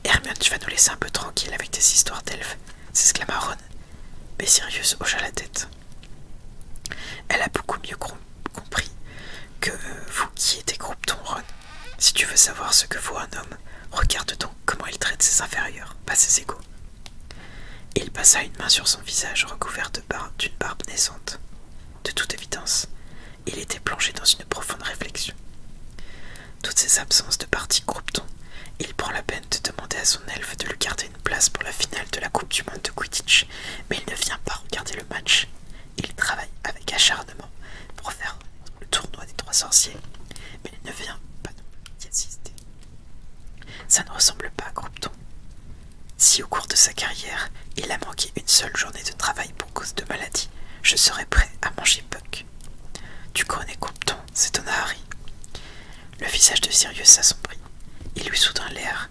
A: Hermione, tu vas nous laisser un peu tranquille avec tes histoires d'elfes, s'exclama Ron, mais Sirius hocha la tête. Elle a beaucoup mieux compris que vous qui êtes groupe ton Ron. Si tu veux savoir ce que vaut un homme, regarde donc comment il traite ses inférieurs, pas ses égaux. Il passa une main sur son visage recouvert d'une barbe naissante. De toute évidence, il était plongé dans une profonde réflexion. Toutes ces absences de partie ton il prend la peine de demander à son elfe de lui garder une place pour la finale de la Coupe du Monde de Quidditch, mais il ne vient pas regarder le match. Il travaille avec acharnement pour faire le tournoi des trois sorciers, mais il ne vient pas non assister. Ça ne ressemble pas à Groupton. Si au cours de sa carrière, il a manqué une seule journée de travail pour cause de maladie, je serais prêt à manger Puck. Tu connais Groupton ?» s'étonna Harry. Le visage de Sirius s'assombrit. Il lui soudain l'air,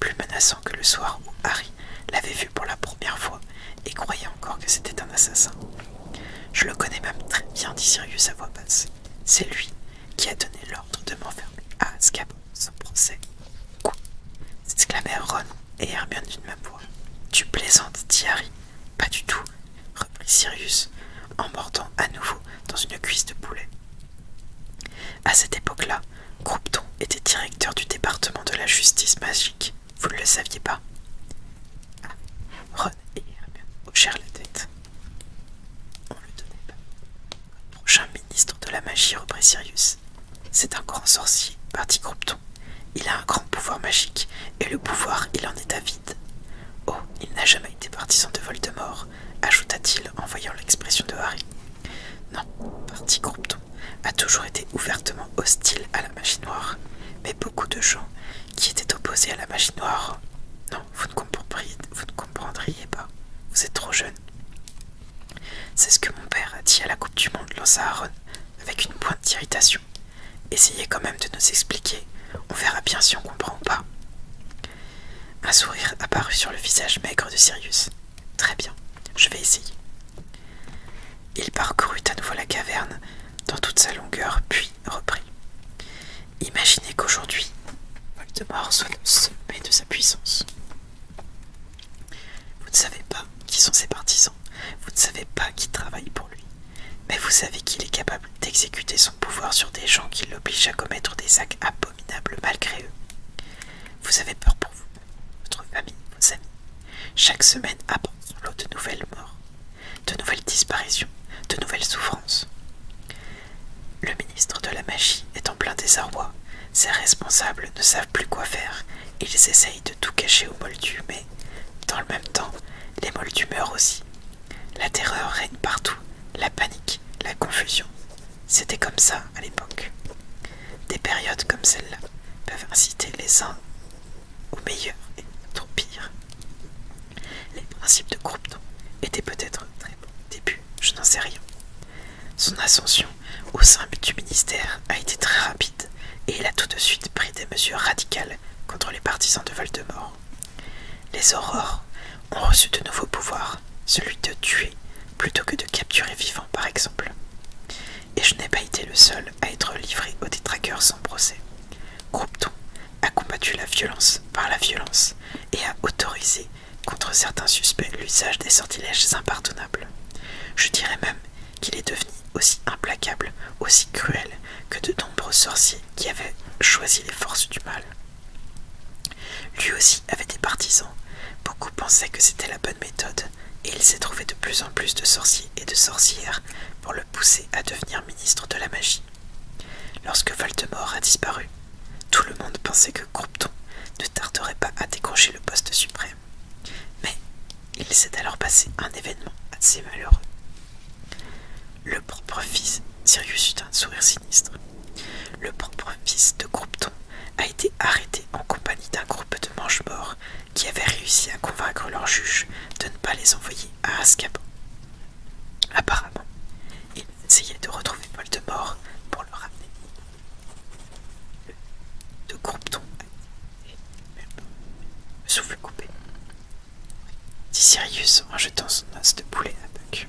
A: plus menaçant que le soir où Harry l'avait vu pour la première fois et croyait encore que c'était un assassin. Je le connais même très bien, dit Sirius à voix basse. C'est lui qui a donné l'ordre de m'enfermer à Azkaban sans procès. Quoi s'exclamèrent Ron et Hermione d'une même voix. Tu plaisantes, dit Pas du tout, reprit Sirius en à nouveau dans une cuisse de poulet. À cette époque-là, « Groupton était directeur du département de la justice magique. Vous ne le saviez pas ah, Ron et la tête. On ne le donnait pas. prochain ministre de la magie, reprit Sirius. C'est un grand sorcier, parti Groupton. Il a un grand pouvoir magique, et le pouvoir, il en est à avide. Oh, il n'a jamais été partisan de Voldemort, ajouta-t-il en voyant l'expression de Harry. Non, parti Groupton. » a toujours été ouvertement hostile à la machine noire, mais beaucoup de gens qui étaient opposés à la machine noire. Non, vous ne, comprendriez, vous ne comprendriez pas, vous êtes trop jeune. C'est ce que mon père a dit à la Coupe du Monde, lança Aaron, avec une pointe d'irritation. Essayez quand même de nous expliquer, on verra bien si on comprend ou pas. Un sourire apparut sur le visage maigre de Sirius. Très bien, je vais essayer. Il parcourut à nouveau la caverne dans toute sa longueur, puis reprit. Imaginez qu'aujourd'hui, Voldemort soit le sommet de sa puissance. Vous ne savez pas qui sont ses partisans, vous ne savez pas qui travaille pour lui, mais vous savez qu'il est capable d'exécuter son pouvoir sur des gens qui l'obligent à commettre des actes abominables malgré eux. Vous avez peur pour vous, votre famille, vos amis, chaque semaine apporte sur de nouvelles morts, de nouvelles disparitions, de nouvelles souffrances. Le ministre de la magie est en plein désarroi. Ses responsables ne savent plus quoi faire. Ils essayent de tout cacher aux moldus, mais dans le même temps, les moldus meurent aussi. La terreur règne partout, la panique, la confusion. C'était comme ça à l'époque. Des périodes comme celle-là peuvent inciter les uns au meilleur et au pire. Les principes de Croupton étaient peut-être très bons au début, je n'en sais rien. Son ascension au sein du ministère a été très rapide et il a tout de suite pris des mesures radicales contre les partisans de Voldemort. Les aurores ont reçu de nouveaux pouvoirs, celui de tuer plutôt que de capturer vivant par exemple et je n'ai pas été le seul à être livré aux détraqueurs sans procès. Groupton a combattu la violence par la violence et a autorisé contre certains suspects l'usage des sortilèges impardonnables. Je dirais même qu'il est devenu aussi implacable, aussi cruel que de nombreux sorciers qui avaient choisi les forces du mal. Lui aussi avait des partisans. Beaucoup pensaient que c'était la bonne méthode, et il s'est trouvé de plus en plus de sorciers et de sorcières pour le pousser à devenir ministre de la magie. Lorsque Voldemort a disparu, tout le monde pensait que Groupton ne tarderait pas à décrocher le poste suprême. Mais il s'est alors passé un événement assez malheureux. Le propre fils, Sirius eut un sourire sinistre. Le propre fils de Groupton a été arrêté en compagnie d'un groupe de manches morts qui avaient réussi à convaincre leur juge de ne pas les envoyer à Azkaban. Apparemment, ils essayaient de retrouver de Voldemort pour le ramener. De Groupton souffle coupé, dit Sirius en jetant son os de poulet à Buck.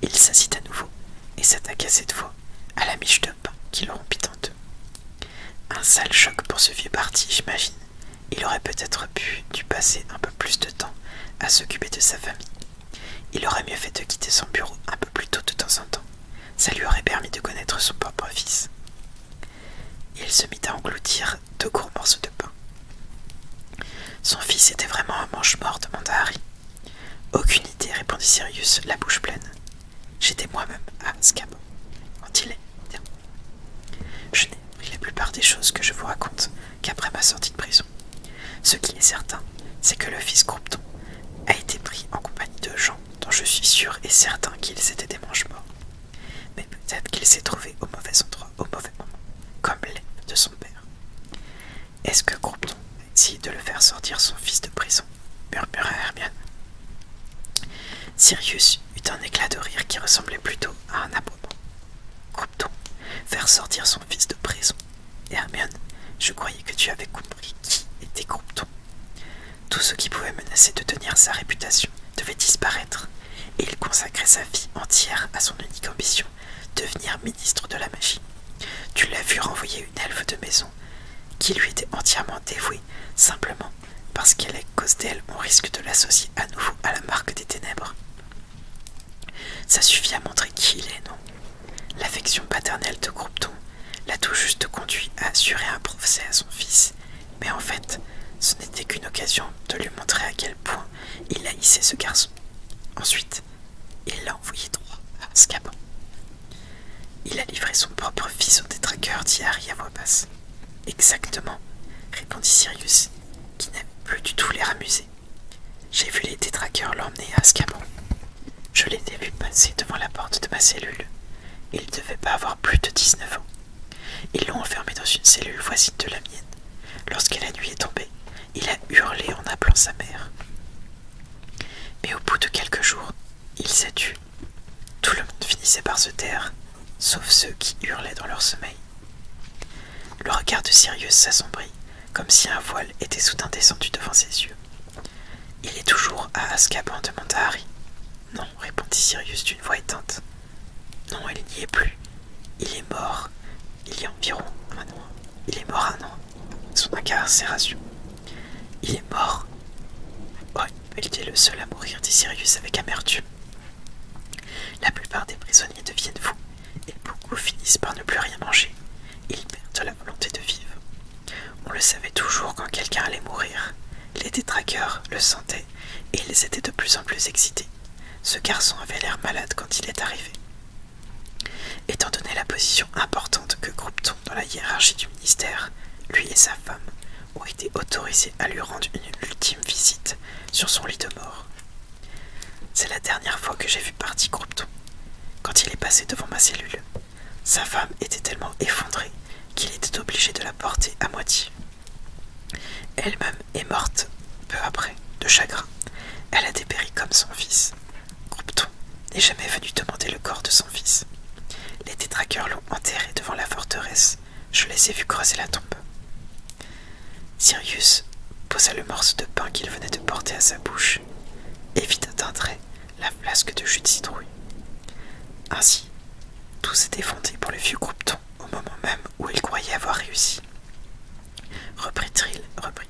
A: Il s'incite à nouveau et s'attaque à cette fois à la miche de qui le rompit Un sale choc pour ce vieux parti, j'imagine. Il aurait peut-être pu dû passer un peu plus de temps à s'occuper de sa famille. Il aurait mieux fait de quitter son bureau un peu plus tôt de temps en temps. Ça lui aurait permis de connaître son propre fils. Il se mit à engloutir deux gros morceaux de pain. Son fils était vraiment un manche-mort demanda Harry. Aucune idée, répondit Sirius, la bouche pleine. J'étais moi-même à Scabo, quand il est Je n'ai appris la plupart des choses que je vous raconte qu'après ma sortie de prison. Ce qui est certain, c'est que le fils Groupton a été pris en compagnie de gens dont je suis sûr et certain qu'ils étaient des manches morts Mais peut-être qu'il s'est trouvé au mauvais endroit, au mauvais moment, comme l'aide de son père. Est-ce que Groupton, a essayé de le faire sortir son fils de prison Murmura Hermione Sirius eut un éclat de rire qui ressemblait plutôt à un aboiement. Croupton, faire sortir son fils de prison. Hermione, je croyais que tu avais compris qui était Croupton. Tout ce qui pouvait menacer de tenir sa réputation devait disparaître, et il consacrait sa vie entière à son unique ambition, devenir ministre de la magie. Tu l'as vu renvoyer une elfe de maison qui lui était entièrement dévouée, simplement parce qu'elle est cause d'elle, on risque de l'associer à nouveau à la marque des ténèbres. Ça suffit à montrer qui il est, non L'affection paternelle de Groupton l'a tout juste conduit à assurer un procès à son fils, mais en fait, ce n'était qu'une occasion de lui montrer à quel point il haïssait ce garçon. Ensuite, il l'a envoyé droit à il a livré son propre fils au détraqueur, dit Harry à voix basse. Exactement, répondit Sirius, qui n'a plus du tout l'air amusé. J'ai vu les détraqueurs l'emmener à Scamon. Je l'ai vu passer devant la porte de ma cellule. Il ne devait pas avoir plus de 19 ans. Ils l'ont enfermé dans une cellule voisine de la mienne. Lorsque la nuit est tombée, il a hurlé en appelant sa mère. Mais au bout de quelques jours, il s'est tué tout le monde finissait par se taire, sauf ceux qui hurlaient dans leur sommeil. Le regard de Sirius s'assombrit, comme si un voile était soudain descendu devant ses yeux. Il est toujours à Ascaban, demanda Harry. Non, répondit Sirius d'une voix éteinte. Non, il n'y est plus. Il est mort. Il y a environ un an. Il est mort un an. Son incarcération il est mort. Ouais, il était le seul à mourir, dit Sirius avec amertume. La plupart des prisonniers deviennent fous, et beaucoup finissent par ne plus rien manger. Ils perdent la volonté de vivre. On le savait toujours quand quelqu'un allait mourir. Les détraqueurs le sentaient, et ils étaient de plus en plus excités. Ce garçon avait l'air malade quand il est arrivé. Étant donné la position importante que groupe-t-on dans la hiérarchie du ministère, lui et sa femme ont été autorisés à lui rendre une ultime visite sur son lit de mort. C'est la dernière fois que j'ai vu parti Groupton, Quand il est passé devant ma cellule, sa femme était tellement effondrée qu'il était obligé de la porter à moitié. Elle-même est morte peu après, de chagrin. Elle a dépéri comme son fils. Groupton n'est jamais venu demander le corps de son fils. Les détraqueurs l'ont enterré devant la forteresse. Je les ai vus creuser la tombe. Sirius posa le morceau de pain qu'il venait de porter à sa bouche, et et d'un trait la flasque de jus de citrouille. Ainsi, tout s'était fondé pour le vieux groupeton au moment même où il croyait avoir réussi. Reprit-il reprit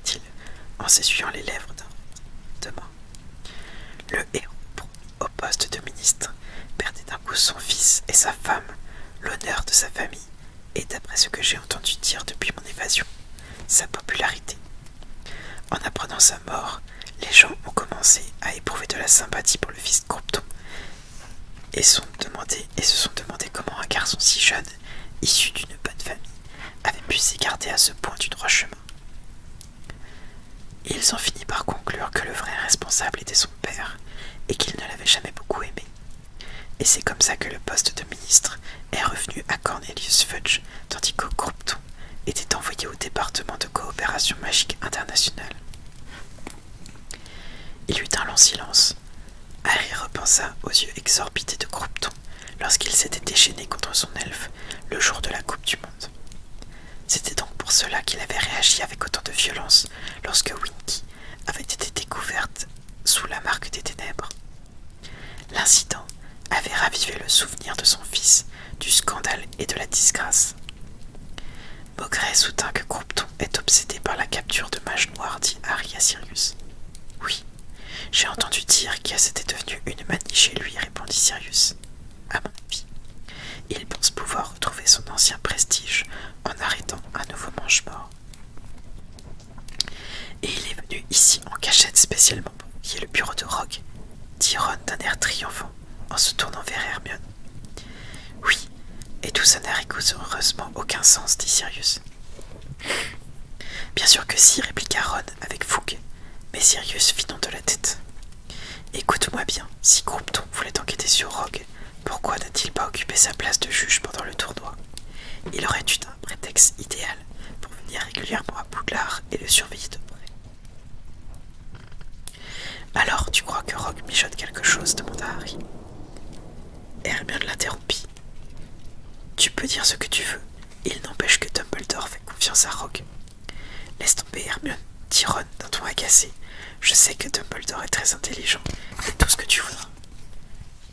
A: en s'essuyant les lèvres d'un demain et au poste de ministre, perdait d'un coup son fils et sa femme, l'honneur de sa famille, et d'après ce que j'ai entendu dire depuis mon évasion, sa popularité. En apprenant sa mort, les gens ont commencé à éprouver de la sympathie pour le fils de Compton et, sont et se sont demandé comment un garçon si jeune, issu d'une bonne famille, avait pu s'écarter à ce point du droit chemin. Ils ont fini par conclure que le vrai responsable était son père et qu'il ne l'avait jamais beaucoup aimé. Et c'est comme ça que le poste de ministre est revenu à Cornelius Fudge, tandis que Croupton était envoyé au département de coopération magique internationale. Il eut un long silence. Harry repensa aux yeux exorbités de Groupton lorsqu'il s'était déchaîné contre son elfe le jour de la Coupe du Monde. C'était donc pour cela qu'il avait réagi avec autant de violence lorsque Winky avait été découverte sous la marque des ténèbres. L'incident avait ravivé le souvenir de son fils du scandale et de la disgrâce. Maugret soutint que Groupton est obsédé par la capture de Mage Noire, dit Harry à Sirius. Oui, j'ai entendu dire qu'il s'était devenu une manie chez lui, répondit Sirius à avis. Il pense pouvoir retrouver son ancien prestige en arrêtant un nouveau manche mort Et il est venu ici en cachette spécialement qui est le bureau de Rogue, dit Ron d'un air triomphant en se tournant vers Hermione. Oui, et tout ça n'a heureusement aucun sens, dit Sirius. Bien sûr que si, répliqua Ron avec fougue, mais Sirius fit non de la tête. Écoute-moi bien, si Groupton voulait enquêter sur Rogue, pourquoi n'a-t-il pas occupé sa place de juge pendant le tournoi Il aurait eu un prétexte idéal pour venir régulièrement à Boudlard et le surveiller de près. Alors, tu crois que Rogue mijote quelque chose demanda Harry. Hermione l'interrompit. Tu peux dire ce que tu veux, il n'empêche que Dumbledore fait confiance à Rogue. Laisse tomber, Hermione, Tyrone, dans d'un ton agacé. Je sais que Dumbledore est très intelligent, et tout ce que tu voudras.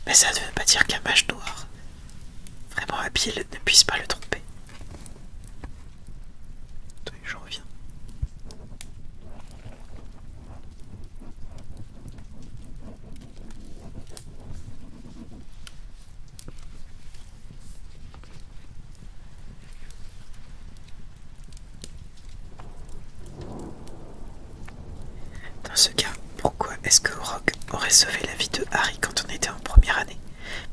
A: Mais ça ne veut pas dire qu'un mage noir, vraiment habile, ne puisse pas le tromper. Oui, je reviens. Dans ce cas, pourquoi est-ce que Rock aurait sauvé la vie de Harry quand on était en première année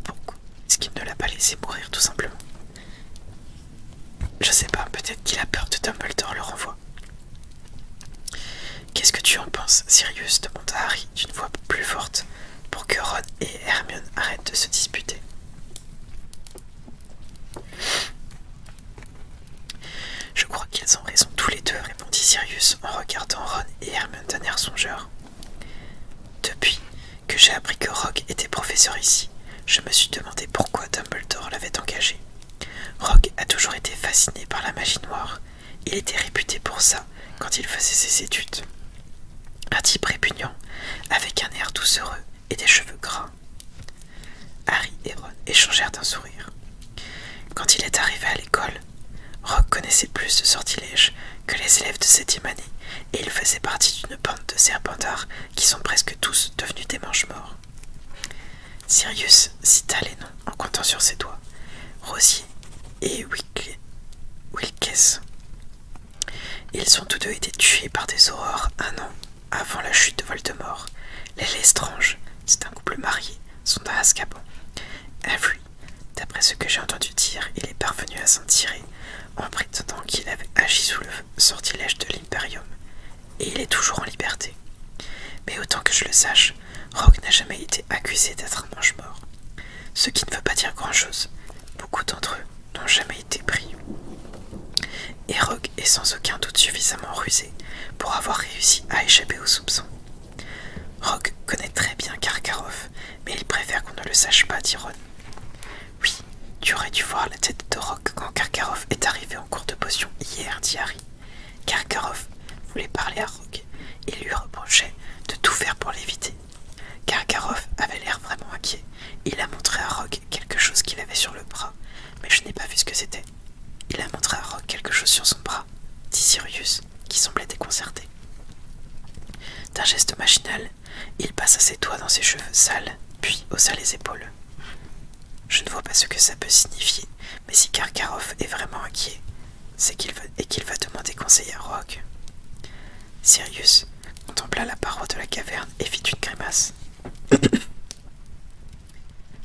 A: Pourquoi est-ce qu'il ne l'a pas laissé mourir tout simplement Je sais pas, peut-être qu'il a peur de Dumbledore le renvoi. Qu'est-ce que tu en penses, Sirius demanda Harry d'une voix plus forte pour que Ron et Hermione arrêtent de se disputer. Je crois qu'ils ont raison tous les deux, répondit Sirius en regardant Ron et Hermione d'un air songeur. Depuis que j'ai appris que Rogue était professeur ici, je me suis demandé pourquoi Dumbledore l'avait engagé. Rogue a toujours été fasciné par la magie noire. Il était réputé pour ça quand il faisait ses études. Un type répugnant, avec un air doucereux et des cheveux gras. Harry et Ron échangèrent un sourire. Quand il est arrivé à l'école, Rock connaissait plus de sortilèges que les élèves de septième année et il faisait partie d'une bande de serpentards qui sont presque tous devenus des manches-morts. Sirius cita les noms en comptant sur ses doigts Rosier et Wilkes. Ils ont tous deux été tués par des aurores un an avant la chute de Voldemort. Les Lestrange, c'est un couple marié, sont à Azkaban. Avery, d'après ce que j'ai entendu dire, il est parvenu à s'en tirer en prétendant qu'il avait agi sous le sortilège de l'Imperium, et il est toujours en liberté. Mais autant que je le sache, Rogue n'a jamais été accusé d'être un manche mort Ce qui ne veut pas dire grand-chose. Beaucoup d'entre eux n'ont jamais été pris. et Rogue est sans aucun doute suffisamment rusé pour avoir réussi à échapper aux soupçons. Rogue connaît très bien Karkaroff, mais il préfère qu'on ne le sache pas, dit Ron. Oui, tu aurais dû voir la tête de Rogue quand Karkaroff est arrivé en cours de potion hier, dit Harry. Karkaroff voulait parler à Rogue et lui reprochait de tout faire pour l'éviter. Karkaroff avait l'air vraiment inquiet. Il a montré à Rogue quelque chose qu'il avait sur le bras, mais je n'ai pas vu ce que c'était. Il a montré à Rog quelque chose sur son bras, dit Sirius, qui semblait déconcerté. D'un geste machinal, il passa ses doigts dans ses cheveux sales, puis haussa les épaules. Je ne vois pas ce que ça peut signifier, mais si Karkaroff est vraiment inquiet, c'est qu'il va et qu'il va demander conseil à Rogue. Sirius contempla la paroi de la caverne et fit une grimace.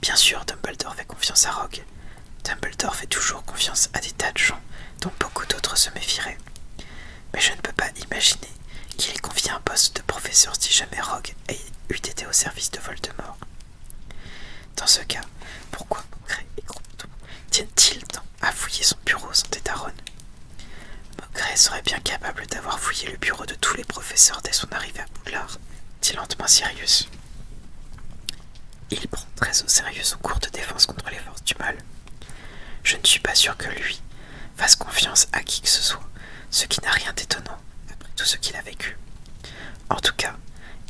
A: Bien sûr, Dumbledore fait confiance à Rogue. Dumbledore fait toujours confiance à des tas de gens dont beaucoup d'autres se méfieraient. Mais je ne peux pas imaginer qu'il ait confié un poste de professeur si jamais Rogue eût été au service de Voldemort. Dans ce cas, pourquoi Concret et Grompton tiennent-ils tant à fouiller son bureau sans détaronne « Mogret serait bien capable d'avoir fouillé le bureau de tous les professeurs dès son arrivée à Boulard, dit lentement Sirius. Il prend très au sérieux son cours de défense contre les forces du mal. Je ne suis pas sûr que lui fasse confiance à qui que ce soit, ce qui n'a rien d'étonnant après tout ce qu'il a vécu. En tout cas,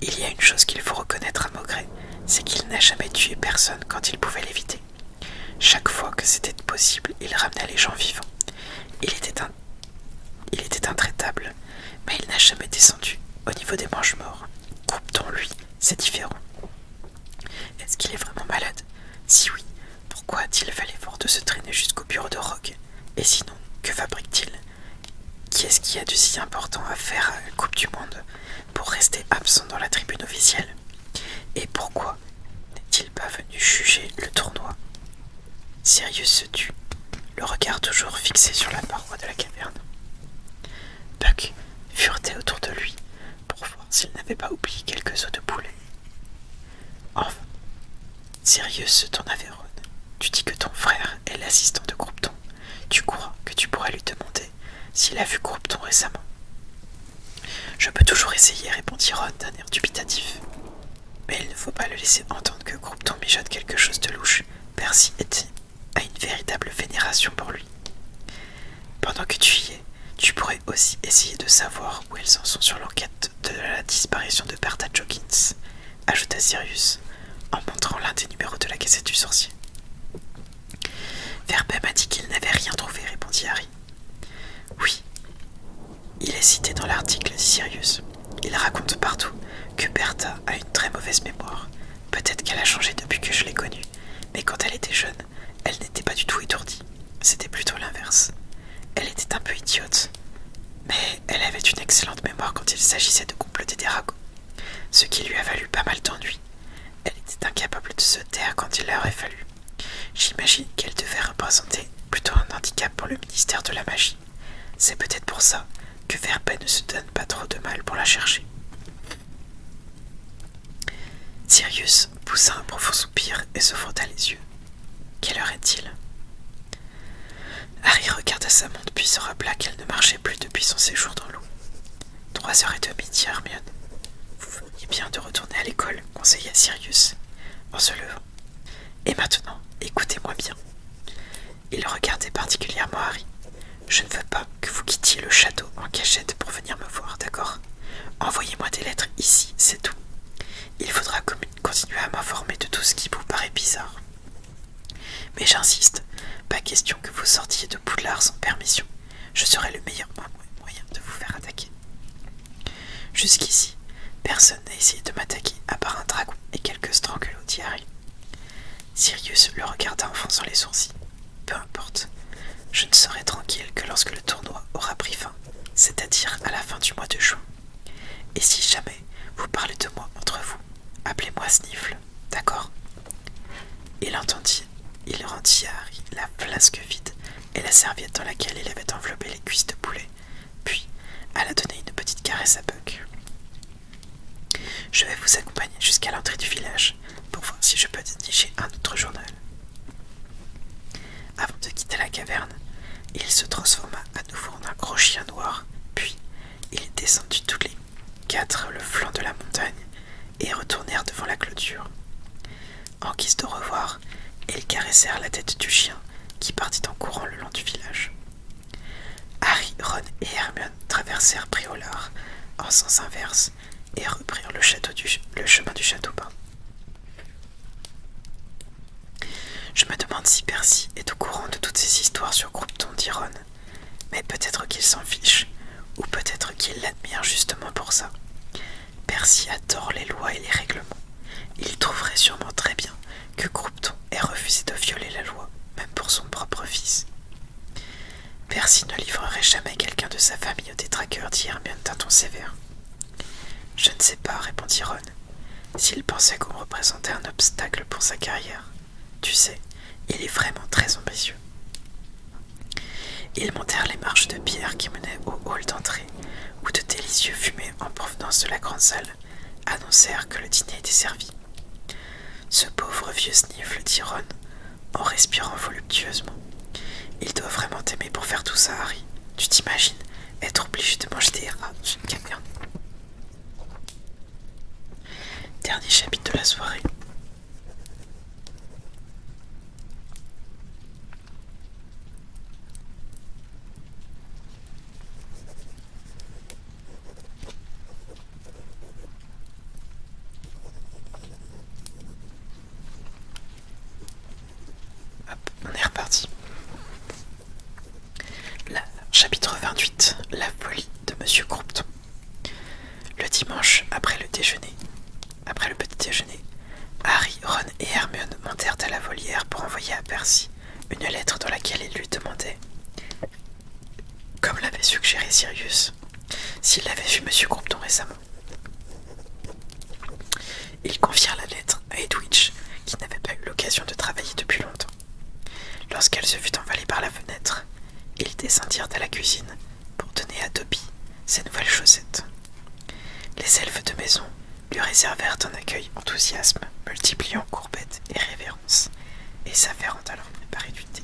A: il y a une chose qu'il faut reconnaître à Mogret, c'est qu'il n'a jamais tué personne quand il pouvait l'éviter. Chaque fois que c'était possible, il ramenait les gens vivants, il était, un... il était intraitable, mais il n'a jamais descendu au niveau des manches morts. coupe t lui C'est différent. Est-ce qu'il est vraiment malade Si oui, pourquoi a-t-il fait l'effort de se traîner jusqu'au bureau de Rogue Et sinon, que fabrique-t-il Qui est-ce qui a de si important à faire à Coupe du Monde pour rester absent dans la tribune officielle Et pourquoi n'est-il pas venu juger le tournoi Sérieux se tut, le regard toujours fixé sur la paroi de la caverne. Buck furetait autour de lui pour voir s'il n'avait pas oublié quelques os de poulet. Enfin, sérieux se tourna vers Ron. Tu dis que ton frère est l'assistant de Groupton. »« Tu crois que tu pourrais lui demander s'il a vu Groupton récemment Je peux toujours essayer, répondit Ron d'un air dubitatif. Mais il ne faut pas le laisser entendre que tombe mijote quelque chose de louche. Percy a à une véritable vénération pour lui. Pendant que tu y es, tu pourrais aussi essayer de savoir où elles en sont sur l'enquête de la disparition de Bertha Jokins, ajouta Sirius en montrant l'un des numéros de la cassette du sorcier. Verbet m'a dit qu'il n'avait rien trouvé, répondit Harry. Oui, il est cité dans l'article Sirius. Il raconte partout que Bertha a une très mauvaise mémoire. Peut-être qu'elle a changé depuis que je l'ai connue, mais quand elle était jeune, elle n'était pas du tout étourdie. C'était plutôt l'inverse. Elle était un peu idiote, mais elle avait une excellente mémoire quand il s'agissait de comploter des ragots, ce qui lui a valu pas mal d'ennuis. Elle était incapable de se taire quand il leur fallu. J'imagine qu'elle devait représenter plutôt un handicap pour le ministère de la magie. C'est peut-être pour ça que Verbe ne se donne pas trop de mal pour la chercher. Sirius poussa un profond soupir et se frotta les yeux. Quelle heure est-il Harry regarda sa montre puis se rappela qu'elle ne marchait plus depuis son séjour dans l'eau. Trois heures et demie, dit Hermione. Vous veniez bien de retourner à l'école, conseilla Sirius en se levant. Et maintenant, écoutez-moi bien. Il regardait particulièrement Harry. Je ne veux pas que vous quittiez le château en cachette pour venir me voir, d'accord Envoyez-moi des lettres ici, c'est tout. Il faudra continuer à m'informer de tout ce qui vous paraît bizarre. Mais j'insiste, pas question que vous sortiez de Poudlard sans permission. Je serai le meilleur moyen de vous faire attaquer. Jusqu'ici, personne n'a essayé de m'attaquer à part un dragon et quelques strangulots dit Sirius le regarda en les sourcils. Peu importe, je ne serai tranquille que lorsque le tournoi aura pris fin, c'est-à-dire à la fin du mois de juin. Et si jamais vous parlez de moi entre vous, appelez-moi Sniffle, d'accord Il entendit, il rendit à Harry la flasque vide et la serviette dans laquelle il avait enveloppé les cuisses de poulet puis, elle a donné une petite caresse à Buck. Je vais vous accompagner jusqu'à l'entrée du village pour voir si je peux dénicher un autre journal. Avant de quitter la caverne, il se transforma à nouveau en un gros chien noir, puis il descendit tous les quatre le flanc de la montagne et retournèrent devant la clôture. En guise de revoir, ils caressèrent la tête du chien qui partit en courant le long du village. Harry, Ron et Hermione traversèrent Briolar en sens inverse et reprirent le, chemin du château bas. « Je me demande si Percy est au courant de toutes ces histoires sur groupeton dit Ron. Mais peut-être qu'il s'en fiche, ou peut-être qu'il l'admire justement pour ça. Percy adore les lois et les règlements. Il trouverait sûrement très bien que Groupton ait refusé de violer la loi, même pour son propre fils. Percy ne livrerait jamais quelqu'un de sa famille au détraqueur, dit Hermione d'un ton sévère. Je ne sais pas, répondit Ron. S'il pensait qu'on représentait un obstacle pour sa carrière, tu sais, il est vraiment très ambitieux. Ils montèrent les marches de pierre qui menaient au hall d'entrée, où de délicieux fumées en provenance de la grande salle annoncèrent que le dîner était servi. Ce pauvre vieux sniffle, dit Ron, en respirant voluptueusement. Il doit vraiment t'aimer pour faire tout ça, Harry. Tu t'imagines être obligé de manger des rats rien. Dernier chapitre de la soirée. Hop, on est reparti. chapitre 28 La folie de Monsieur Groupton Le dimanche, après le déjeuner, après le petit déjeuner, Harry, Ron et Hermione montèrent à la volière pour envoyer à Percy une lettre dans laquelle il lui demandait, comme l'avait suggéré Sirius, s'il avait vu M. Compton récemment. Il confia la lettre à Edwidge, qui n'avait pas eu l'occasion de travailler depuis longtemps. Lorsqu'elle se fut envalée par la fenêtre, ils descendirent à la cuisine pour donner à Toby ses nouvelles chaussettes. Les elfes de maison lui réservèrent un accueil enthousiasme, multipliant courbettes et révérences, et s'affairant alors par préparer du thé.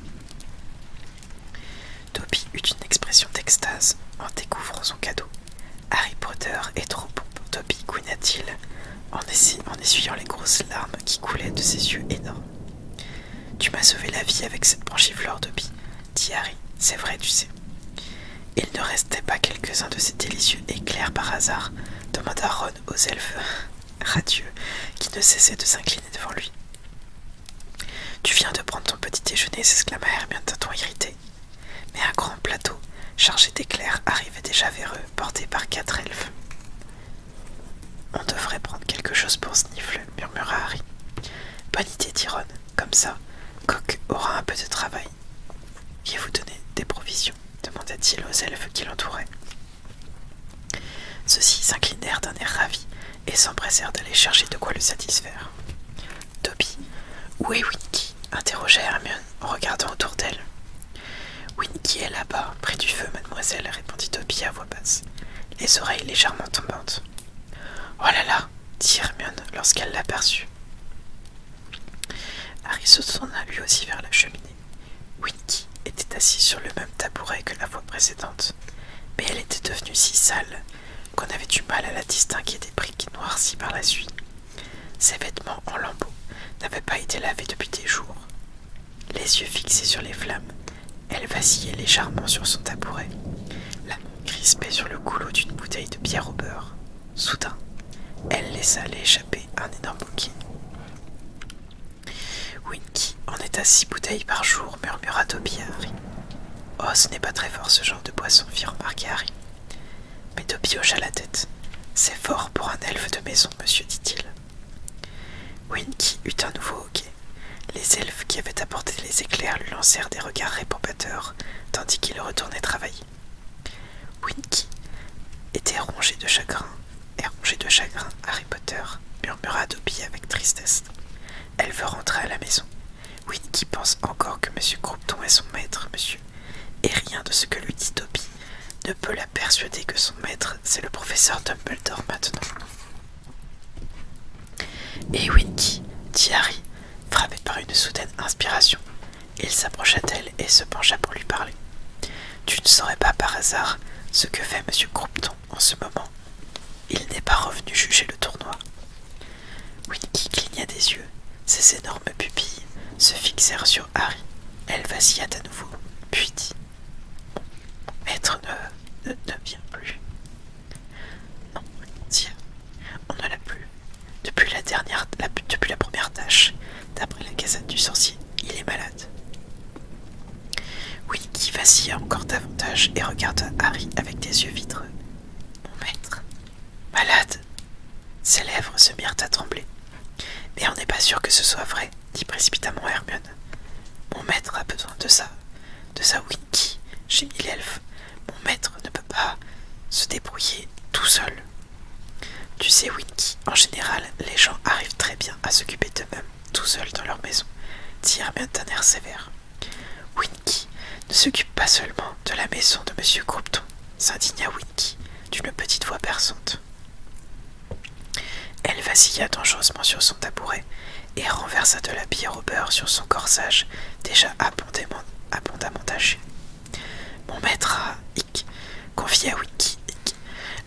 A: Toby eut une expression d'extase en découvrant son cadeau. Harry Potter est trop beau pour Toby, gouina-t-il, en, essuyant les grosses larmes qui coulaient de ses yeux énormes. Tu m'as sauvé la vie avec cette fleur, Toby, dit Harry, c'est vrai, tu sais. Il ne restait pas quelques-uns de ces délicieux éclairs par hasard demanda Ron aux elfes radieux qui ne cessaient de s'incliner devant lui. Tu viens de prendre ton petit déjeuner, s'exclama Hermione d'un ton irrité. Mais un grand plateau chargé d'éclairs arrivait déjà vers eux, porté par quatre elfes. On devrait prendre quelque chose pour Sniffle, murmura Harry. Bonne idée, dit Ron. Comme ça, Coq aura un peu de travail viez vous donner des provisions demanda-t-il aux elfes qui l'entouraient. Ceux-ci s'inclinèrent d'un air ravi et s'empressèrent d'aller chercher de quoi le satisfaire. Toby Où est Winky interrogea Hermione en regardant autour d'elle. Winky est là-bas, près du feu, mademoiselle, répondit Toby à voix basse, les oreilles légèrement tombantes. Oh là là dit Hermione lorsqu'elle l'aperçut. Harry se tourna lui aussi vers la cheminée. Winky était assise sur le même tabouret que la fois précédente, mais elle était devenue si sale qu'on avait du mal à la distinguer des briques noircies par la suite. Ses vêtements en lambeaux n'avaient pas été lavés depuis des jours. Les yeux fixés sur les flammes, elle vacillait légèrement sur son tabouret, la main crispée sur le goulot d'une bouteille de bière au beurre. Soudain, elle laissa aller échapper un énorme hoquet. Winky en est à six bouteilles par jour, murmura Toby à Harry. Oh, ce n'est pas très fort ce genre de boisson, fit remarquer Harry. Mais Toby hocha la tête. C'est fort pour un elfe de maison, monsieur, dit-il. Winky eut un nouveau hoquet. Les elfes qui avaient apporté les éclairs lui lancèrent des regards réprobateurs, tandis qu'il retournait travailler. Winky était rongée de chagrin, et rongé de chagrin, Harry Potter, murmura Dobby avec tristesse. Elle veut rentrer à la maison. Winky pense encore que M. Croupton est son maître, monsieur, et rien de ce que lui dit Dobby ne peut la persuader que son maître, c'est le professeur Dumbledore maintenant. Et Winky, dit Harry, frappé par une soudaine inspiration, il s'approcha d'elle et se pencha pour lui parler. Tu ne saurais pas par hasard ce que fait M. Croupton en ce moment. Il n'est pas revenu juger le tournoi. Winky cligna des yeux. Ses énormes pupilles se fixèrent sur Harry. Elle vacilla à nouveau, puis dit Maître ne, ne, vient plus. Non, tiens, on ne l'a plus. Depuis la, première tâche, d'après la casette du sorcier, il est malade. Winky vacille encore davantage et regarde Harry avec des yeux vitreux. Mon maître, malade Ses lèvres se mirent à trembler. Mais on n'est pas sûr que ce soit vrai, dit précipitamment Hermione. Mon maître a besoin de ça, de ça Winky, il l'elfe. Mon maître ne peut pas se débrouiller tout seul. Tu sais, Winky, en général, les gens arrivent très bien à s'occuper d'eux-mêmes, tout seuls dans leur maison, dit Hermione d'un air sévère. Winky ne s'occupe pas seulement de la maison de Monsieur Croupton, s'indigna Winky d'une petite voix perçante. Elle vacilla dangereusement sur son tabouret et renversa de la bière au beurre sur son corsage déjà abondamment taché. Mon maître a, à Winky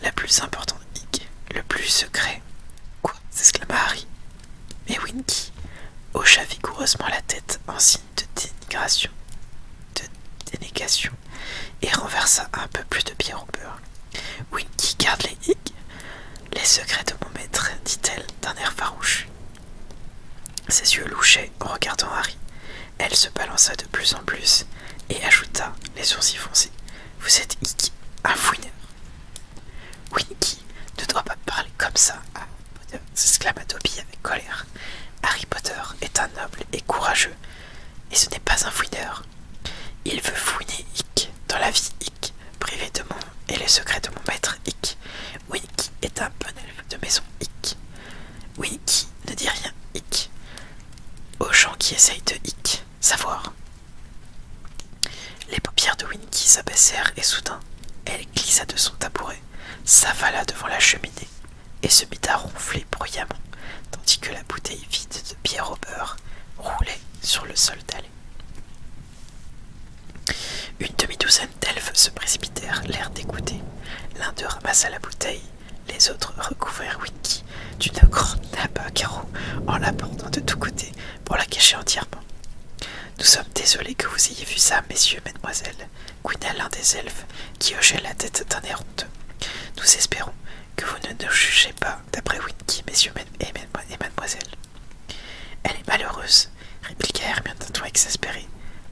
A: la plus importante hic, le plus secret. Quoi s'exclama Harry. Mais Winky hocha vigoureusement la tête en signe de dénégation, et renversa un peu plus de bière au beurre. Winky garde les hic, les secrets de mon maître, dit-elle d'un air farouche. Ses yeux louchaient en regardant Harry. Elle se balança de plus en plus et ajouta, les sourcils foncés Vous êtes Icky, un fouineur. Winky ne doit pas parler comme ça ah, s'exclama Toby avec colère. Harry Potter est un noble et courageux, et ce n'est pas un fouineur. Il veut fouiner ic dans la vie ic privé de mon et les secrets de mon maître ic Winky est un bon élève de maison Oui Winky ne dit rien ic aux gens qui essayent de hic, savoir. Les paupières de Winky s'abaissèrent et soudain, elle glissa de son tabouret, s'avala devant la cheminée et se mit à ronfler bruyamment, tandis que la bouteille vide de pierre au beurre roulait sur le sol d'aller. Une demi-douzaine d'elfes se précipitèrent, l'air d'écouter. L'un d'eux ramassa la bouteille les autres recouvrirent Winky d'une grande nappe à carreaux en la de tous côtés pour la cacher entièrement. Nous sommes désolés que vous ayez vu ça, messieurs, mesdemoiselles, couina l'un des elfes qui hochait la tête d'un air Nous espérons que vous ne nous jugez pas d'après Winky, messieurs et, et mademoiselles. Elle est malheureuse, répliqua Hermione d'un ton exaspéré.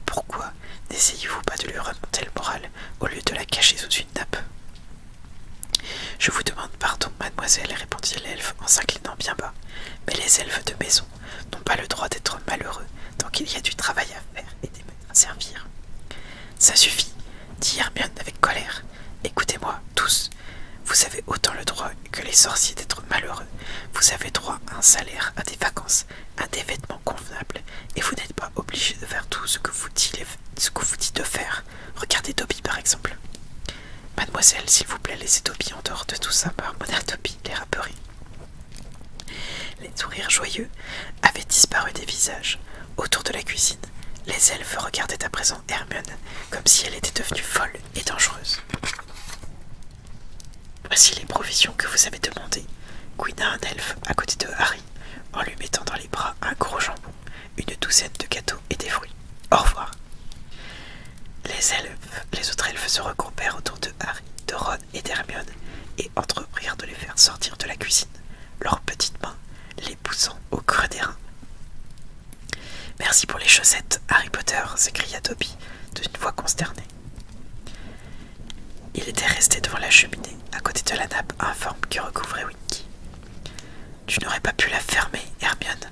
A: Pourquoi n'essayez-vous pas de lui remonter le moral au lieu de la cacher sous une nappe. Je vous demande pardon, mademoiselle, répondit l'elfe en s'inclinant bien bas, mais les elfes de maison n'ont pas le droit d'être malheureux tant qu'il y a du travail à faire et des mains à servir. Ça suffit, dit Hermione avec colère. Écoutez-moi, tous. Vous avez autant le droit que les sorciers d'être malheureux. Vous avez droit à un salaire, à des vacances, à des vêtements convenables et vous n'êtes pas obligé de faire tout ce que vous dites de faire. Regardez Toby par exemple. Mademoiselle, s'il vous plaît, laissez Toby en dehors de tout ça, air bah, Toby, les râperies Les sourires joyeux avaient disparu des visages. Autour de la cuisine, les elfes regardaient à présent Hermione comme si elle était devenue folle et dangereuse. Voici les provisions que vous avez demandées. Queen un elfe à côté de Harry en lui mettant dans les bras un gros jambon, une douzaine de gâteaux et des fruits. Au revoir. Les, elfes, les autres elfes se regroupèrent autour de Harry, de Ron et d'Hermione et entreprirent de les faire sortir de la cuisine, leurs petites mains les poussant au creux des reins. Merci pour les chaussettes, Harry Potter, s'écria Toby d'une voix consternée. Il était resté devant la cheminée, à côté de la nappe informe qui recouvrait Winky. Tu n'aurais pas pu la fermer, Hermione,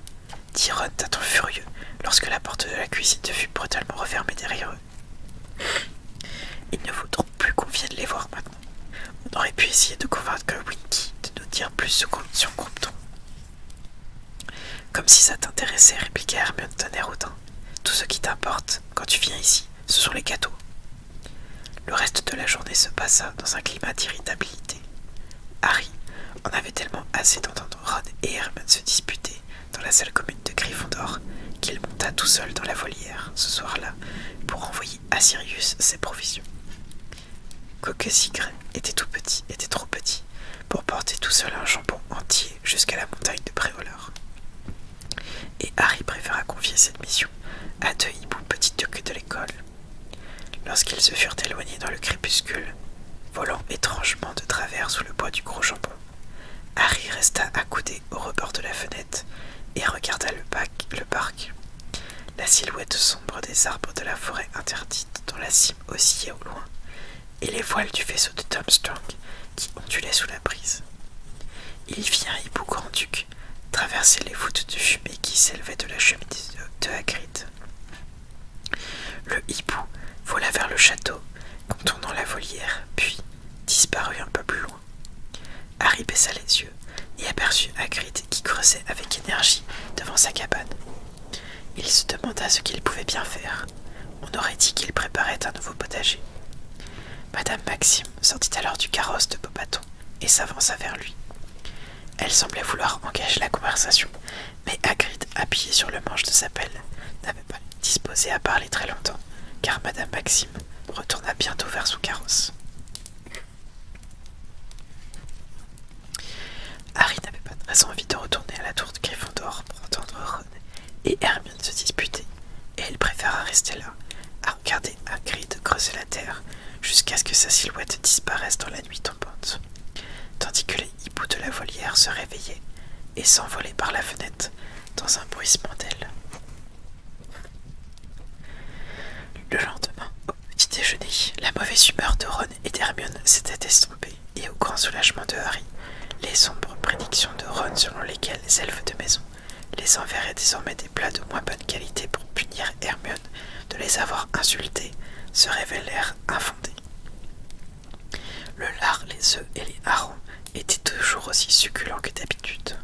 A: dit Ron d'un ton furieux lorsque la porte de la cuisine fut brutalement refermée derrière eux. Il ne faut donc plus qu'on vienne les voir maintenant. On aurait pu essayer de convaincre Winky de nous dire plus ce sur on Comme si ça t'intéressait, répliqua Hermione d'un air Tout ce qui t'importe quand tu viens ici, ce sont les gâteaux. Le reste de la journée se passa dans un climat d'irritabilité. Harry en avait tellement assez d'entendre Ron et Herman se disputer dans la salle commune de Gryffondor qu'il monta tout seul dans la volière ce soir-là pour envoyer à Sirius ses provisions. Coque était tout petit, était trop petit pour porter tout seul un jambon entier jusqu'à la montagne de Préolore et Harry préféra confier cette mission à deux hiboux petits ducs de l'école. Lorsqu'ils se furent éloignés dans le crépuscule, volant étrangement de travers sous le bois du gros jambon, Harry resta accoudé au rebord de la fenêtre et regarda le, bac, le parc. La silhouette sombre des arbres de la forêt interdite dont la cime oscillait au loin, et les voiles du vaisseau de Tom Strong qui ondulait sous la brise. Il y un hibou grand duc Traversait traverser les voûtes de fumée qui s'élevaient de la cheminée de, de Hagrid. Le hibou vola vers le château, contournant la volière, puis disparut un peu plus loin. Harry baissa les yeux et aperçut Hagrid qui creusait avec énergie devant sa cabane. Il se demanda ce qu'il pouvait bien faire. On aurait dit qu'il préparait un nouveau potager. Madame Maxime sortit alors du carrosse de Bobaton et s'avança vers lui. Elle semblait vouloir engager la conversation, mais Hagrid, appuyée sur le manche de sa pelle, n'avait pas disposé à parler très longtemps, car Madame Maxime retourna bientôt vers son carrosse. Harry n'avait pas très envie de retourner à la tour de Gryffondor pour entendre Ron et Hermione se disputer, et elle préféra rester là, à cri de creuser la terre jusqu'à ce que sa silhouette disparaisse dans la nuit tombante, tandis que les hiboux de la volière se réveillaient et s'envolaient par la fenêtre dans un bruissement d'ailes. Le lendemain, au petit déjeuner, la mauvaise humeur de Ron et d'Hermione s'était estompée, et au grand soulagement de Harry, les sombres prédictions de Ron selon lesquelles les elfes de maison les et désormais des plats de moins bonne qualité pour punir Hermione de les avoir insultés, se révélèrent infondés. Le lard, les œufs et les harons étaient toujours aussi succulents que d'habitude.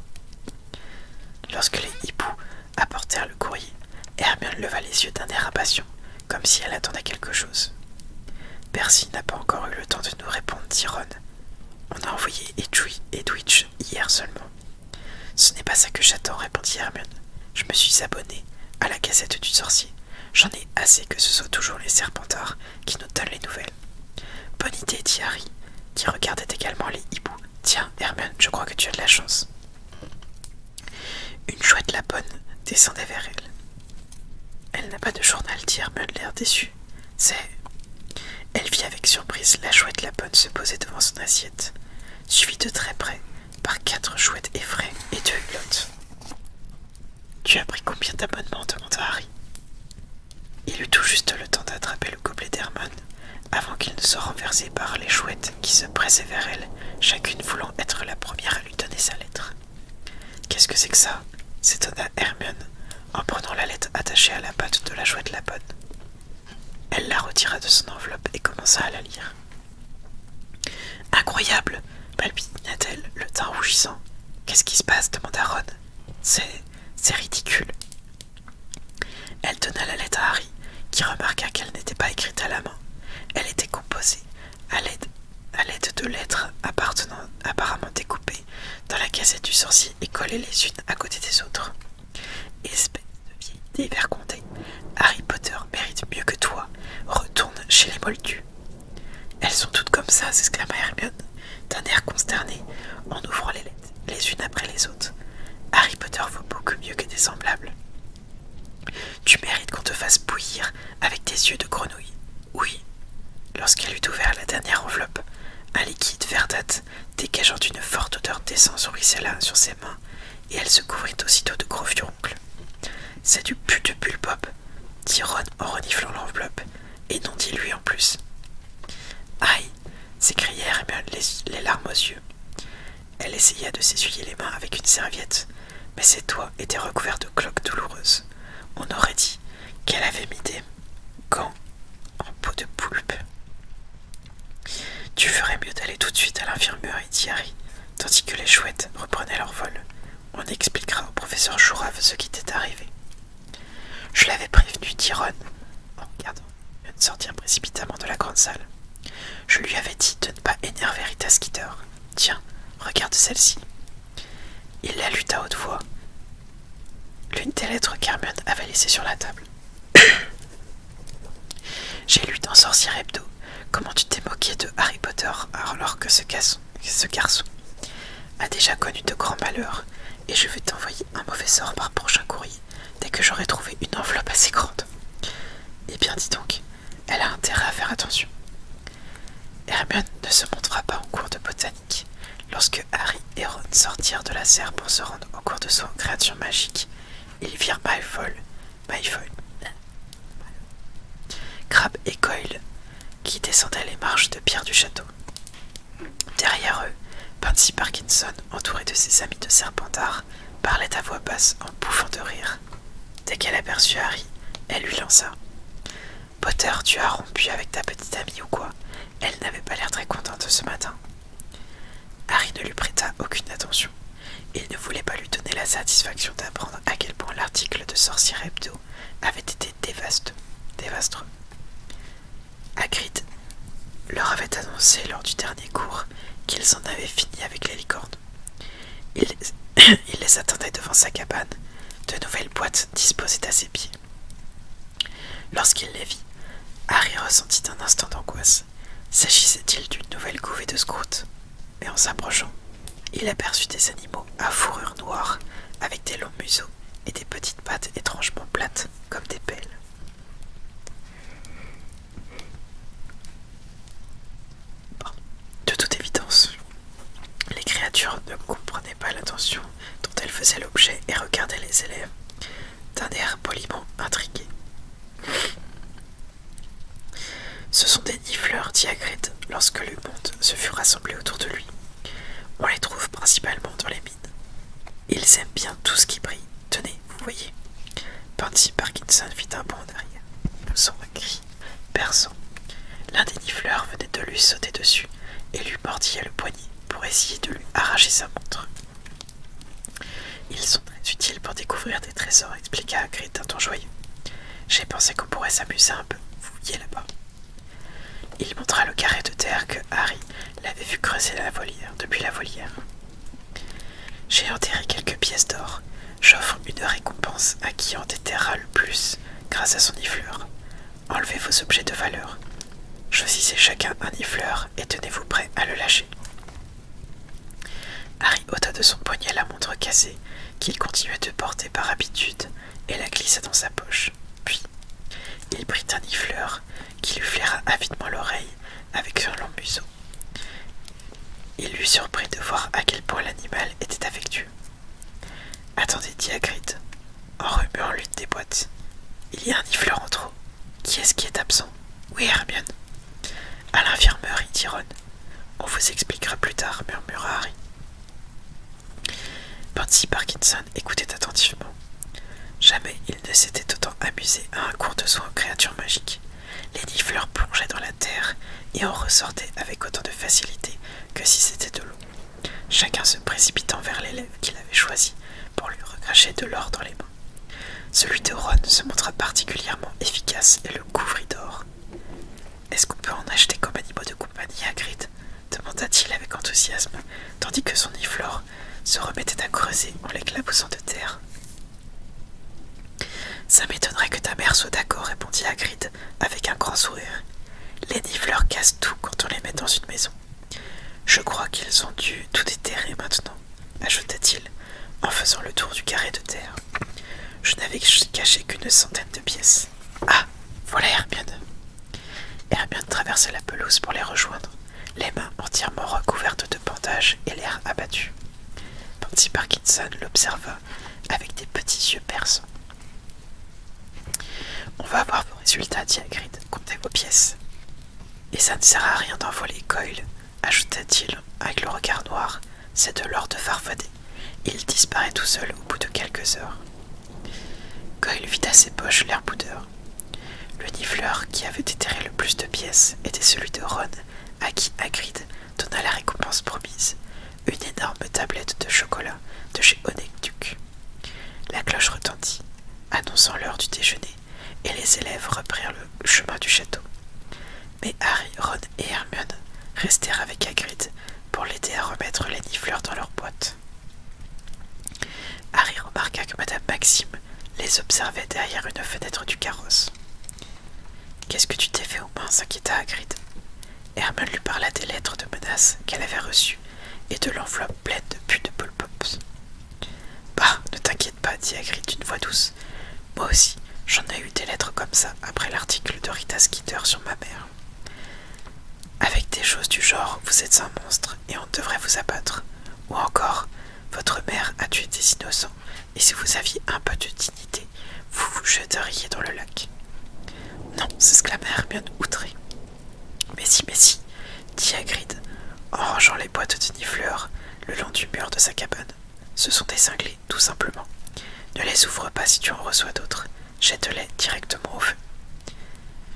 A: Lorsque les hiboux apportèrent le courrier, Hermione leva les yeux d'un air impatient, comme si elle attendait quelque chose. Percy n'a pas encore eu le temps de nous répondre, dit Ron. On a envoyé et Dwitch hier seulement. Ce n'est pas ça que j'attends, répondit Hermione. Je me suis abonné à la cassette du sorcier. J'en ai assez que ce soit toujours les serpentards qui nous donnent les nouvelles. Bonne idée, dit Harry, qui regardait également les hiboux. Tiens, Hermione, je crois que tu as de la chance. Une chouette la bonne descendait vers elle. Elle n'a pas de journal, dit Hermione, l'air déçu. C'est. Elle vit avec surprise la chouette la bonne se poser devant son assiette, suivie de très près par quatre chouettes effraies et deux hulottes. Tu as pris combien d'abonnements demanda Harry. Il eut tout juste le temps d'attraper le gobelet d'Hermione avant qu'il ne soit renversé par les chouettes qui se pressaient vers elle, chacune voulant être la première à lui donner sa lettre. Qu'est-ce que c'est que ça s'étonna Hermione en prenant la lettre attachée à la patte de la chouette la bonne. Elle la retira de son enveloppe et commença à la lire. Incroyable balbutia-t-elle, le teint rougissant. Qu'est-ce qui se passe demanda Ron. C'est. c'est ridicule. Elle donna la lettre à Harry, qui remarqua qu'elle n'était pas écrite à la main. Elle était composée à l'aide de lettres apparemment découpées dans la cassette du sorcier et collées les unes à côté des autres. Espèce de vieille dévergondée Harry Potter mérite mieux que toi. Retourne chez les Moldus. Elles sont toutes comme ça, s'exclama Hermione, d'un air consterné, en ouvrant les lettres les unes après les autres. Harry Potter vaut beaucoup mieux que des semblables. Tu mérites qu'on te fasse bouillir avec tes yeux de grenouille. Oui. lorsqu'elle eut ouvert la dernière enveloppe, un liquide verdâtre dégageant une forte odeur d'essence ruissela sur ses mains, et elle se couvrit aussitôt de gros furoncles C'est du put de bulbop, dit Ron en reniflant l'enveloppe, et non dit lui en plus. Aïe s'écrièrent eh les, les larmes aux yeux. Elle essaya de s'essuyer les mains avec une serviette, mais ses doigts étaient recouverts de cloques douloureuses. On aurait dit qu'elle avait mis des gants en peau de poulpe. Tu ferais mieux d'aller tout de suite à l'infirmerie, dit Harry, tandis que les chouettes reprenaient leur vol. On expliquera au professeur Jourav ce qui t'est arrivé. Je l'avais prévenu, dit Ron, en regardant de sortir précipitamment de la grande salle. Je lui avais dit de ne pas énerver Rita Skeeter. Tiens, regarde celle-ci. Il la lut à haute voix. L'une des lettres qu'Hermion avait laissées sur la table. J'ai lu dans Sorcier Hebdo comment tu t'es moqué de Harry Potter alors que ce, garçon, a déjà connu de grands malheurs et je vais t'envoyer un mauvais sort par prochain courrier dès que j'aurai trouvé une enveloppe assez grande. Eh bien dis donc, elle a intérêt à faire attention. Hermione ne se montrera pas en cours de botanique. Lorsque Harry et Ron sortirent de la serre pour se rendre au cours de son créature magique, ils virent Maïfol, Crabbe et Coyle qui descendaient les marches de pierre du château. Derrière eux, Pansy Parkinson, entouré de ses amis de Serpentard, parlait à voix basse en bouffant de rire. Dès qu'elle aperçut Harry, elle lui lança Potter, tu as rompu avec ta petite amie ou quoi elle n'avait pas l'air très contente ce matin. Harry ne lui prêta aucune attention. Il ne voulait pas lui donner la satisfaction d'apprendre à quel point l'article de Sorcière Hebdo avait été dévastreux. Hagrid leur avait annoncé lors du dernier cours qu'ils en avaient fini avec les licornes. Il, il les attendait devant sa cabane, de nouvelles boîtes disposées à ses pieds. Lorsqu'il les vit, Harry ressentit un instant d'angoisse. S'agissait-il d'une nouvelle couvée de scouts Et en s'approchant, il aperçut des animaux à fourrure noire, avec des longs museaux et des petites pattes étrangement plates comme des pelles. De toute évidence, les créatures ne comprenaient pas l'attention dont elles faisaient l'objet et regardaient les élèves, d'un air poliment intrigué. Ce sont des nifleurs, dit lorsque le monde se fut rassemblé autour de lui. On les trouve principalement dans les mines. Ils aiment bien tout ce qui brille. Tenez, vous voyez. Pansy Parkinson fit un bond derrière. arrière, un cri perçant. L'un des nifleurs venait de lui sauter dessus et lui mordillait le poignet pour essayer de lui arracher sa montre. Ils sont très utiles pour découvrir des trésors, expliqua Hagrid d'un ton joyeux. J'ai pensé qu'on pourrait s'amuser un peu, fouiller là-bas. Il montra le carré de terre que Harry l'avait vu creuser la volière, depuis la volière. J'ai enterré quelques pièces d'or. J'offre une récompense à qui en le plus grâce à son ifleur. Enlevez vos objets de valeur. Choisissez chacun un ifleur et tenez-vous prêt à le lâcher. Harry ôta de son poignet la montre cassée, qu'il continuait de porter par habitude, et la glissa dans sa poche. Puis, il prit un ifleur qui lui flaira avidement l'oreille avec son long museau. Il lui surprit de voir à quel point l'animal était affectueux. Attendez, dit Hagrid, en remuant l'une des boîtes. Il y a un ifleur entre. trop. Qui est-ce qui est absent Oui, Hermione. À l'infirmeur, » dit Ron. On vous expliquera plus tard, murmura Harry. Pansy Parkinson écoutait attentivement. Jamais il ne s'était autant amusé à un cours de soins aux créatures magiques. Les nifleurs plongeaient dans la terre et en ressortaient avec autant de facilité que si c'était de l'eau, chacun se précipitant vers l'élève qu'il avait choisi pour lui recracher de l'or dans les mains. Celui de Ron se montra particulièrement efficace et le couvrit d'or. Est-ce qu'on peut en acheter comme animaux de compagnie, Hagrid demanda-t-il avec enthousiasme, tandis que son iflore se remettait à creuser en l'éclaboussant de terre. Ça m'étonnerait que ta mère soit d'accord, répondit Hagrid avec un grand sourire. Les nifleurs cassent tout quand on les met dans une maison. Je crois qu'ils ont dû tout déterrer maintenant ajouta-t-il en faisant le tour du carré de terre. Je n'avais caché qu'une centaine de pièces. Ah, voilà Hermione. Hermione traversa la pelouse pour les rejoindre, les mains entièrement recouvertes de pantages et l'air abattu. Pansy Parkinson l'observa avec des petits yeux perçants. On va avoir vos résultats, dit Hagrid. Comptez vos pièces. Et ça ne sert à rien d'envoler Coyle ajouta-t-il avec le regard noir, c'est de l'or de Il disparaît tout seul au bout de quelques heures. Goyle vit à ses poches l'air boudeur. Le nifleur qui avait déterré le plus de pièces était celui de Ron, à qui Hagrid donna la récompense promise, une énorme tablette de chocolat de chez Honegduc. La cloche retentit, annonçant l'heure du déjeuner et les élèves reprirent le chemin du château. Mais Harry, Ron et Hermione restèrent avec Hagrid pour l'aider à remettre les nifleurs dans leur boîte. Harry remarqua que Madame Maxime les observait derrière une fenêtre du carrosse. Qu'est-ce que tu t'es fait au moins ?» s'inquiéta Hagrid. Hermione lui parla des lettres de menace qu'elle avait reçues et de l'enveloppe pleine de puits de Pops. Bah, ne t'inquiète pas, dit Hagrid d'une voix douce. Moi aussi, j'en ai eu des lettres comme ça après l'article de Rita Skeeter sur ma mère. Avec des choses du genre, vous êtes un monstre et on devrait vous abattre. Ou encore, votre mère a tué des innocents et si vous aviez un peu de dignité, vous vous jeteriez dans le lac. Non, s'exclamèrent Hermione Outré. Mais si, mais si, dit Hagrid en rangeant les boîtes de nifleurs le long du mur de sa cabane. Ce sont des tout simplement. Ne les ouvre pas si tu en reçois d'autres. Jette-les directement au feu.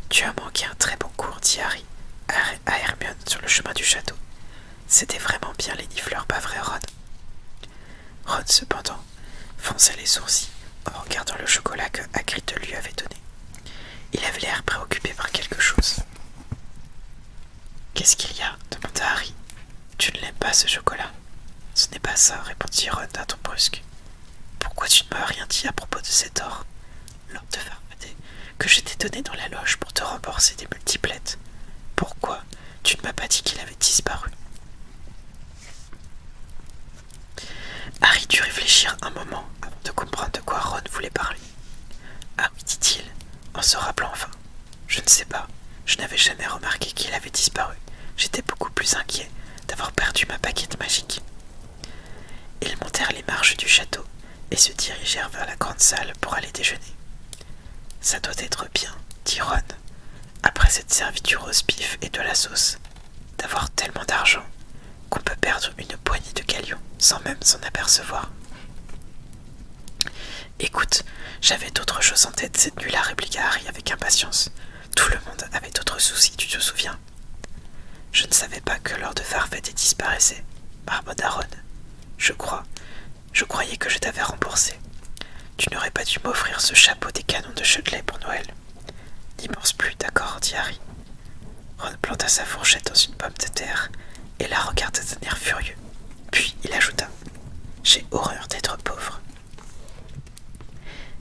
A: Tu as manqué un très bon cours, dit Harry à Hermione sur le chemin du château. C'était vraiment bien les nifleurs, pas vrai, Ron Ron, cependant, fonçait les sourcils en regardant le chocolat que Hagrid lui avait donné. Il avait l'air préoccupé par quelque chose. Qu'est-ce qu'il y a demanda Harry. Tu ne l'aimes pas ce chocolat Ce n'est pas ça, répondit Ron d'un ton brusque. Pourquoi tu ne m'as rien dit à propos de cet or L'or de Faraday que je t'ai donné dans la loge pour te rembourser des multiplettes. Pourquoi tu ne m'as pas dit qu'il avait disparu Harry dut réfléchir un moment avant de comprendre de quoi Ron voulait parler. Ah oui, dit-il, en se rappelant enfin. Je ne sais pas, je n'avais jamais remarqué qu'il avait disparu. J'étais beaucoup plus inquiet d'avoir perdu ma paquette magique. Ils montèrent les marches du château et se dirigèrent vers la grande salle pour aller déjeuner. Ça doit être bien, dit Ron, après cette du rose pif et de la sauce, d'avoir tellement d'argent qu'on peut perdre une poignée de galions sans même s'en apercevoir. Écoute, j'avais d'autres choses en tête cette nuit-là, répliqua Harry avec impatience. Tout le monde avait d'autres soucis, tu te souviens Je ne savais pas que Lord Farfet disparaissait, marmotta Ron. Je crois, je croyais que je t'avais remboursé. Tu n'aurais pas dû m'offrir ce chapeau des canons de Chudley pour Noël. N'y pense plus, d'accord, dit Harry. Ron planta sa fourchette dans une pomme de terre et la regarda d'un air furieux. Puis il ajouta J'ai horreur d'être pauvre.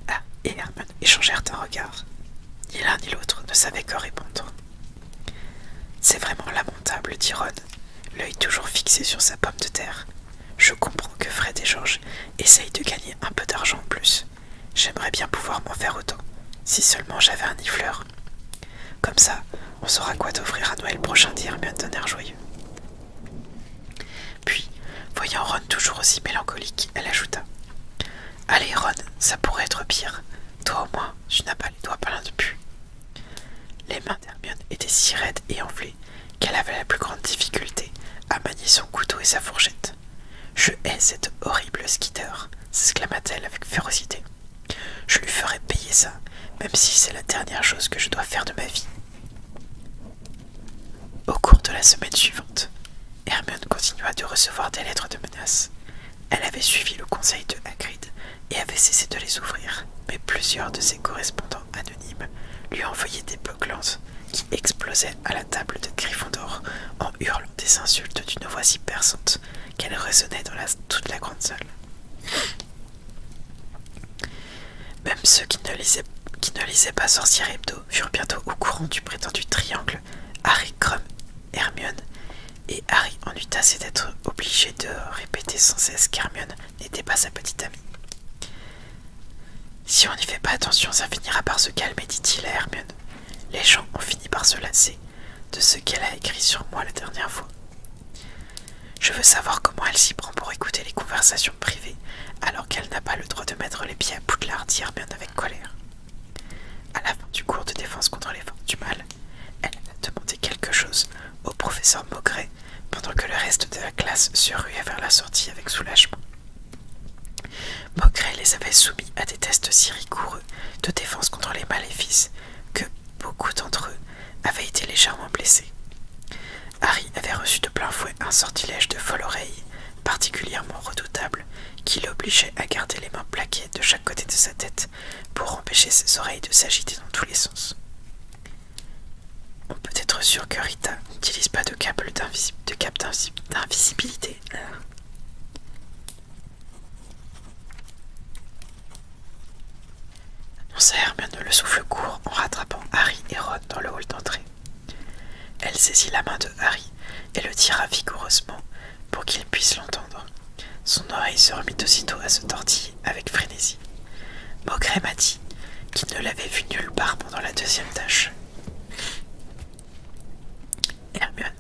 A: Ah et Herman échangèrent un regard. Ni l'un ni l'autre ne savaient que répondre. C'est vraiment lamentable, dit Ron, l'œil toujours fixé sur sa pomme de terre. Je comprends que Fred et Georges essayent de gagner un peu d'argent en plus. J'aimerais bien pouvoir m'en faire autant, si seulement j'avais un ifleur. » Comme ça, on saura quoi t'offrir à Noël prochain, dit Hermione d'un air joyeux. Puis, voyant Ron toujours aussi mélancolique, elle ajouta Allez, Ron, ça pourrait être pire. Toi au moins, tu n'as pas les doigts pleins de pu. Les mains d'Hermione étaient si raides et enflées qu'elle avait la plus grande difficulté à manier son couteau et sa fourchette. Je hais cette horrible skitter, s'exclama-t-elle avec férocité. Je lui ferai payer ça, même si c'est la dernière chose que je dois faire de ma vie. Au cours de la semaine suivante, Hermione continua de recevoir des lettres de menace. Elle avait suivi le conseil de Hagrid et avait cessé de les ouvrir, mais plusieurs de ses correspondants anonymes lui envoyaient des boclantes qui explosaient à la table de Gryffondor en hurlant des insultes d'une voix si perçante qu'elle résonnait dans toute la grande salle. Même ceux qui ne, lisaient, pas Sorcière Hebdo furent bientôt au courant du prétendu triangle Harry, Crumb, Hermione, et Harry en eut assez d'être obligé de répéter sans cesse qu'Hermione n'était pas sa petite amie. Si on n'y fait pas attention, ça finira par se calmer, dit-il à Hermione. Les gens ont fini par se lasser, de ce qu'elle a écrit sur moi la dernière fois. Je veux savoir comment elle s'y prend pour écouter les conversations privées alors qu'elle n'a pas le droit de mettre les pieds à de hier, bien avec colère. À la fin du cours de défense contre les forces du mal, elle a demandé quelque chose au professeur Maugret pendant que le reste de la classe se ruait vers la sortie avec soulagement. Maugret les avait soumis à des tests si rigoureux de défense contre les maléfices que beaucoup d'entre eux avait été légèrement blessé. Harry avait reçu de plein fouet un sortilège de folle oreille particulièrement redoutable qui l'obligeait à garder les mains plaquées de chaque côté de sa tête pour empêcher ses oreilles de s'agiter dans tous les sens. On peut être sûr que Rita n'utilise pas de câble d'invisibilité annonça Hermione le souffle court en rattrapant Harry et Ron dans le hall d'entrée. Elle saisit la main de Harry et le tira vigoureusement pour qu'il puisse l'entendre. Son oreille se remit aussitôt à se tortiller avec frénésie. Maugrey m'a dit qu'il ne l'avait vu nulle part pendant la deuxième tâche. Hermione,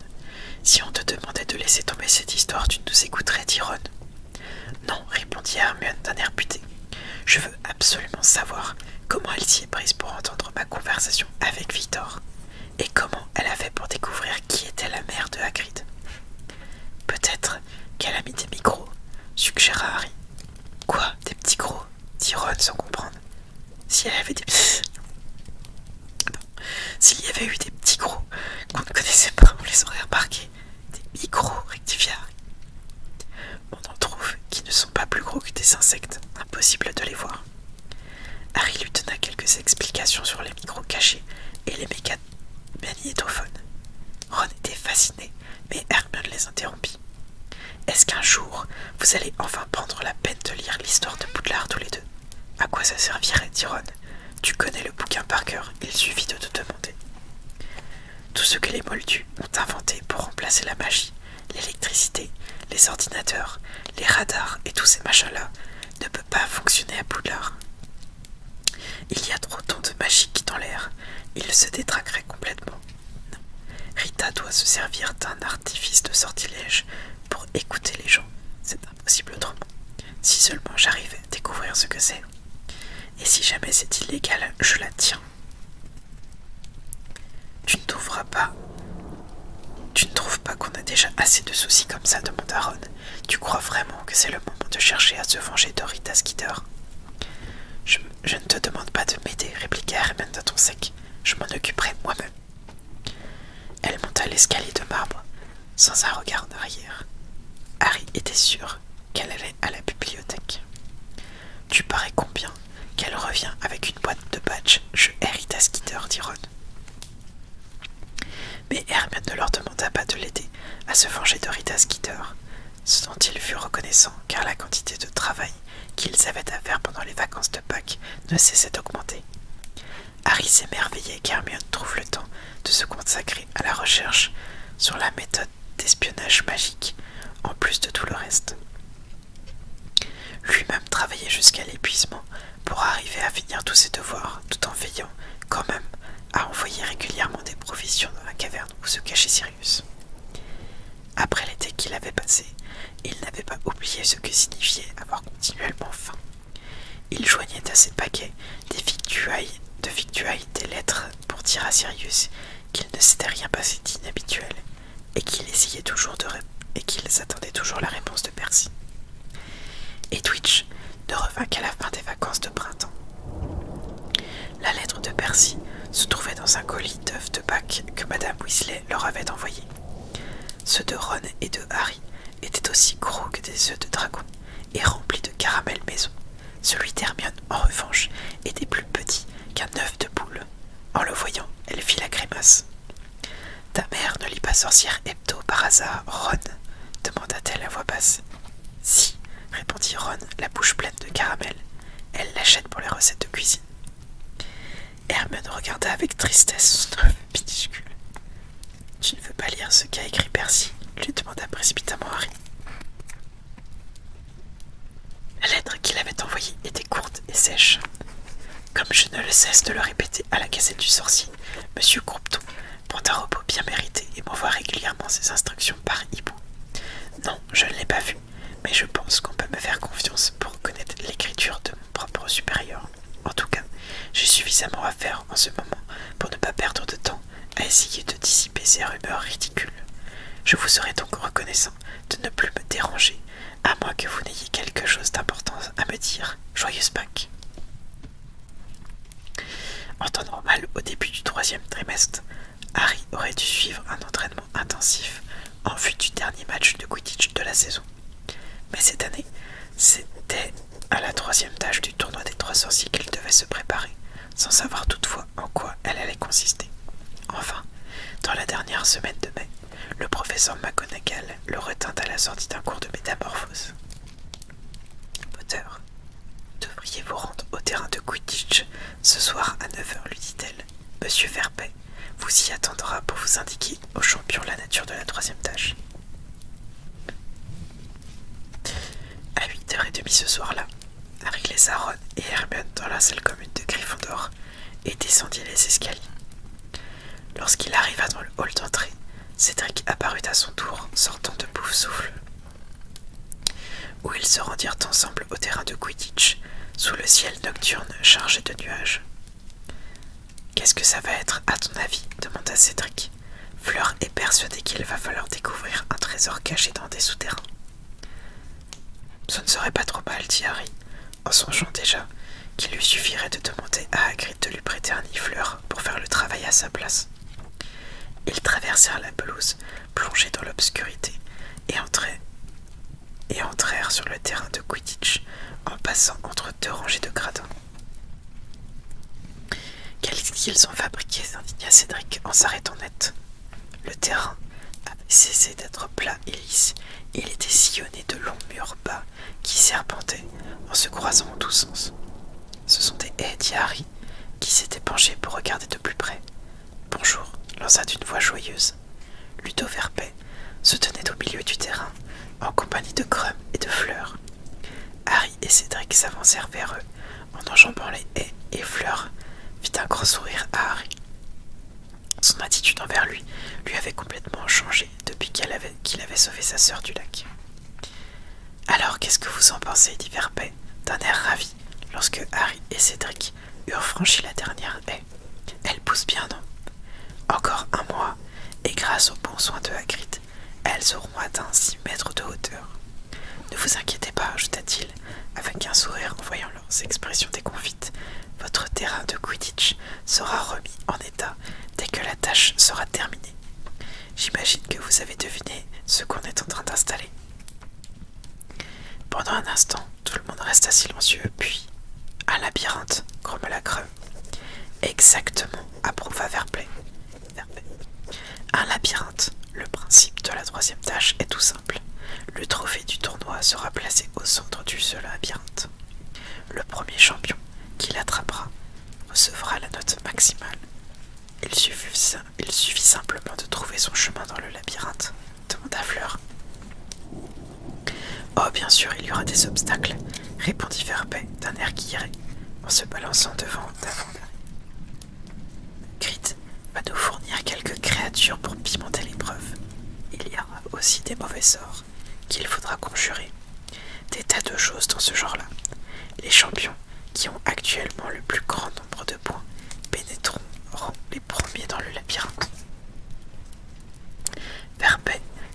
A: si on te demandait de laisser tomber cette histoire, tu nous écouterais, dit Ron. Non, répondit Hermione d'un air buté. Je veux absolument savoir comment elle s'y est prise pour entendre ma conversation avec Victor et comment elle a fait pour découvrir qui était la mère de Hagrid. Peut-être qu'elle a mis des micros, suggéra Harry. Quoi, des petits gros dit Ron sans comprendre. Si elle avait des ah S'il y avait eu des petits gros qu'on ne connaissait pas, on les aurait remarqués, des micro rectifiants. On en trouve qui ne sont pas plus gros que des insectes, impossible de les voir. Harry lui donna quelques explications sur les micros cachés et les magnétophones. Ron était fasciné, mais Hermione les interrompit. Est-ce qu'un jour, vous allez enfin prendre la peine de lire l'histoire de Poudlard tous les deux À quoi ça servirait, dit Ron. Tu connais le bouquin par cœur, il suffit de te tout ce que les Moldus ont inventé pour remplacer la magie, l'électricité, les ordinateurs, les radars et tous ces machins-là ne peut pas fonctionner à Poudlard. Il y a trop de magie qui dans l'air, il se détraquerait complètement. Rita doit se servir d'un artifice de sortilège pour écouter les gens, c'est impossible autrement. Si seulement j'arrive à découvrir ce que c'est. Et si jamais c'est illégal, je la tiens. Tu ne trouveras pas. Tu ne trouves pas qu'on a déjà assez de soucis comme ça, demanda Ron. Tu crois vraiment que c'est le moment de chercher à se venger d'Orita Skidder je, ne te demande pas de m'aider, répliqua Hermione d'un ton sec. Je m'en occuperai moi-même. Elle monta l'escalier de marbre, sans un regard en arrière. Harry était sûr qu'elle allait à la bibliothèque. Tu parais combien qu'elle revient avec une boîte de badge Je hérite à Skeeter, dit Ron. Mais Hermione ne leur demanda pas de l'aider à se venger de Rita Skeeter, ce dont ils furent reconnaissants car la quantité de travail qu'ils avaient à faire pendant les vacances de Pâques ne cessait d'augmenter. Harry s'émerveillait qu'Hermione trouve le temps de se consacrer à la recherche sur la méthode d'espionnage magique, en plus de tout le reste. Lui-même travaillait jusqu'à l'épuisement pour arriver à finir tous ses devoirs, tout en veillant, quand même, à envoyer régulièrement des provisions dans la caverne où se cachait Sirius. Après l'été qu'il avait passé, il n'avait pas oublié ce que signifiait avoir continuellement faim. Il joignait à ses paquets des victuailles, de victuailles des lettres pour dire à Sirius qu'il ne s'était rien passé d'inhabituel et qu'il essayait toujours et qu'ils attendaient toujours la réponse de Percy. Et Twitch ne revint qu'à la fin des vacances de printemps. La lettre de Percy se trouvait dans un colis d'œufs de Bac que Madame Weasley leur avait envoyé. Ceux de Ron et de Harry étaient aussi gros que des œufs de dragon et remplis de caramel maison. Celui d'Hermione, en revanche, était plus petit qu'un œuf de poule. En le voyant, elle fit la grimace. Ta mère ne lit pas sorcière hebdo par hasard, Ron demanda-t-elle à voix basse. Si, répondit Ron, la bouche pleine de caramel. Elle l'achète pour les recettes de cuisine. Hermione regarda avec tristesse son œuf minuscule. Tu ne veux pas lire ce qu'a écrit Percy lui demanda précipitamment Harry. La lettre qu'il avait envoyée était courte et sèche. Comme je ne le cesse de le répéter à la casette du sorcier, M. Croupton prend un repos bien mérité et m'envoie régulièrement ses instructions par hibou. Non, je ne l'ai pas vu, mais je pense qu'on peut me faire confiance pour connaître l'écriture de mon propre supérieur. En tout cas, j'ai suffisamment à faire en ce moment pour ne pas perdre de temps à essayer de dissiper ces rumeurs ridicules. Je vous serai donc reconnaissant de ne plus me déranger, à moins que vous n'ayez quelque chose d'important à me dire. Joyeuse Pâques. En temps normal, au début du troisième trimestre, Harry aurait dû suivre un entraînement intensif en vue du dernier match de Quidditch de la saison. Mais cette année, c'était à la troisième tâche du tournoi des trois sorciers qu'il devait se préparer, sans savoir toutefois en quoi elle allait consister. Enfin, dans la dernière semaine de mai, le professeur McGonagall le retint à la sortie d'un cours de métamorphose. Potter, devriez vous rendre au terrain de Quidditch ce soir à 9h, lui dit-elle. Monsieur Verpet vous y attendra pour vous indiquer au champion la nature de la troisième tâche. À 8h30 ce soir-là, avec les et Hermione dans la salle commune de Gryffondor et descendit les escaliers. Lorsqu'il arriva dans le hall d'entrée, Cédric apparut à son tour, sortant de bouffe où ils se rendirent ensemble au terrain de Quidditch, sous le ciel nocturne chargé de nuages. Qu'est-ce que ça va être, à ton avis demanda Cédric, Fleur est persuadée qu'il va falloir découvrir un trésor caché dans des souterrains. Ce ne serait pas trop mal, dit Harry, en songeant déjà qu'il lui suffirait de demander à Hagrid de lui prêter un ifleur pour faire le travail à sa place. Ils traversèrent la pelouse, plongés dans l'obscurité, et et entrèrent sur le terrain de Quidditch en passant entre deux rangées de gradins. Quels qu'ils ont fabriqués s'indigna Cédric en s'arrêtant net. Le terrain avait cessé d'être plat et lisse, il était sillonné de longs murs bas qui serpentaient en se croisant en tous sens. Ce sont des haies, dit Harry, qui s'étaient penchés pour regarder de plus près. Bonjour, lança d'une voix joyeuse. Ludo Verpais se tenait au milieu du terrain, en compagnie de Crum et de fleurs. Harry et Cédric s'avancèrent vers eux en enjambant les haies et fleurs, fit un grand sourire à Harry. Son attitude envers lui lui avait complètement changé depuis qu'il avait, qu'il avait sauvé sa sœur du lac. Alors qu'est-ce que vous en pensez dit Verbet d'un air ravi lorsque Harry et Cédric eurent franchi la dernière haie. Elle pousse bien, non Encore un mois, et grâce aux bons soins de Hagrid, elles auront atteint six mètres de hauteur. Ne vous inquiétez pas, ajouta-t-il, avec un sourire en voyant leurs expressions déconfites, votre terrain de Quidditch sera remis en état dès que la tâche sera terminée. J'imagine que vous avez deviné ce qu'on est en train d'installer. Pendant un instant, tout le monde resta silencieux, puis un labyrinthe, grommela Creux. Exactement, approuva Verplay. Un labyrinthe, le principe de la troisième tâche est tout simple. Le trophée du tournoi sera placé au centre du seul labyrinthe. Le premier champion qui l'attrapera recevra la note maximale. Il suffit, simplement de trouver son chemin dans le labyrinthe, demanda Fleur. Oh, bien sûr, il y aura des obstacles, répondit Verbet d'un air irait en se balançant devant Davant. Grit va nous fournir quelques créatures pour pimenter l'épreuve. Il y aura aussi des mauvais sorts qu'il faudra conjurer. Des tas de choses dans ce genre-là. Les champions qui ont actuellement le plus grand nombre de points pénétreront les premiers dans le labyrinthe. Verbe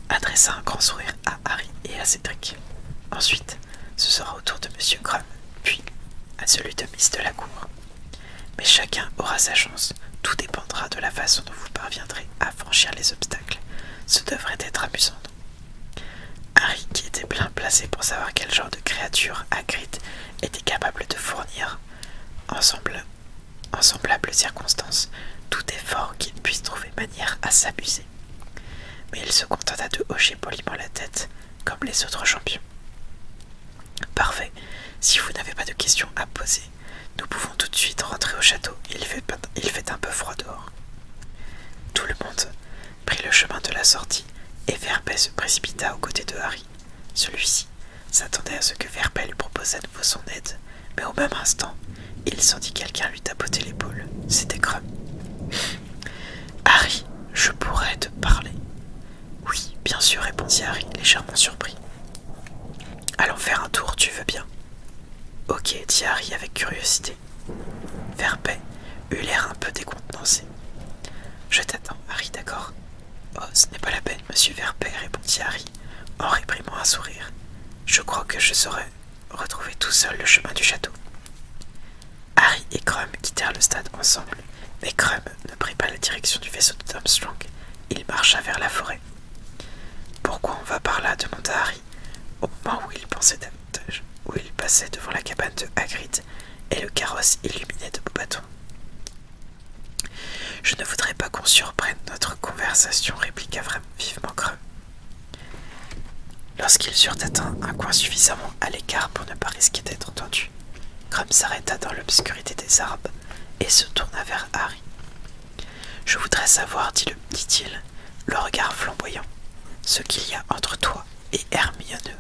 A: adressa un grand sourire à Harry et à Cédric. Ensuite, ce sera au de Monsieur Grum, puis à celui de Miss de la Cour. Mais chacun aura sa chance, tout dépendra de la façon dont vous parviendrez à franchir les obstacles. Ce devrait être amusant. Harry, qui était bien placé pour savoir quel genre de créature Hagrid était capable de fournir, ensemble, en semblables circonstances, tout effort qu'il puisse trouver manière à s'abuser. Mais il se contenta de hocher poliment la tête, comme les autres champions. Parfait. Si vous n'avez pas de questions à poser, nous pouvons tout de suite rentrer au château. Il fait, un peu froid dehors. Tout le monde prit le chemin de la sortie et Verbet se précipita aux côtés de Harry. Celui-ci s'attendait à ce que Verbet lui proposât de nouveau son aide, mais au même instant, il sentit quelqu'un lui tapoter l'épaule. C'était creux. « Harry, je pourrais te parler. Oui, bien sûr, répondit Harry, légèrement surpris. Allons faire un tour, tu veux bien Ok, dit Harry avec curiosité. Verpet eut l'air un peu décontenancé. Je t'attends, Harry, d'accord Oh, ce n'est pas la peine, monsieur Verpet, répondit Harry, en réprimant un sourire. Je crois que je saurai retrouver tout seul le chemin du château. Harry et Crum quittèrent le stade ensemble, mais Crum ne prit pas la direction du vaisseau de Strong. il marcha vers la forêt. Pourquoi on va par là demanda Harry, au moment où il pensait davantage, où il passait devant la cabane de Hagrid et le carrosse illuminé de beaux bâtons. Je ne voudrais pas qu'on surprenne notre conversation, répliqua vivement Crum. Lorsqu'ils eurent atteint un coin suffisamment à l'écart pour ne pas risquer d'être entendus, Grum s'arrêta dans l'obscurité des arbres et se tourna vers Harry. Je voudrais savoir, dit-il, le regard flamboyant, ce qu'il y a entre toi et Hermione.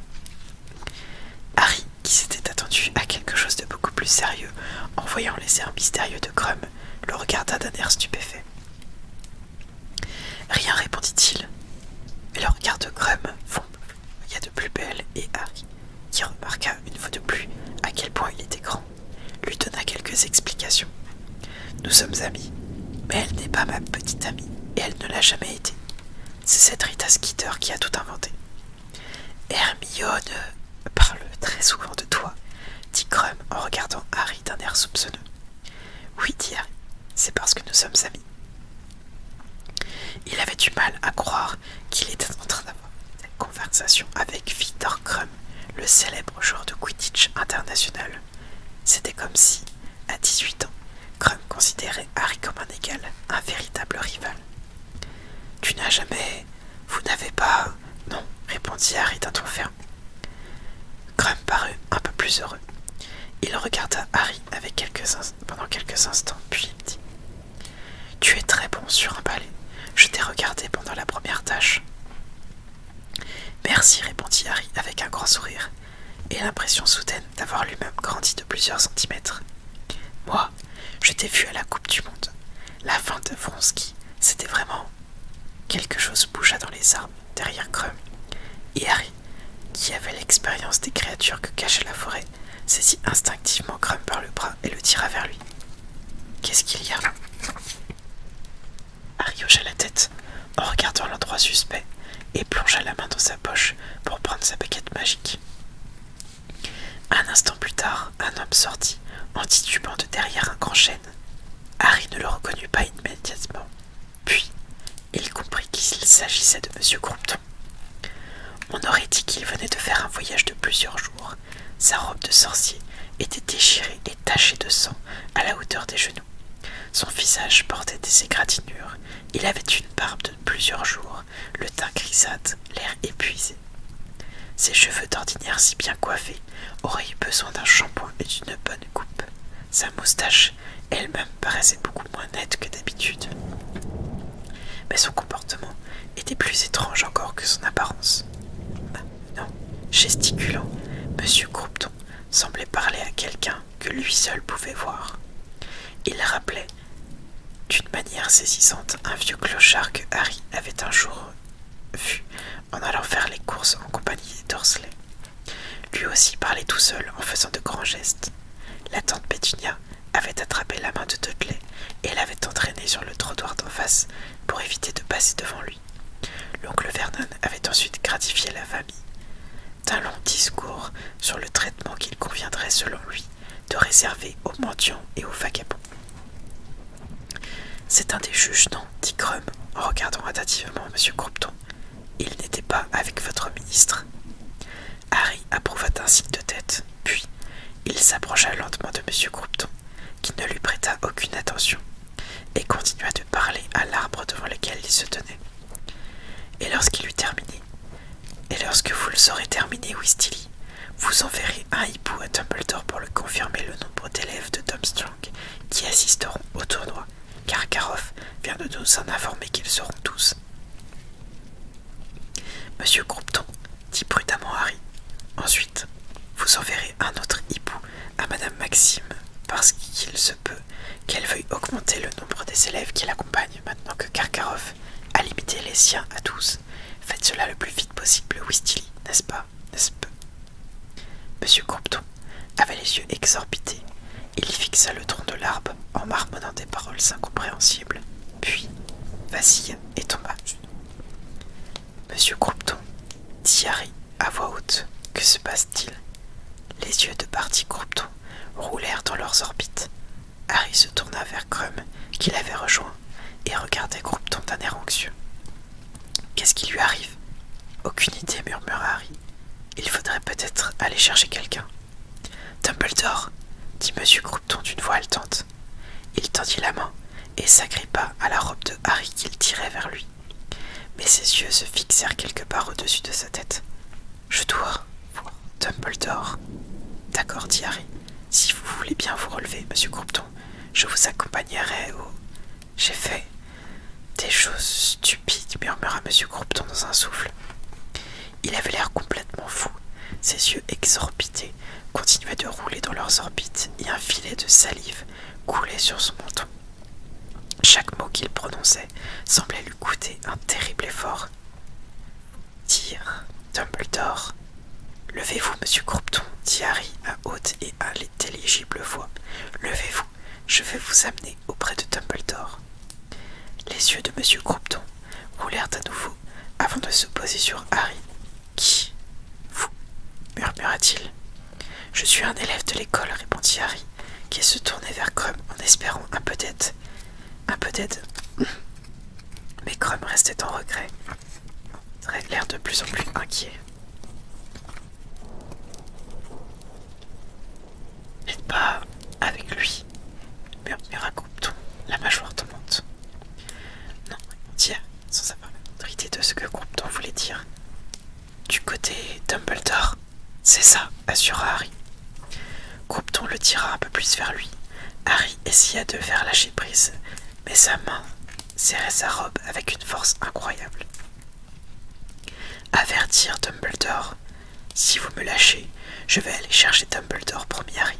A: Harry, qui s'était attendu à quelque chose de beaucoup plus sérieux en voyant les airs mystérieux de Crum, le regarda d'un air stupéfait. Rien répondit-il, mais le regard de Crum a de plus belle et Harry, qui remarqua une fois de plus à quel point il était grand, lui donna quelques explications. Nous sommes amis, mais elle n'est pas ma petite amie et elle ne l'a jamais été. C'est cette Rita Skeeter qui a tout inventé. Hermione parle très souvent de toi, dit Crum en regardant Harry d'un air soupçonneux. Oui, dit Harry, c'est parce que nous sommes amis. Il avait du mal à croire qu'il était en train d'avoir cette conversation avec Victor Crum, le célèbre joueur de Quidditch international. C'était comme si, à 18 ans, Crum considérait Harry comme un égal, un véritable rival. Tu n'as jamais. Vous n'avez pas. Non, répondit Harry d'un ton ferme. Crum parut un peu plus heureux. Il regarda Harry pendant quelques instants, puis dit tu es très bon sur un balai. Je t'ai regardé pendant la première tâche. Merci, répondit Harry avec un grand sourire, et l'impression soudaine d'avoir lui-même grandi de plusieurs centimètres. Moi, je t'ai vu à la Coupe du Monde. La fin de Vronsky, c'était vraiment. Quelque chose bougea dans les arbres derrière Crum, et Harry, qui avait l'expérience des créatures que cachait la forêt, saisit instinctivement Crumb par le bras et le tira vers lui. Qu'est-ce qu'il y a Harry hocha la tête en regardant l'endroit suspect et plongea la main dans sa poche pour prendre sa baguette magique. Un instant plus tard, un homme sortit en titubant de derrière un grand chêne. Harry ne le reconnut pas immédiatement. Puis, il comprit qu'il s'agissait de M. Compton. On aurait dit qu'il venait de faire un voyage de plusieurs jours. Sa robe de sorcier était déchirée et tachée de sang à la hauteur des genoux. Son visage portait des égratignures. Il avait une barbe de plusieurs jours, le teint grisâtre, l'air épuisé. Ses cheveux d'ordinaire si bien coiffés auraient eu besoin d'un shampoing et d'une bonne coupe. Sa moustache elle-même paraissait beaucoup moins nette que d'habitude. Mais son comportement était plus étrange encore que son apparence. Non, gesticulant, M. Croupton semblait parler à quelqu'un que lui seul pouvait voir. Il rappelait d'une manière saisissante un vieux clochard que Harry avait un jour vu en allant faire les courses en compagnie des Dorsley. Lui aussi parlait tout seul en faisant de grands gestes. La tante Pétunia avait attrapé la main de Dudley et l'avait entraîné sur le trottoir d'en face pour éviter de passer devant lui. L'oncle Vernon avait ensuite gratifié la famille d'un long discours sur le traitement qu'il conviendrait selon lui de réserver aux mendiants et aux vagabonds. C'est un des juges, non dit Crum en regardant attentivement M. Croupton. Il n'était pas avec votre ministre. Harry approuva d'un signe de tête, puis il s'approcha lentement de M. Groupton, qui ne lui prêta aucune attention, et continua de parler à l'arbre devant lequel il se tenait. Et lorsqu'il eut terminé, et lorsque vous le saurez terminé, Wistily, vous enverrez un hibou à Tumbledore pour le confirmer le nombre d'élèves de Tom Strong qui assisteront au tournoi, car Karoff vient de nous en informer qu'ils seront tous. Monsieur Groupton, dit prudemment Harry. Ensuite, vous enverrez un autre hibou à Madame Maxime, parce qu'il se peut qu'elle veuille augmenter le nombre des élèves qui l'accompagnent maintenant que Karkaroff a limité les siens à douze. Faites cela le plus vite possible, Wistilly, n'est-ce pas, n'est-ce pas Monsieur Groupton avait les yeux exorbités. Il fixa le tronc de l'arbre en marmonnant des paroles incompréhensibles puis vas-y et tomba Monsieur Croupton dit Harry à voix haute Que se passe-t-il Les yeux de Barty Croupton roulèrent dans leurs orbites. Harry se tourna vers Crum, qui l'avait rejoint, et regardait Groupton d'un air anxieux. Qu'est-ce qui lui arrive Aucune idée, murmura Harry. Il faudrait peut-être aller chercher quelqu'un. Dumbledore, dit M. Croupton d'une voix haletante. Il tendit la main et s'agrippa à la robe de Harry qu'il tirait vers lui. Mais ses yeux se fixèrent quelque part au-dessus de sa tête. Je dois voir Dumbledore. D'accord, dit Harry. Si vous voulez bien vous relever, monsieur Croupton, je vous accompagnerai au. J'ai fait des choses stupides, murmura monsieur Croupton dans un souffle. Il avait l'air complètement fou. Ses yeux exorbités continuaient de rouler dans leurs orbites et un filet de salive coulait sur son menton. Chaque mot qu'il prononçait semblait lui coûter un terrible effort. "Tire, Dumbledore. Levez-vous, monsieur Croupton, dit Harry à haute et intelligible voix. Levez-vous, je vais vous amener auprès de Dumbledore. Les yeux de monsieur roulèrent à nouveau avant de se poser sur Harry. Qui Vous murmura-t-il. Je suis un élève de l'école, répondit Harry, qui se tournait vers Crum en espérant un peu d'aide. Un peu d'aide Mais Crum restait en regret, l'air de plus en plus inquiet. N'êtes pas avec lui, murmura Groupton, la mâchoire tombe. Non, tiens, sans savoir la de ce que Groupe-ton voulait dire. Du côté Dumbledore, c'est ça, assura Harry. Groupe-ton le tira un peu plus vers lui. Harry essaya de faire lâcher prise, mais sa main serrait sa robe avec une force incroyable. Avertir Dumbledore, si vous me lâchez, je vais aller chercher Harry.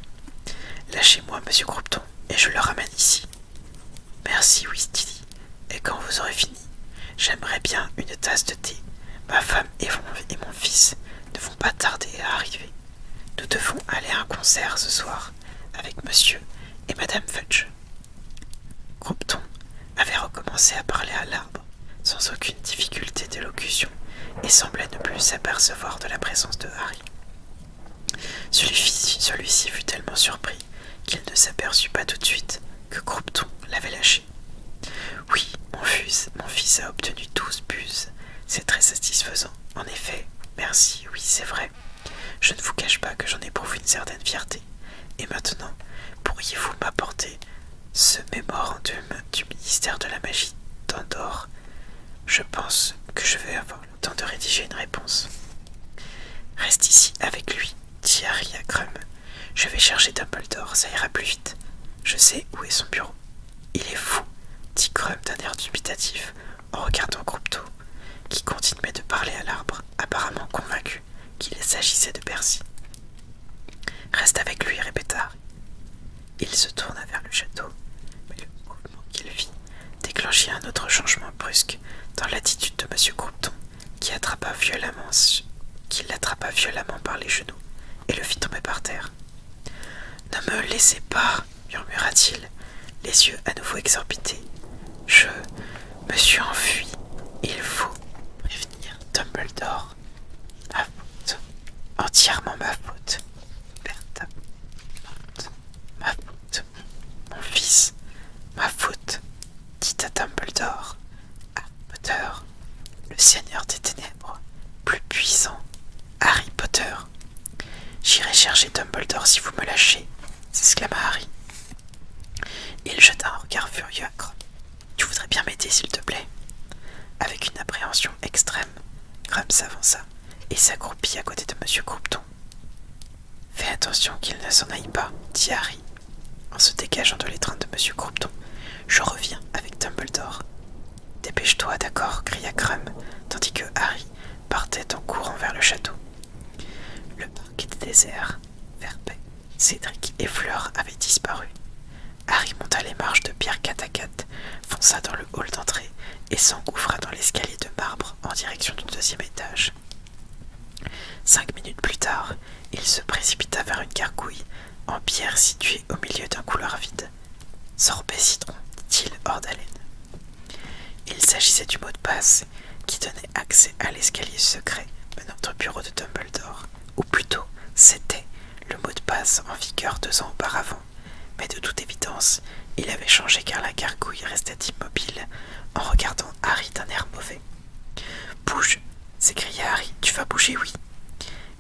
A: Lâchez-moi, monsieur Groupton, et je le ramène ici. Merci, Weasley. Et quand vous aurez fini, j'aimerais bien une tasse de thé. Ma femme et mon fils ne vont pas tarder à arriver. Nous devons aller à un concert ce soir avec monsieur et madame Fudge. Groupton avait recommencé à parler à l'arbre sans aucune difficulté d'élocution et semblait ne plus s'apercevoir de la présence de Harry. Celui-ci fut tellement surpris qu'il ne s'aperçut pas tout de suite que Croupton l'avait lâché. Oui, mon fils, mon fils a obtenu douze buses. C'est très satisfaisant. En effet, merci, oui, c'est vrai. Je ne vous cache pas que j'en ai éprouve une certaine fierté. Et maintenant, pourriez-vous m'apporter ce mémorandum du ministère de la magie d'Andorre je pense que je vais avoir le temps de rédiger une réponse. Reste ici avec lui, dit Harry à Crum. Je vais chercher Dumbledore, ça ira plus vite. Je sais où est son bureau. Il est fou, dit Crum d'un air dubitatif en regardant Groupto, qui continuait de parler à l'arbre, apparemment convaincu qu'il s'agissait de Percy. Reste avec lui, répéta Harry. Il se tourna vers le château, mais le mouvement qu'il vit déclenchit un autre changement brusque dans l'attitude de M. compton qui, attrapa violemment, qui l'attrapa violemment par les genoux et le fit tomber par terre. Ne me laissez pas, murmura-t-il, les yeux à nouveau exorbités. Je me suis enfui. Il faut prévenir Dumbledore. faute, entièrement ma faute. Bertha. Ma faute, mon fils, ma faute, dit à Dumbledore. Harry Potter, le Seigneur des Ténèbres, plus puissant, Harry Potter. J'irai chercher Dumbledore si vous me lâchez, s'exclama Harry. Il jeta un regard furieux Tu voudrais bien m'aider, s'il te plaît. Avec une appréhension extrême, Grum s'avança et s'accroupit à côté de M. Croupton. Fais attention qu'il ne s'en aille pas, dit Harry. En se dégageant de l'étreinte de M. Croupton, je reviens avec Dumbledore. Dépêche-toi, d'accord, cria Grum, tandis que Harry partait en courant vers le château. Le parc était désert. paix. Cédric et Fleur avaient disparu. Harry monta les marches de pierre 4 à 4 fonça dans le hall d'entrée et s'engouffra dans l'escalier de marbre en direction du deuxième étage. Cinq minutes plus tard, il se précipita vers une gargouille en pierre située au milieu d'un couloir vide. Sorbet citron, dit-il hors d'haleine. Il s'agissait du mot de passe qui donnait accès à l'escalier secret menant au bureau de Dumbledore, ou plutôt c'était le mot de passe en vigueur deux ans auparavant mais de toute évidence, il avait changé car la gargouille restait immobile en regardant Harry d'un air mauvais. Bouge s'écria Harry, tu vas bouger, oui.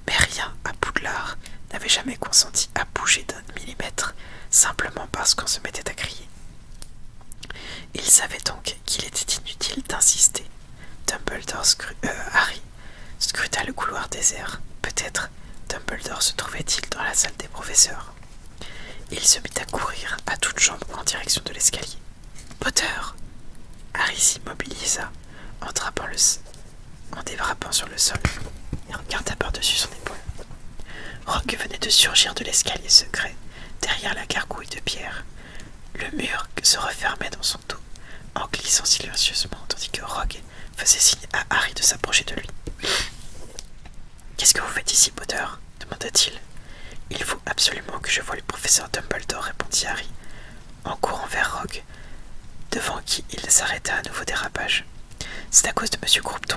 A: Mais rien à Poudlard n'avait jamais consenti à bouger d'un millimètre simplement parce qu'on se mettait à crier. Il savait donc qu'il était inutile d'insister. Dumbledore euh, Harry scruta le couloir désert. Peut-être Dumbledore se trouvait-il dans la salle des professeurs Il se mit à courir à toutes jambes en direction de l'escalier. Potter Harry s'immobilisa en, dérapant sur le sol et regarda par-dessus son épaule. Rogue venait de surgir de l'escalier secret, derrière la gargouille de pierre. Le mur se refermait dans son dos en glissant silencieusement tandis que Rogue faisait signe à Harry de s'approcher de lui. Qu'est-ce que vous faites ici, Potter demanda-t-il. Il faut absolument que je voie le professeur Dumbledore, répondit Harry, en courant vers Rogue, devant qui il s'arrêta à nouveau des rapages. « C'est à cause de Monsieur Croupton.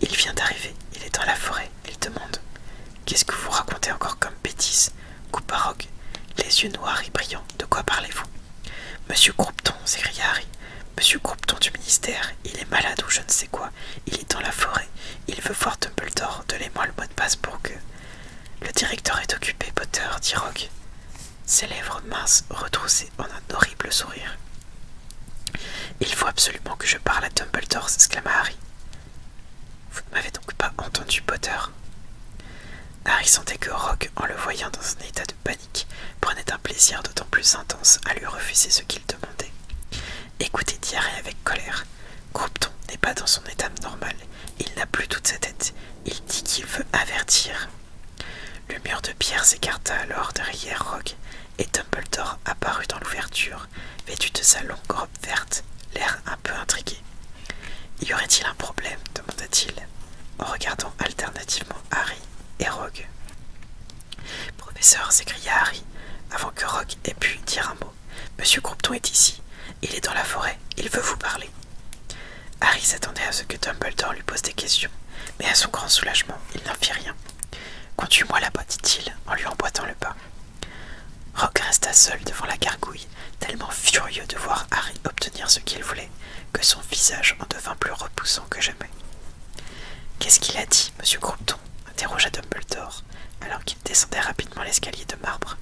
A: Il vient d'arriver, il est dans la forêt, il demande. Qu'est-ce que vous racontez encore comme bêtise coupa Rogue, les yeux noirs et brillants. De quoi parlez-vous Monsieur Groupton, » s'écria Harry. Monsieur Groupton du ministère, il est malade ou je ne sais quoi, il est dans la forêt, il veut voir Dumbledore, donnez-moi le mot de passe pour que. Le directeur est occupé, Potter, dit Rogue, ses lèvres minces retroussées en un horrible sourire. Il faut absolument que je parle à Dumbledore, s'exclama Harry. Vous ne m'avez donc pas entendu, Potter Harry sentait que Rogue, en le voyant dans un état de prenait un plaisir d'autant plus intense à lui refuser ce qu'il demandait. Écoutez Harry avec colère. Groupton n'est pas dans son état normal, il n'a plus toute sa tête, il dit qu'il veut avertir. Le mur de pierre s'écarta alors derrière Rogue, et Dumbledore apparut dans l'ouverture, vêtu de sa longue robe verte, l'air un peu intrigué. Y aurait-il un problème demanda-t-il, en regardant alternativement Harry, et Rogue. Professeur, s'écria Harry, avant que Rogue ait pu dire un mot. Monsieur Groupton est ici. Il est dans la forêt. Il veut vous parler. Harry s'attendait à ce que Dumbledore lui pose des questions, mais à son grand soulagement, il n'en fit rien. Conduis-moi là-bas, dit-il, en lui emboîtant le pas. Rogue resta seul devant la gargouille, tellement furieux de voir Harry obtenir ce qu'il voulait, que son visage en devint plus repoussant que jamais. Qu'est-ce qu'il a dit, monsieur Groupton ?» interrogea Dumbledore, alors qu'il descendait rapidement l'escalier de marbre.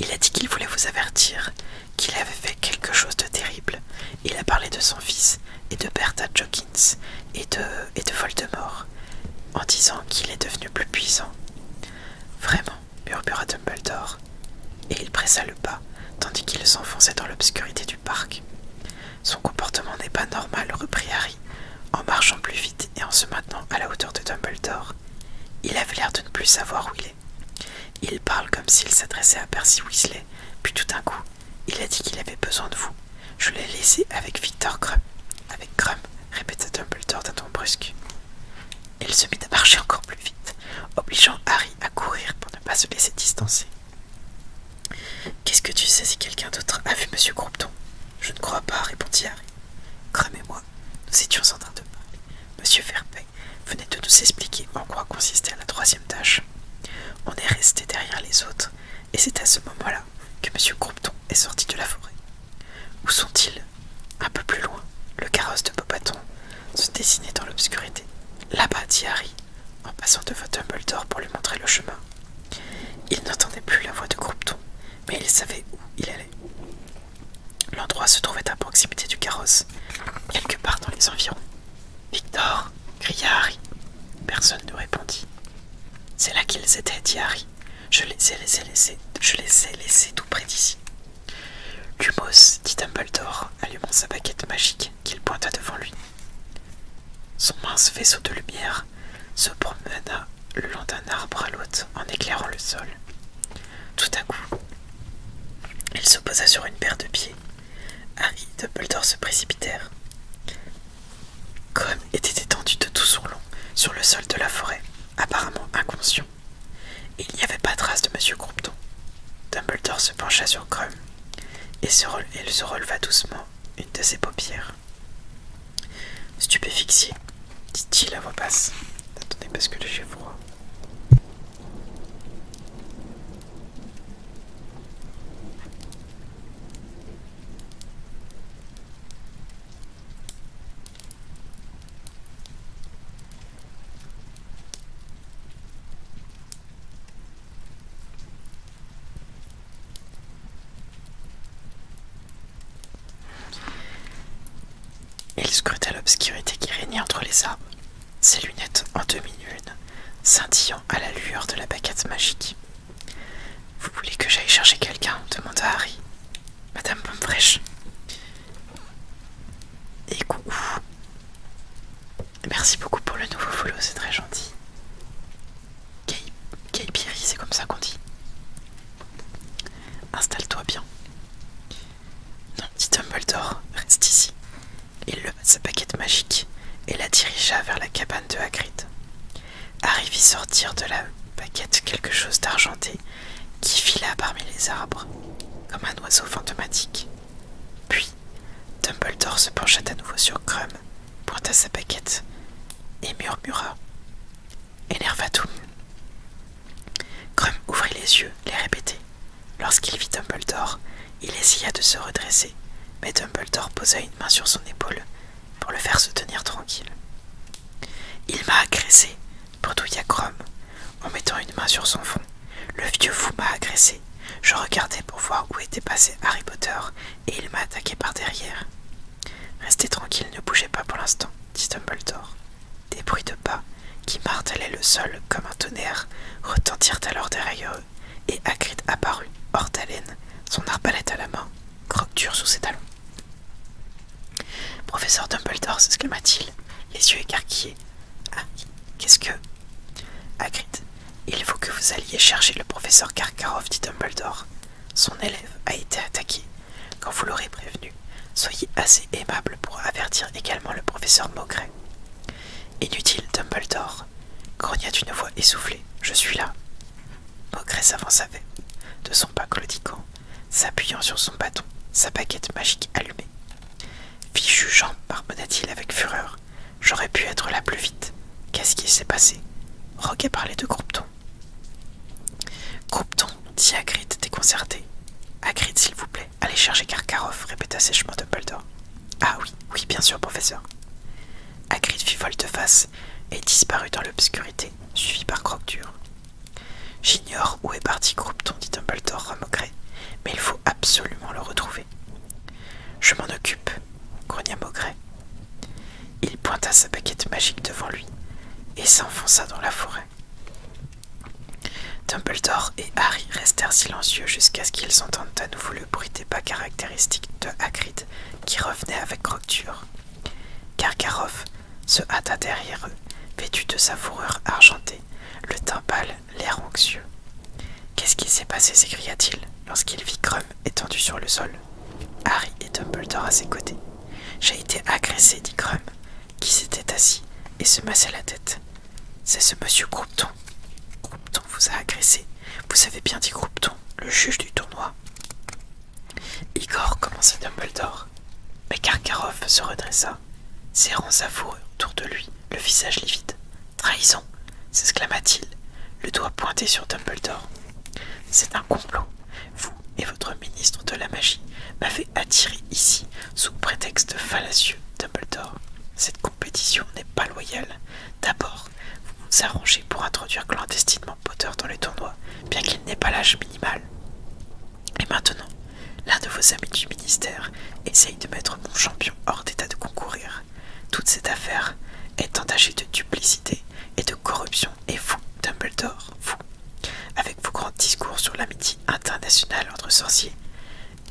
A: Il a dit qu'il voulait vous avertir, qu'il avait fait quelque chose de terrible. Il a parlé de son fils, et de Bertha Jokins, et de, et de Voldemort, en disant qu'il est devenu plus puissant. Vraiment, murmura Dumbledore, et il pressa le pas, tandis qu'il s'enfonçait dans l'obscurité du parc. Son comportement n'est pas normal, reprit Harry, en marchant plus vite et en se maintenant à la hauteur de Dumbledore. Il avait l'air de ne plus savoir où il est. Il parle comme s'il s'adressait à Percy Weasley, puis tout d'un coup, il a dit qu'il avait besoin de vous. Je l'ai laissé avec Victor crump Avec Crumb, répéta Dumbledore d'un ton brusque. Il se mit à marcher encore plus vite, obligeant Harry à courir pour ne pas se laisser distancer. Qu'est-ce que tu sais si quelqu'un d'autre a vu Monsieur Crompton Je ne crois pas, répondit Harry. « moi, nous étions en train de parler. Monsieur Fairpay venait de nous expliquer en quoi consistait la troisième tâche. On est resté derrière les autres, et c'est à ce moment-là que M. Crompton est sorti de la forêt. Où sont-ils Un peu plus loin, le carrosse de Bobaton se dessinait dans l'obscurité. Là-bas, dit Harry en passant devant Dumbledore pour lui montrer le chemin. Il n'entendait plus la voix de Groupton mais il savait où il allait. L'endroit se trouvait à proximité du carrosse, quelque part dans les environs. Victor cria Harry. Personne ne répondit. C'est là qu'ils étaient, dit Harry. Je les ai laissés, je les ai laissés tout près d'ici. Lumos, dit Dumbledore, allumant sa baguette magique qu'il pointa devant lui. Son mince vaisseau de lumière se promena le long d'un arbre à l'autre en éclairant le sol. Tout à coup, il se posa sur une paire de pieds. Harry et Dumbledore se précipitèrent. Comme était étendu de tout son long sur le sol de la forêt, apparemment inconscient. Il n'y avait pas trace de Monsieur Crompton. Dumbledore se pencha sur Crum et se se releva doucement une de ses paupières. Stupéfixié, dit-il à voix basse. Attendez parce que j'ai froid. Il scruta l'obscurité qui régnait entre les arbres, ses lunettes en demi-lune, scintillant à la lueur de la baguette magique. Vous voulez que j'aille chercher quelqu'un demanda Harry. Madame Pomme Et coucou. Merci beaucoup pour le nouveau follow, c'est très gentil. Kaipiri, c'est comme ça qu'on dit. Installe-toi bien. Non, dit Dumbledore, reste ici. Il leva sa paquette magique et la dirigea vers la cabane de Hagrid. Harry vit sortir de la paquette quelque chose d'argenté qui fila parmi les arbres, comme un oiseau fantomatique. Puis, Dumbledore se pencha à nouveau sur Crumb pointa sa paquette et murmura Enervatum. Grom ouvrit les yeux, les répétait. Lorsqu'il vit Dumbledore, il essaya de se redresser, mais Dumbledore posa une main sur son épaule pour le faire se tenir tranquille. Il m'a agressé, bredouilla Grom en mettant une main sur son front. Le vieux fou m'a agressé. Je regardais pour voir où était passé Harry Potter et il m'a attaqué par derrière. Restez tranquille, ne bougez pas pour l'instant, dit Dumbledore. Des bruits de pas qui martelaient le sol comme un tonnerre retentirent alors derrière eux et Hagrid apparut, hors d'haleine, son arbalète à la main, croque dure sous ses talons. Professeur Dumbledore s'exclama-t-il, les yeux écarquillés. Ah, qu'est-ce que il faut que vous alliez chercher le professeur Karkarov, dit Dumbledore. Son élève a été attaqué. Quand vous l'aurez prévenu, soyez assez aimable pour avertir également le professeur Maugret. Inutile, Dumbledore. Grogna d'une voix essoufflée. Je suis là. Maugret s'avança de son pas claudiquant, s'appuyant sur son bâton, sa baguette magique allumée. Fichu jugeant, par t il avec fureur. J'aurais pu être là plus vite. Qu'est-ce qui s'est passé Roquet parlait de Groupton. »« Groupton, dit Hagrid déconcerté. Hagrid, s'il vous plaît, allez chercher Karkaroff, répéta sèchement Dumbledore. Ah oui, oui, bien sûr, professeur. Hagrid fit volte-face et disparut dans l'obscurité, suivi par croque J'ignore où est parti Groupton, dit Dumbledore remogré, mais il faut absolument le retrouver. Je m'en occupe, grogna Maugret, il pointa sa baguette magique devant lui et s'enfonça dans la forêt. Dumbledore et Harry restèrent silencieux jusqu'à ce qu'ils entendent à nouveau le bruit des pas caractéristiques de Hagrid qui revenait avec crocture. Karkaroff se hâta derrière eux, vêtu de sa fourrure argentée, le teint pâle, l'air anxieux. Qu'est-ce qui s'est passé s'écria-t-il lorsqu'il vit étendu sur le sol. Harry et Dumbledore à ses côtés. J'ai été agressé, dit Grum, qui s'était assis et se massait la tête. C'est ce monsieur Groupton. Groupton vous a agressé. Vous avez bien dit Groupton, le juge du tournoi. Igor commença Dumbledore. Mais Karkaroff se redressa, serrant sa fourrure autour de lui, le visage livide. Trahison s'exclama-t-il, le doigt pointé sur Dumbledore. C'est un complot. Vous et votre ministre de la magie m'avez attiré ici sous prétexte fallacieux, Dumbledore. Cette compétition n'est pas loyale. D'abord, vous vous arrangez pour introduire clandestinement Potter dans les tournoi, bien qu'il n'ait pas l'âge minimal. Et maintenant, l'un de vos amis du ministère essaye de mettre mon champion hors d'état de concourir. Toute cette affaire est entachée de duplicité et de corruption, et vous, Dumbledore, vous, avec vos grands discours sur l'amitié internationale entre sorciers,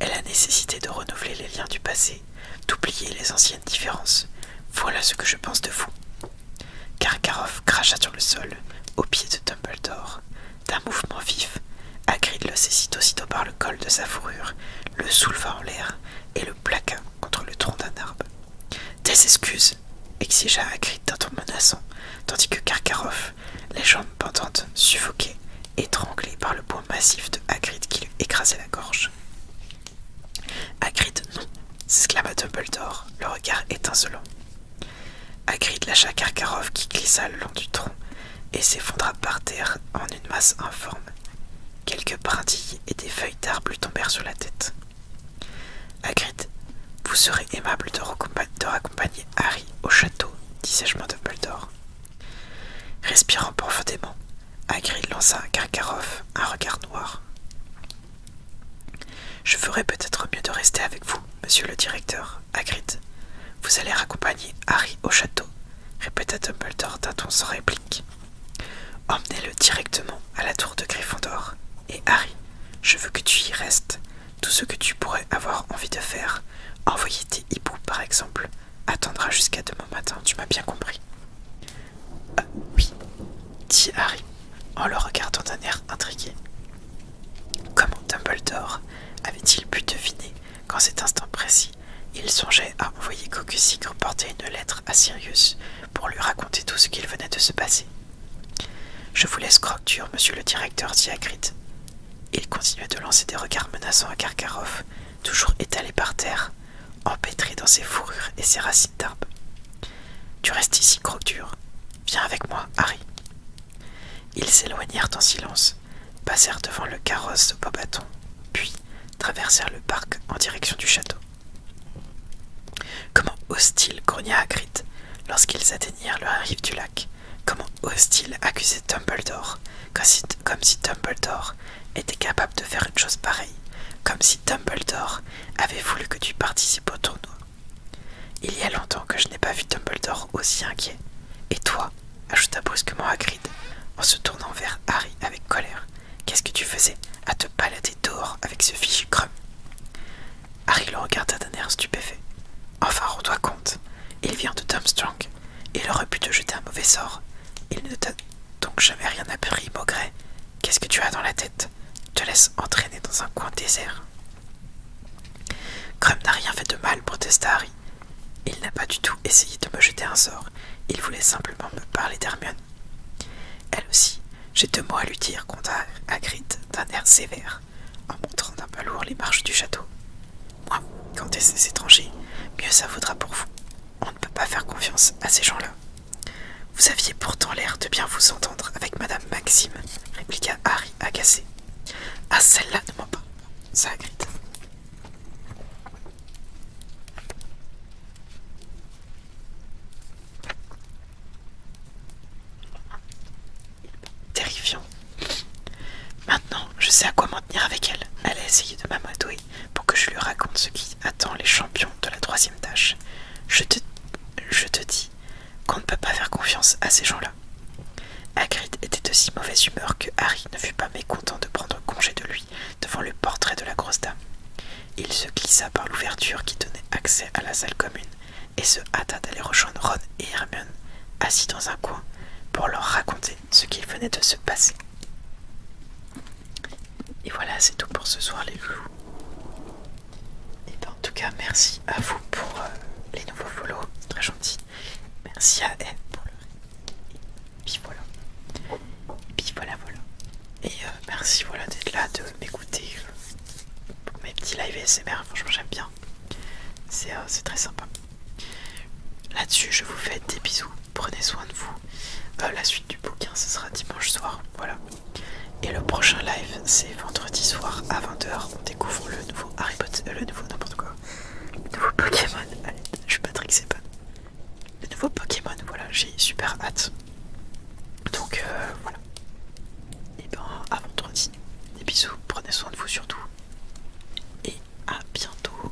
A: et la nécessité de renouveler les liens du passé, d'oublier les anciennes différences, voilà ce que je pense de vous. Karkaroff cracha sur le sol, au pied de Dumbledore. D'un mouvement vif, Agrid le saisit aussitôt par le col de sa fourrure, le souleva en l'air et le plaqua contre le tronc d'un arbre. Des excuses exigea Hagrid d'un ton menaçant, tandis que Karkaroff, les jambes pendantes, suffoqué, étranglé par le poids massif de Hagrid qui lui écrasait la gorge. Hagrid, non s'exclama Dumbledore, le regard étincelant. Hagrid lâcha Karkarov qui glissa le long du tronc et s'effondra par terre en une masse informe. Quelques brindilles et des feuilles d'arbres lui tombèrent sur la tête. Hagrid, vous serez aimable de, raccompagner Harry au château, dit sèchement Dumbledore. Respirant profondément, Hagrid lança à Karkarov un regard noir. Je ferai peut-être mieux de rester avec vous, monsieur le directeur, Hagrid. Vous allez raccompagner Harry au château, répéta Dumbledore d'un ton sans réplique. Emmenez-le directement à la tour de Gryffondor. Et Harry, je veux que tu y restes. Tout ce que tu pourrais avoir envie de faire, envoyer tes hiboux par exemple, attendra jusqu'à demain matin, tu m'as bien compris. Ah oui, dit Harry en le regardant d'un air intrigué. Comment Dumbledore avait-il pu deviner qu'en cet instant précis, il songeait à envoyer Cocusy porter une lettre à Sirius pour lui raconter tout ce qu'il venait de se passer. Je vous laisse Crocture, monsieur le directeur, dit Il continuait de lancer des regards menaçants à Karkaroff, toujours étalé par terre, empêtré dans ses fourrures et ses racines d'arbre. Tu restes ici, Crocture. Viens avec moi, Harry. Ils s'éloignèrent en silence, passèrent devant le carrosse de puis traversèrent le parc en direction du château. Comment osent-ils grogna Hagrid lorsqu'ils atteignirent le rive du lac. Comment osent-ils accuser Dumbledore comme si Dumbledore était capable de faire une chose pareille, comme si Dumbledore avait voulu que tu participes au tournoi. Il y a longtemps que je n'ai pas vu Dumbledore aussi inquiet. Et toi ajouta brusquement Hagrid en se tournant vers Harry avec colère. Qu'est-ce que tu faisais à te balader dehors avec ce fichu Crumb Harry le regarda d'un air stupéfait. Enfin, rends-toi compte, il vient de Tom Strong. Il aurait pu te jeter un mauvais sort. Il ne t'a donc jamais rien appris, Maugret. Qu'est-ce que tu as dans la tête Te laisse entraîner dans un coin désert. Crumb n'a rien fait de mal, protesta Harry. Il n'a pas du tout essayé de me jeter un sort. Il voulait simplement me parler d'Hermione elle aussi, j'ai deux mots à lui dire, continua agrit d'un air sévère, en montrant d'un pas lourd les marches du château. Moi, quand des étrangers, mieux ça vaudra pour vous. On ne peut pas faire confiance à ces gens-là. Vous aviez pourtant l'air de bien vous entendre avec Madame Maxime, répliqua Harry agacé. Ah, celle-là ne ment pas, ça Terrifiant. Maintenant, je sais à quoi m'en tenir avec elle. Elle a essayé de m'amadouer pour que je lui raconte ce qui attend les champions de la troisième tâche. Je te, je te dis qu'on ne peut pas faire confiance à ces gens-là. Hagrid était de si mauvaise humeur que Harry ne fut pas mécontent de prendre congé de lui devant le portrait de la grosse dame. Il se glissa par l'ouverture qui donnait accès à la salle commune et se hâta d'aller rejoindre Ron et Hermione, assis dans un coin, pour leur raconter ce qu'il venait de se passer. Et voilà, c'est tout pour ce soir, les loups. Et eh ben, en tout cas, merci à vous pour euh, les nouveaux c'est très gentil. Merci à elle pour le. Et puis voilà. Et puis voilà, voilà. Et euh, merci voilà d'être là, de m'écouter pour mes petits lives ASMR. Franchement, j'aime bien. Euh, c'est très sympa. Là-dessus, je vous fais des bisous. Prenez soin de vous. Euh, la suite du bouquin, ce sera dimanche soir. Voilà. Et le prochain live, c'est vendredi soir à 20h. On découvre le nouveau Harry Potter, le nouveau n'importe quoi, le nouveau Pokémon. Allez, je suis Patrick Sepan les nouveaux Pokémon. Voilà, j'ai super hâte. Donc euh, voilà. Et eh ben à vendredi. Des bisous, prenez soin de vous surtout. Et à bientôt.